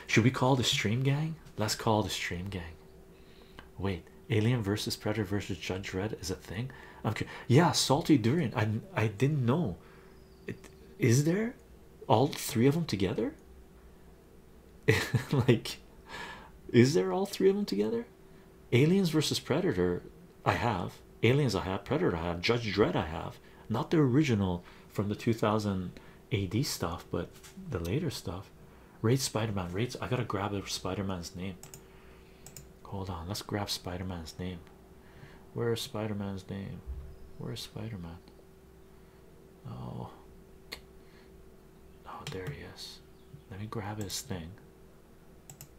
Should we call the stream gang? Let's call the stream gang. Wait, Alien versus Predator versus Judge Red is a thing. Okay, yeah, salty durian. I I didn't know. Is there all three of them together? like, is there all three of them together? Aliens versus Predator, I have. Aliens, I have. Predator, I have. Judge Dredd, I have not the original from the 2000 AD stuff, but the later stuff. Raid Spider Man, Raid. I gotta grab a Spider Man's name. Hold on, let's grab Spider Man's name. Where's Spider Man's name? Where's Spider Man? Oh, oh, there he is. Let me grab his thing.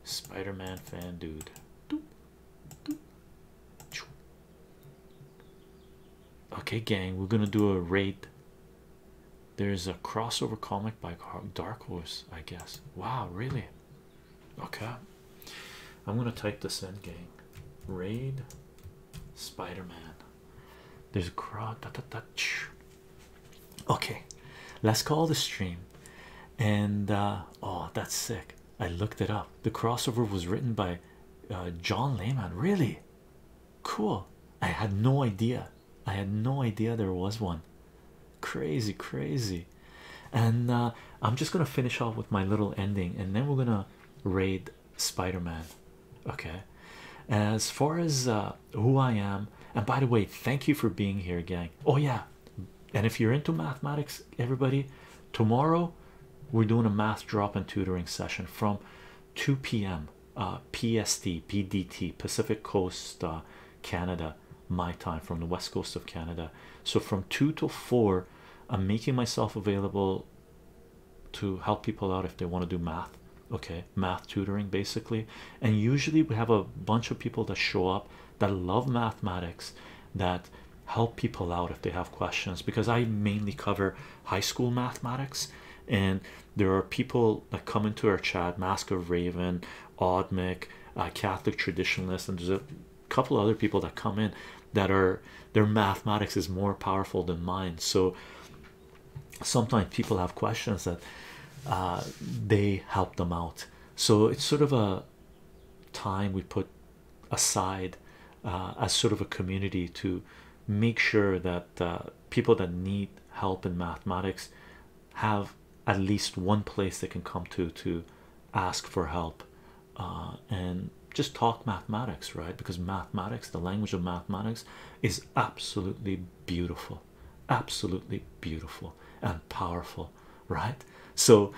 Spider Man fan dude. Okay, gang, we're gonna do a raid. There's a crossover comic by Dark Horse, I guess. Wow, really? Okay, I'm gonna type this in, gang. Raid Spider-Man. There's a crowd. Da, okay, let's call the stream. And oh, that's sick. I looked it up. The crossover was written by uh, John Layman. Really cool. I had no idea. I had no idea there was one. Crazy, crazy. And uh, I'm just gonna finish off with my little ending, and then we're gonna raid Spider-Man. Okay. As far as uh, who I am, and by the way, thank you for being here, gang. Oh yeah. And if you're into mathematics, everybody, tomorrow we're doing a math drop and tutoring session from 2 p.m. Uh, PST PDT Pacific Coast uh, Canada my time from the west coast of Canada so from 2 to 4 I'm making myself available to help people out if they want to do math okay math tutoring basically and usually we have a bunch of people that show up that love mathematics that help people out if they have questions because I mainly cover high school mathematics and there are people that come into our chat Mask of Raven, Oddmic, uh, Catholic traditionalists, and there's a couple other people that come in that are their mathematics is more powerful than mine. So sometimes people have questions that uh, they help them out. So it's sort of a time we put aside uh, as sort of a community to make sure that uh, people that need help in mathematics have at least one place they can come to to ask for help uh, and just talk mathematics right because mathematics the language of mathematics is absolutely beautiful absolutely beautiful and powerful right so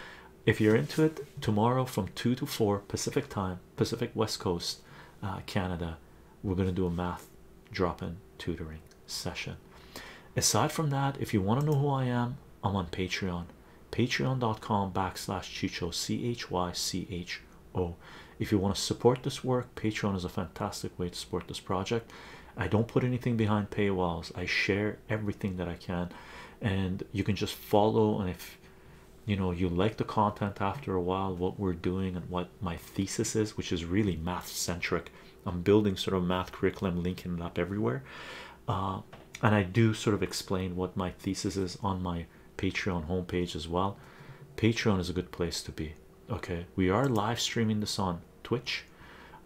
if you're into it tomorrow from 2 to 4 pacific time pacific west coast uh, canada we're going to do a math drop-in tutoring session aside from that if you want to know who i am i'm on patreon patreon.com backslash c-h-y-c-h-o if you want to support this work patreon is a fantastic way to support this project i don't put anything behind paywalls i share everything that i can and you can just follow and if you know you like the content after a while what we're doing and what my thesis is which is really math centric i'm building sort of math curriculum linking it up everywhere uh, and i do sort of explain what my thesis is on my patreon homepage as well patreon is a good place to be okay we are live streaming this on twitch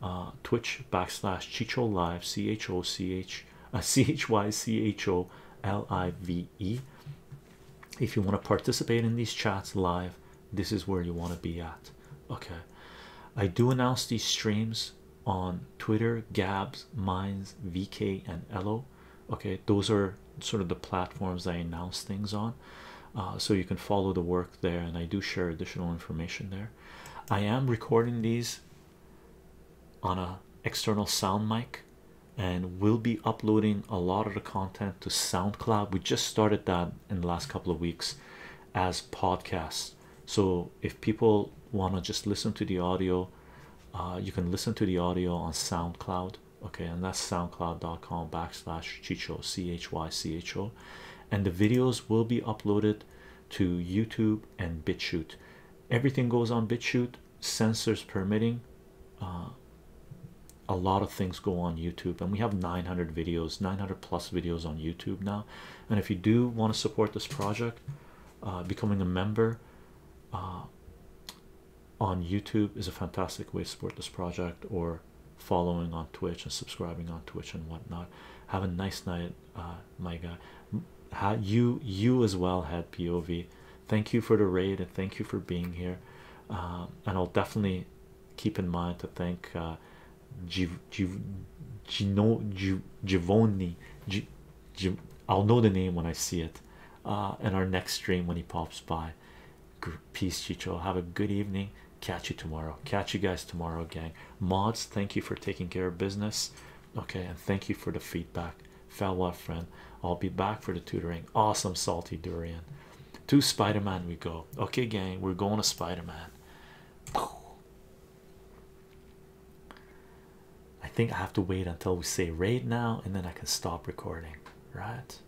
uh, twitch backslash chicho live c h o c h ch a c h y c h o l i v e if you want to participate in these chats live this is where you want to be at okay i do announce these streams on twitter gabs minds vk and elo okay those are sort of the platforms i announce things on uh, so you can follow the work there and i do share additional information there i am recording these on a external sound mic and we'll be uploading a lot of the content to SoundCloud. We just started that in the last couple of weeks as podcasts. So if people want to just listen to the audio, uh, you can listen to the audio on SoundCloud. Okay, and that's soundcloud.com backslash chicho c-h-y-c-h-o and the videos will be uploaded to YouTube and BitChute. Everything goes on BitChute sensors permitting uh, a lot of things go on youtube and we have 900 videos 900 plus videos on youtube now and if you do want to support this project uh, becoming a member uh, on youtube is a fantastic way to support this project or following on twitch and subscribing on twitch and whatnot have a nice night my guy you you as well had POV. Thank you for the raid and thank you for being here. Um, and I'll definitely keep in mind to thank uh, G G Gino Givoni. G G I'll know the name when I see it. Uh, in our next stream when he pops by. Peace, Chicho. Have a good evening. Catch you tomorrow. Catch you guys tomorrow, gang. Mods, thank you for taking care of business okay and thank you for the feedback farewell friend i'll be back for the tutoring awesome salty durian to spider-man we go okay gang we're going to spider-man i think i have to wait until we say raid now and then i can stop recording right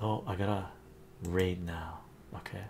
oh i gotta raid now okay